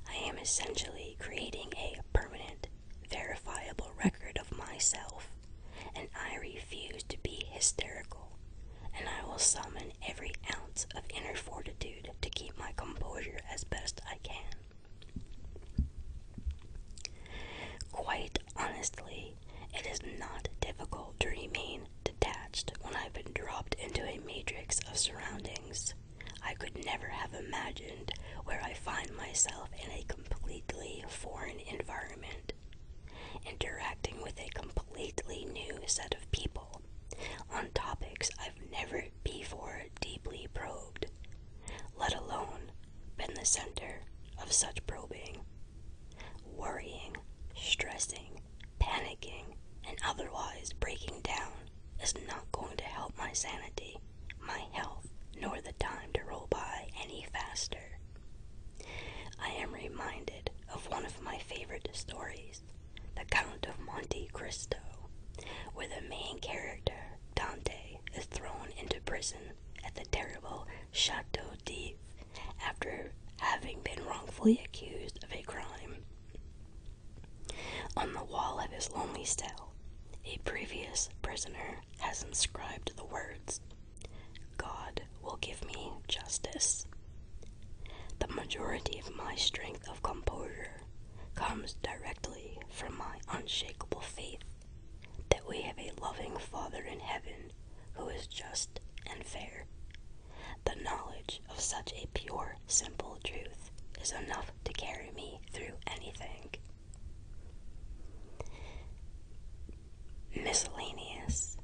I am essentially creating a permanent, verifiable record of myself and I refuse to be hysterical, and I will summon every ounce of inner fortitude to keep my composure as best I can. Quite honestly, it is not difficult to remain detached when I've been dropped into a matrix of surroundings. I could never have imagined where I find myself in a completely foreign environment interacting with a completely new set of people on topics I've never before deeply probed, let alone been the center of such probing. Worrying, stressing, panicking, and otherwise breaking down is not going to help my sanity, my health, nor the time to roll by any faster. I am reminded of one of my favorite stories, The Count of Monte Cristo, where the main character, Dante, is thrown into prison at the terrible Chateau d'If after having been wrongfully accused of a crime. On the wall of his lonely cell, a previous prisoner has inscribed the words God will give me justice. The majority of my strength of composure comes directly from my unshakable faith that we have a loving Father in heaven who is just and fair. The knowledge of such a pure, simple truth is enough to carry me through anything. Miscellaneous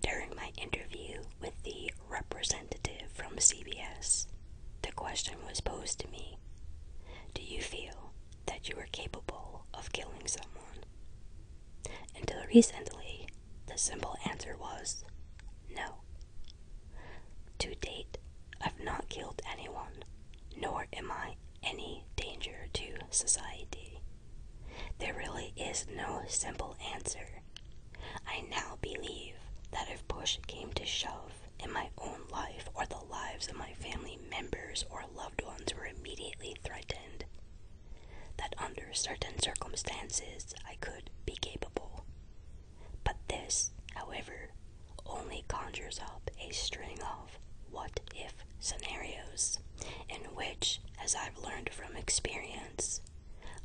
during my interview with the representative from CBS, the question was posed to me Do you feel that you are capable of killing someone? Until recently, the simple answer was no. To date, I've not killed anyone, nor am I any danger to society. There really is no simple answer. I now believe that if push came to shove and my own life or the lives of my family members or loved ones were immediately threatened, that under certain circumstances I could be capable. But this, however, only conjures up a string of what if scenarios, in which, as I've learned from experience,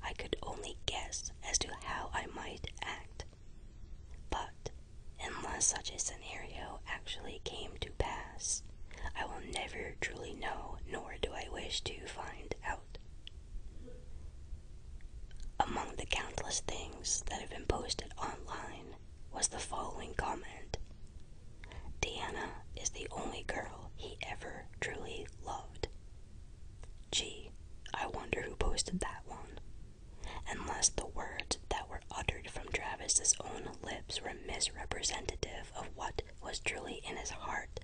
I could only guess as to how I might act. But unless such a scenario actually came to pass, I will never truly know, nor do I wish to find out. Among the countless things that have been posted online was the following comment Diana is the only girl he ever truly loved. Gee, I wonder who posted that one. Unless the words that were uttered from Travis's own lips were misrepresentative of what was truly in his heart,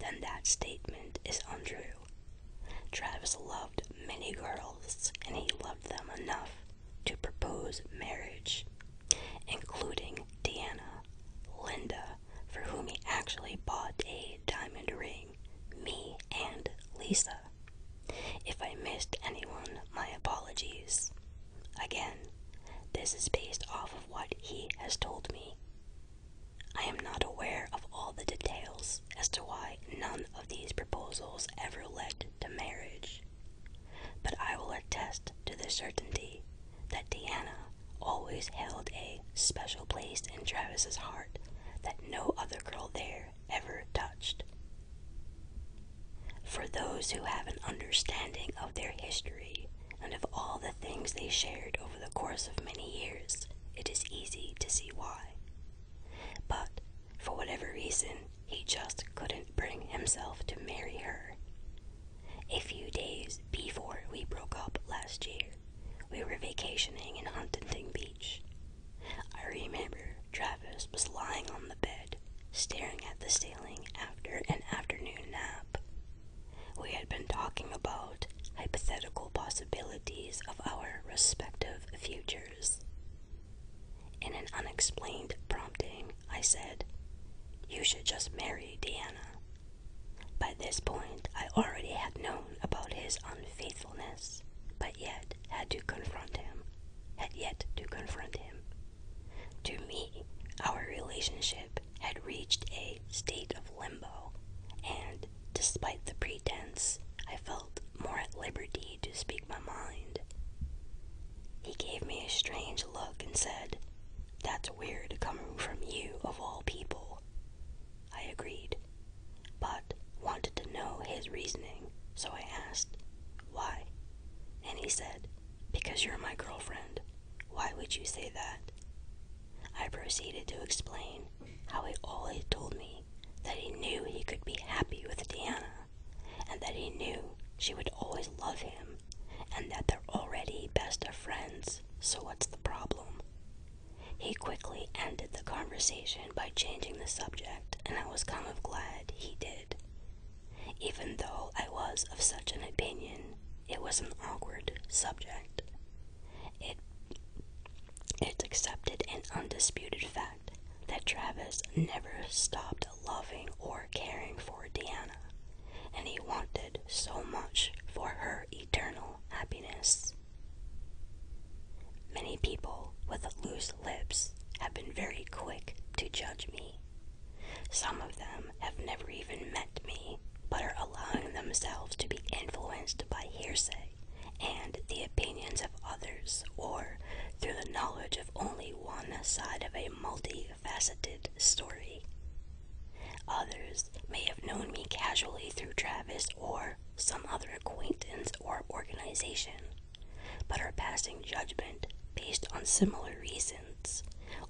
then that statement is untrue. Travis loved many girls, and he loved them enough to propose marriage, including Deanna. Linda, for whom he actually bought a diamond ring, me, and Lisa. If I missed anyone, my apologies. Again, this is based off of what he has told me. I am not aware of all the details as to why none of these proposals ever led to marriage but I will attest to the certainty that Diana always held a special place in Travis's heart that no other girl there ever touched. For those who have an understanding of their history and of all the things they shared over the course of many years, it is easy to see why. But for whatever reason, he just couldn't bring himself to marry her. A few days before we broke up last year, we were vacationing in Huntington Beach. I remember Travis was lying on the bed, staring at the ceiling after an afternoon nap. We had been talking about hypothetical possibilities of our respective futures. In an unexplained prompting, I said. You should just marry Diana. By this point, I already had known about his unfaithfulness, but yet had to confront him, had yet to confront him. To me, our relationship had reached a state of limbo, and despite the pretense, I felt more at liberty to speak my mind. He gave me a strange look and said, that's weird coming from you, of all people. I agreed, but wanted to know his reasoning, so I asked, Why? And he said, Because you're my girlfriend. Why would you say that? I proceeded to explain how he always told me that he knew he could be happy with Diana, and that he knew she would always love him and that they're already best of friends, so what's the problem? He quickly ended the conversation by changing the subject, and I was kind of glad he did. Even though I was of such an opinion, it was an awkward subject. It it's accepted and undisputed fact that Travis never stopped loving or caring for Diana, and he wanted so much for her eternal happiness. Many people with loose lips have been very quick to judge me. Some of them have never even met me, but are allowing themselves to be influenced by hearsay and the opinions of others or through the knowledge of only one side of a multi multifaceted story. Others may have known me casually through Travis or some other acquaintance or organization, but are passing judgment based on similar reasons,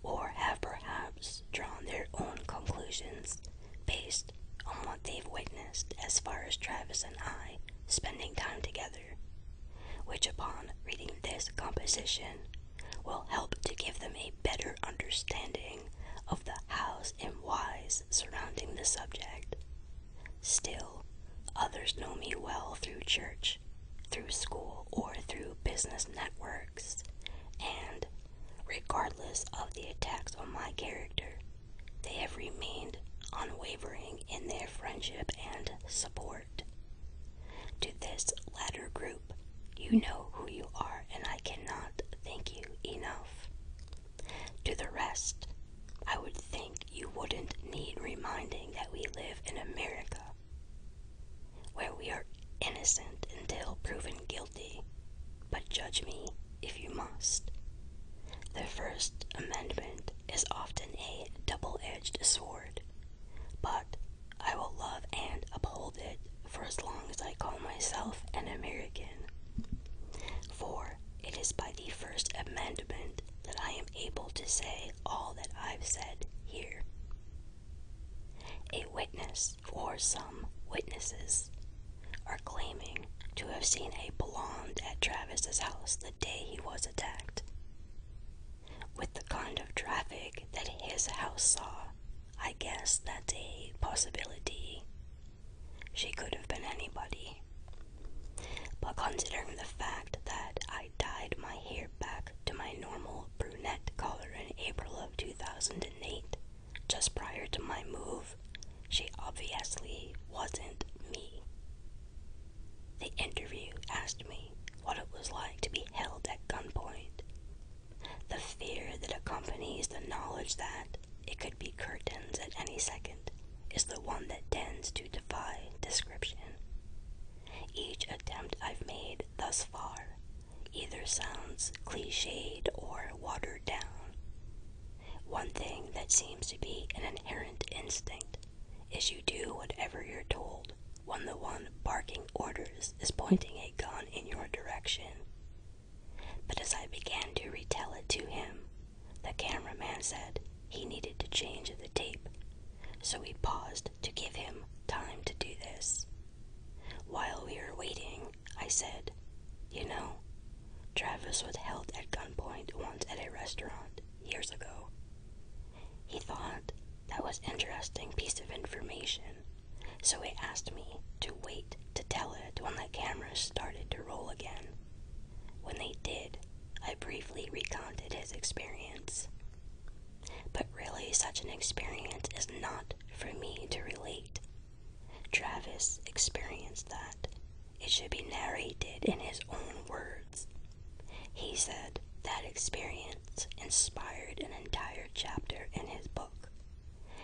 or have perhaps drawn their own conclusions based on what they've witnessed as far as Travis and I spending time together. Which, upon reading this composition, will help to give them a better understanding of the hows and whys surrounding the subject. Still, others know me well through church, through school, or through business networks, and, regardless of the attacks on my character, they have remained unwavering in their friendship and support. To this latter group, you know who you are, and I cannot thank you enough. To the rest, I would think you wouldn't need reminding that we live in America, where we are innocent until proven guilty, but judge me if you must. The First Amendment is often a double edged sword but I will love and uphold it for as long as I call myself an American. For it is by the First Amendment that I am able to say all that I've said here. A witness or some witnesses are claiming to have seen a blonde at Travis's house the day he was attacked with the kind of traffic that his house saw, I guess that's a possibility. She could have been anybody. But considering the fact that I dyed my hair back to my normal brunette color in April of 2008, just prior to my move, she obviously wasn't me. The interview asked me what it was like to be held at gunpoint, the fear that accompanies the knowledge that it could be curtains at any second is the one that tends to defy description. Each attempt I've made thus far either sounds cliched or watered down. One thing that seems to be an inherent instinct is you do whatever you're told when the one barking orders is pointing a gun in your direction. But as I began to retell it to him, the cameraman said he needed to change the tape, so we paused to give him time to do this. While we were waiting, I said, You know, Travis was held at gunpoint once at a restaurant years ago. He thought that was interesting piece of information so he asked me to wait to tell it when the cameras started to roll again. When they did, I briefly recounted his experience. But really, such an experience is not for me to relate. Travis experienced that. It should be narrated in his own words. He said that experience inspired an entire chapter in his book.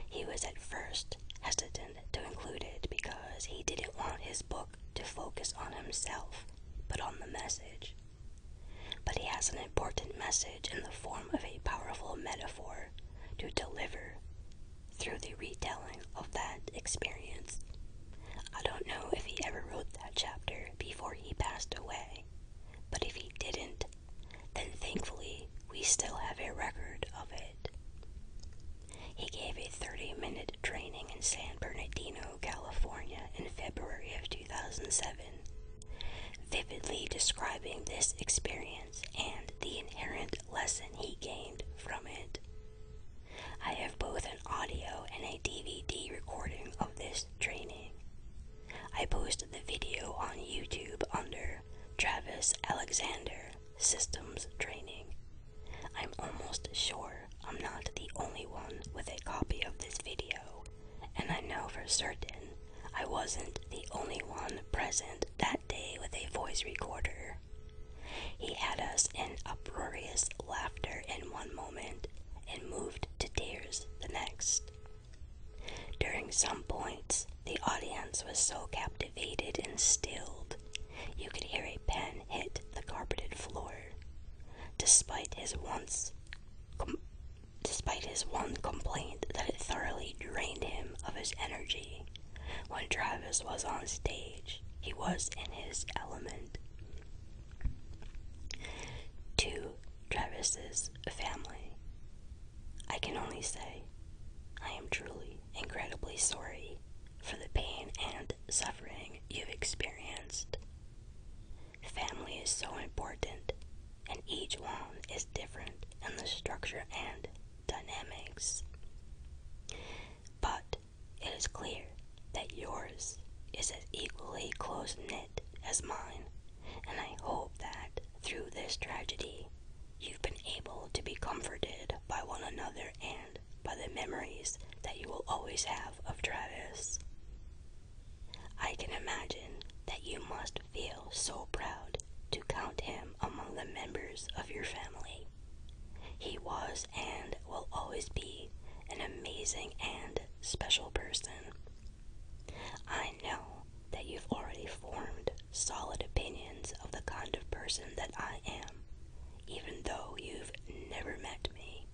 He was at first hesitant to include it because he didn't want his book to focus on himself but on the message. But he has an important message in the form of a powerful metaphor to deliver through the retelling of that experience. I don't know if he ever wrote that chapter before he passed away, but if he didn't, and thankfully we still have a record of it. He gave a 30 minute training in San Bernardino, California in February of 2007, vividly describing this experience and the inherent lesson he gained from it. I have both an audio and a DVD recording of this training. I posted the video on YouTube under Travis Alexander Systems Training. I'm almost sure I'm not the only one with a copy of this video, and I know for certain I wasn't the only one present that day with a voice recorder. He had us in uproarious laughter in one moment and moved to tears the next. During some points, the audience was so captivated and stilled, you could hear a pen hit the carpeted floor. Despite his once, despite his one complaint that it thoroughly drained him of his energy, when Travis was on stage, he was in his element. To Travis's family, I can only say I am truly incredibly sorry for the pain and suffering you've experienced. Family is so important, and each one is different in the structure and dynamics. But it is clear that yours is as equally close knit as mine and I hope that through this tragedy, you've been able to be comforted by one another and by the memories that you will always have of Travis. I can imagine that you must feel so proud to count him among the members of your family. He was and will always be an amazing and special person I know that you've already formed solid opinions of the kind of person that I am, even though you've never met me.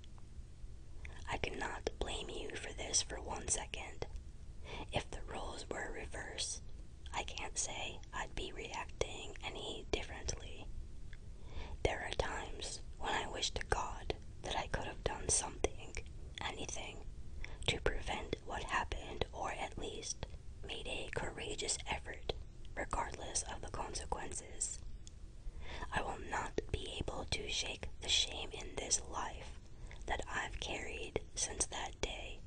I cannot blame you for this for one second. If the roles were reversed, I can't say I'd be reacting any differently. There are times when I wish to God that I could have done something anything to prevent what happened or at least made a courageous effort regardless of the consequences. I will not be able to shake the shame in this life that I've carried since that day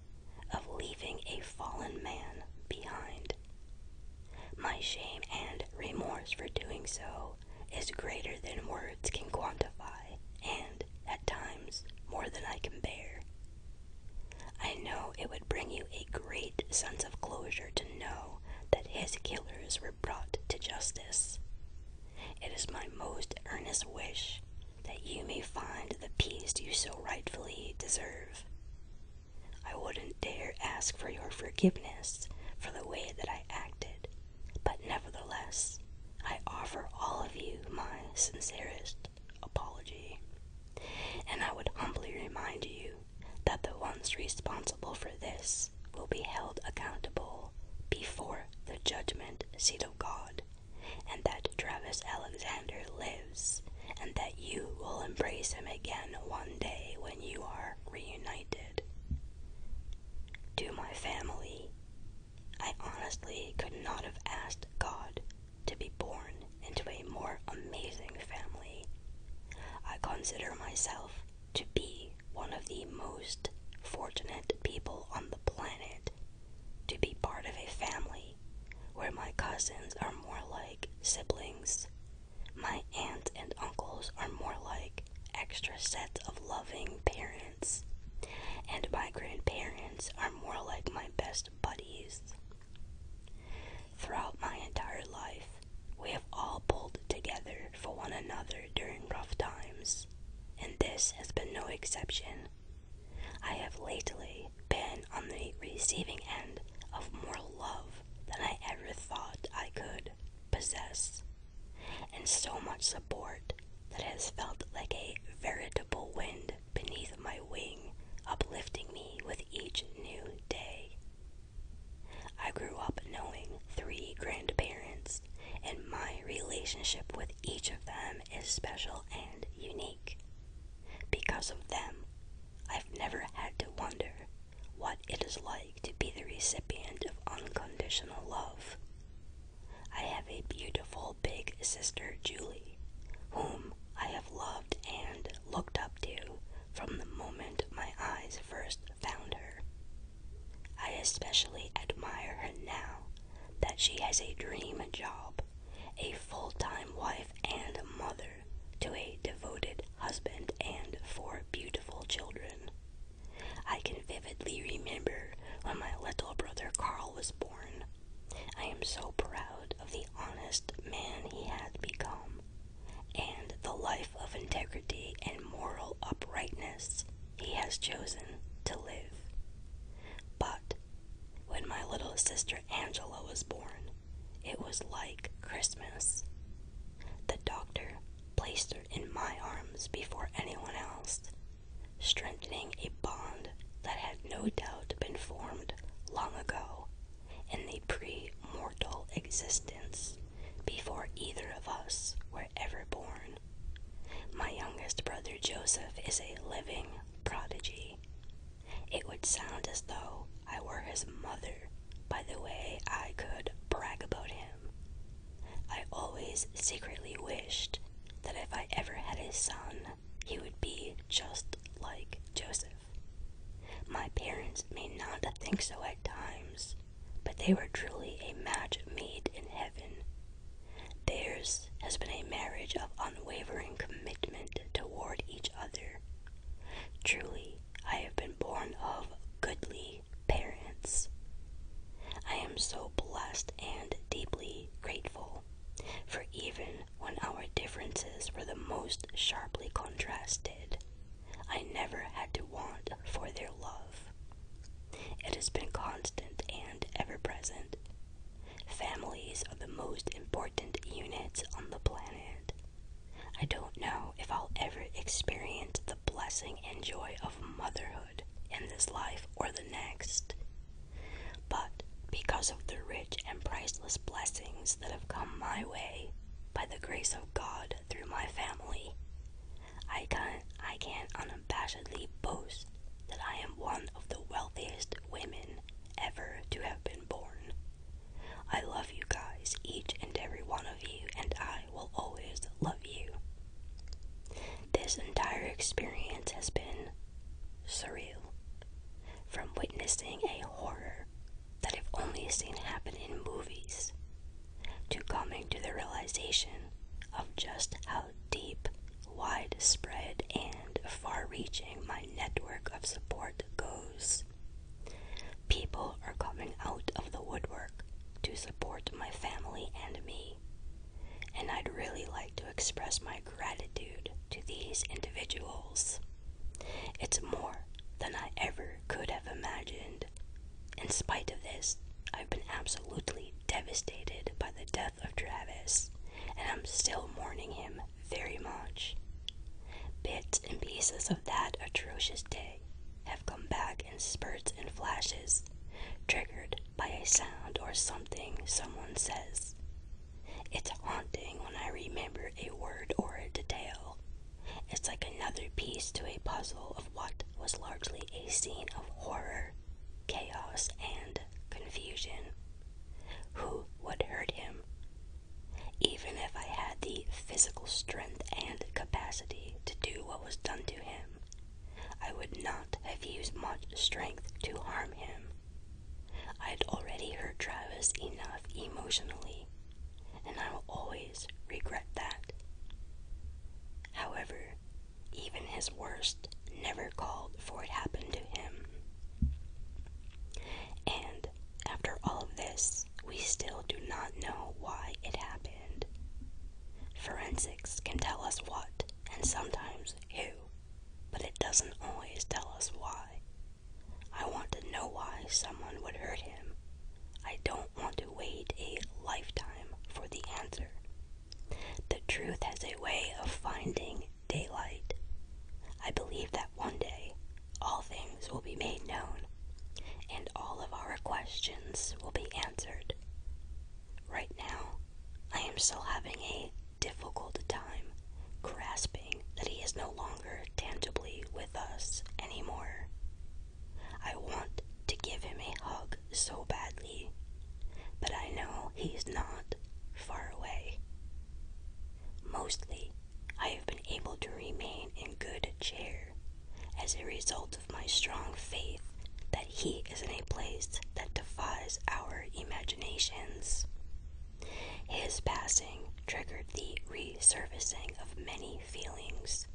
of leaving a fallen man behind. My shame and remorse for doing so is greater than words can quantify, and at times, more than I can bear. I know it would bring you a great sense of closure to know that his killers were brought to justice. It is my most earnest wish that you may find the peace you so rightfully deserve. I wouldn't dare ask for your forgiveness for the way that I acted but nevertheless, I offer all of you my sincerest apology. And I would humbly remind you that the ones responsible for this will be held accountable before the judgment seat of God, and that Travis Alexander lives, and that you will embrace him again one day when you are reunited. To my family, I honestly could not have asked God to be born into a more amazing family. I consider myself to be one of the most fortunate people on the planet to be part of a family where my cousins are more like siblings, my aunts and uncles are more like extra sets of loving parents and my grandparents are more like my best buddies. Throughout my entire life, we have all pulled together for one another during rough times, and this has been no exception. I have lately been on the receiving end of more love than I ever thought I could possess, and so much support that has felt like a veritable wind beneath my wing, uplifting me with each new day. I grew up knowing three grandparents, and my relationship with each of them is special and unique. Because of them, I've never had to wonder what it is like to be the recipient of unconditional love. I have a beautiful big sister, Julie, whom I have loved and looked up to from the moment my eyes first found her. I especially admire her now that she has a dream job, a full time wife and mother to a devoted husband and four beautiful children. I can vividly remember when my little brother Carl was born. I am so proud of the honest man he had become, and the life of integrity and moral uprightness he has chosen to live. But when my little sister Angela was born, it was like Christmas. The doctor placed her in my arms before anyone else, strengthening a bond that had no doubt been formed long ago in the pre mortal existence before either of us were ever born. My youngest brother Joseph is a living prodigy. It would sound as though I were his mother by the way I could brag about him. I always secretly wished that if I ever had a son, he would be just like Joseph. My parents may not think so at times, but they were truly a match made in heaven. Theirs has been a marriage of unwavering commitment toward each other. Truly, I have been born of goodly parents. I am so blessed and deeply grateful, for even when our differences were the most sharply contrasted, I never had to want for their love. It has been constant and ever present. Families are the most important units on the planet. I don't know if I'll ever experience the blessing and joy of motherhood in this life or the next. But because of the rich and priceless blessings that have come my way by the grace of God through my family, I can, I can unabashedly boast that I am one of the wealthiest women ever to have been born. I love you guys, each and every one of you, and I will always love you. This entire experience has been surreal, from witnessing a horror that I've only seen happen in movies to coming to the realization of just how deep, widespread, and far reaching my network of support goes. People are coming out of the woodwork to support my family and me and I'd really like to express my gratitude to these individuals. It's more than I ever could have imagined. In spite of this, I've been absolutely devastated by the death of Travis, and I'm still mourning him very much. Bits and pieces of that atrocious day have come back in spurts and flashes, triggered by a sound or something someone says. It's haunting when I remember a word or a detail. It's like another piece to a puzzle of what was largely a scene of horror, chaos, and confusion. Who would hurt him? Even if I had the physical strength and capacity to do what was done to him, I would not have used much strength to harm him. I had already hurt Travis enough emotionally, and I will always regret that. However, even his worst never called for it to happen to him. And after all of this, we still do not know why it happened. Forensics can tell us what and sometimes who but it doesn't always tell us why. I want to know why someone would hurt him. I don't want to wait a lifetime for the answer. The truth has a way of finding daylight. I believe that one day all things will be made known and all of our questions will be answered. Right now, I am still having a difficult time grasping that he is no longer tangibly with us anymore. I want to give him a hug so badly, but I know he's not far away. Mostly, I have been able to remain in good cheer as a result of my strong faith that he is in a place that defies our imaginations. His passing triggered the resurfacing of many feelings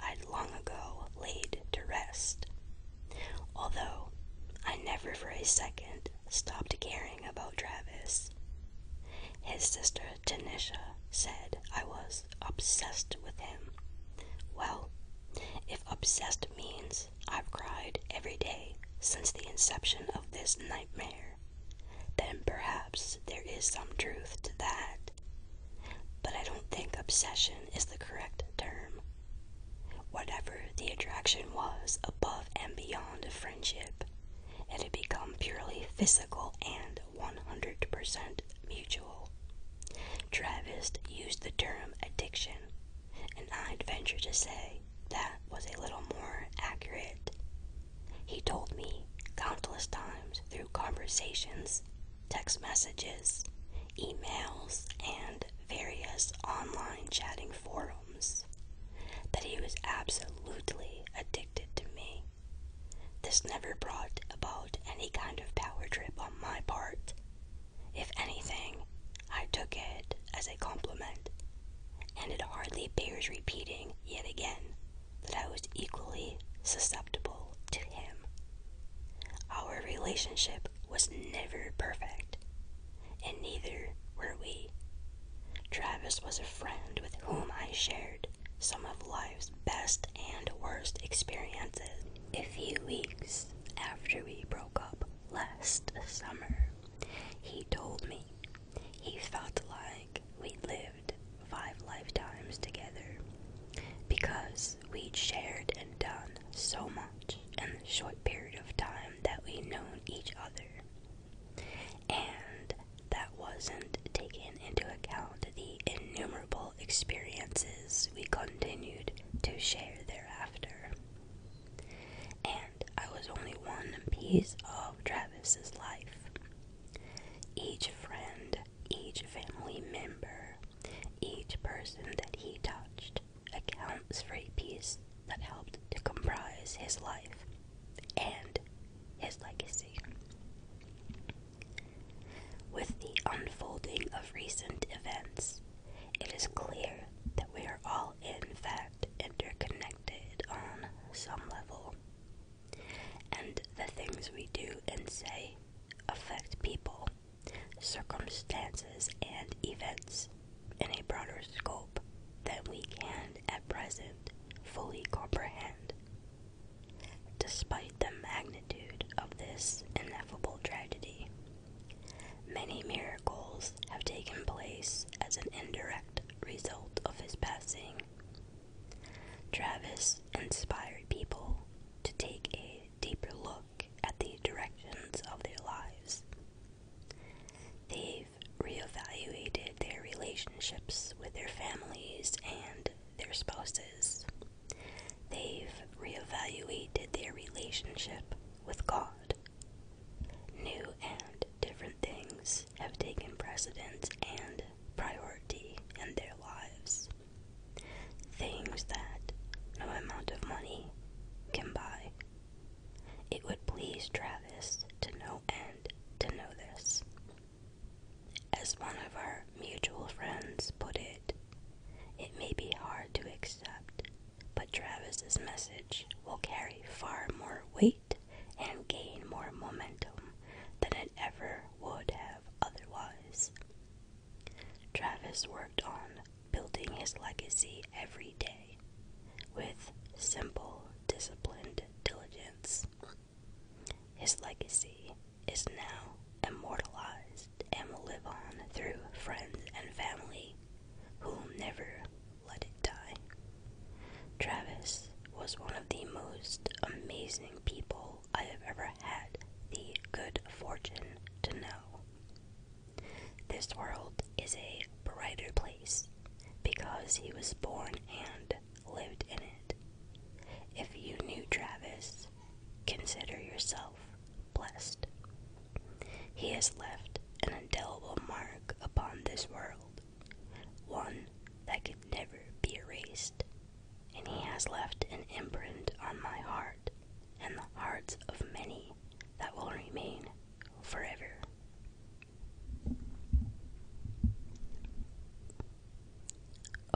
I'd long ago laid to rest, although I never for a second stopped caring about Travis. His sister Tanisha said I was obsessed with him. Well, if obsessed means I've cried every day since the inception of this nightmare, then perhaps there is some truth to that. But I don't think obsession is the correct term. Whatever the attraction was above and beyond friendship, it had become purely physical and 100% mutual. Travis used the term addiction and I'd venture to say that was a little more accurate. He told me countless times through conversations, text messages, emails, and various online chatting forums that he was absolutely addicted to me. This never brought about any kind of power trip on my part, if anything, I took it as a compliment, and it hardly bears repeating yet again that I was equally susceptible to him. Our relationship was never perfect, and neither were we. Travis was a friend with whom I shared some of life's best and worst experiences. A few weeks after we broke up, last summer, he told me he felt like we'd lived five lifetimes together because we'd shared and done so much in the short period of time that we'd known each other. And that wasn't taken into account the innumerable experiences we continued to share thereafter and I was only one piece of Travis's life. Each friend, each family member, each person that he touched accounts for a piece that helped to comprise his life and his legacy. With the unfolding of recent events, it is clear that we are all in fact, interconnected on some level. And the things we do and say affect people, circumstances, and events in a broader scope than we can at present fully comprehend. Despite the magnitude of this ineffable tragedy, Many miracles have taken place as an indirect result of his passing. Travis inspired people to take a deeper look at the directions of their lives. They've reevaluated their relationships with their families and their spouses. They've reevaluated their relationship with God New and different things have taken precedence and priority in their lives. Things that no amount of money can buy. It would please Travis to no end to know this. As one of our mutual friends put it, it may be hard to accept but Travis's message will carry far more weight and gain more momentum than it ever would have otherwise. Travis worked on building his legacy every day with simple, disciplined diligence. His legacy is now immortalized and will live on through friends and family who never let it die. Travis was one of the most amazing people I have ever had the good fortune to know. This world is a brighter place because he was born and lived in it. If you knew Travis, consider yourself blessed. He has left an indelible mark upon this world, one that could never be erased, and he has left an imprint on my heart and the hearts of many that will remain forever.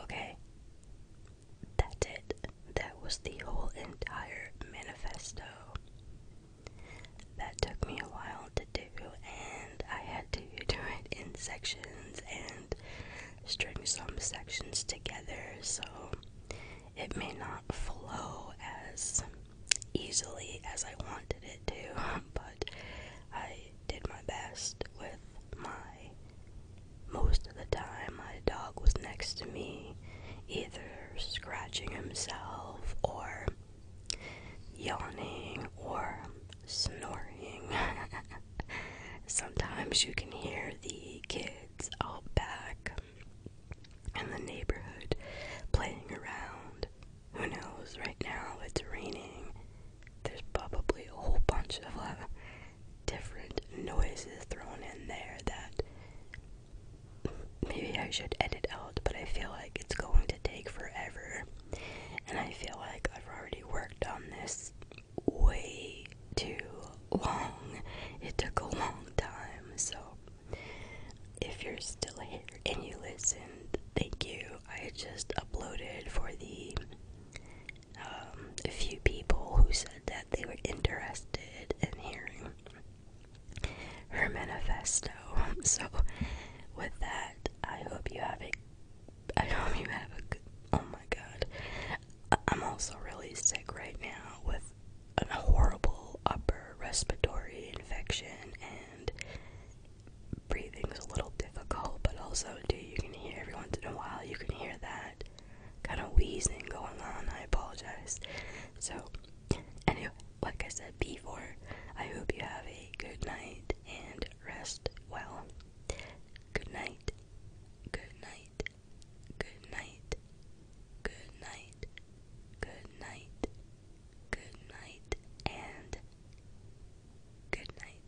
Okay, that's it. That was the whole entire manifesto. That took me a while to do, and I had to do it in sections and string some sections together, so it may not flow as easily as I wanted it to, but I did my best with my. Most of the time, my dog was next to me, either scratching himself or yawning or snoring. Sometimes you can hear the kids out back in the neighborhood playing around. Who knows? Right now it's raining. There's probably a whole bunch of uh, different noises thrown in there that maybe I should edit out, but I feel like it's going to take forever. And I feel like I've already worked on this way too long. It took a long time. So, if you're still here and you listened, thank you. I just uploaded for the um, few people who said that they were interested in hearing her manifesto. So, with that, I hope you have a. I hope you have a good. Oh my god. I'm also really sick right now with a horrible upper respiratory infection, and breathing's a little difficult, but also, do you can hear every once in a while, you can hear that kind of wheezing going on. I apologize. So, anyway, like I said before, I hope you have a good night and rest well. Good night. Good night. Good night. Good night. Good night. Good night and good night.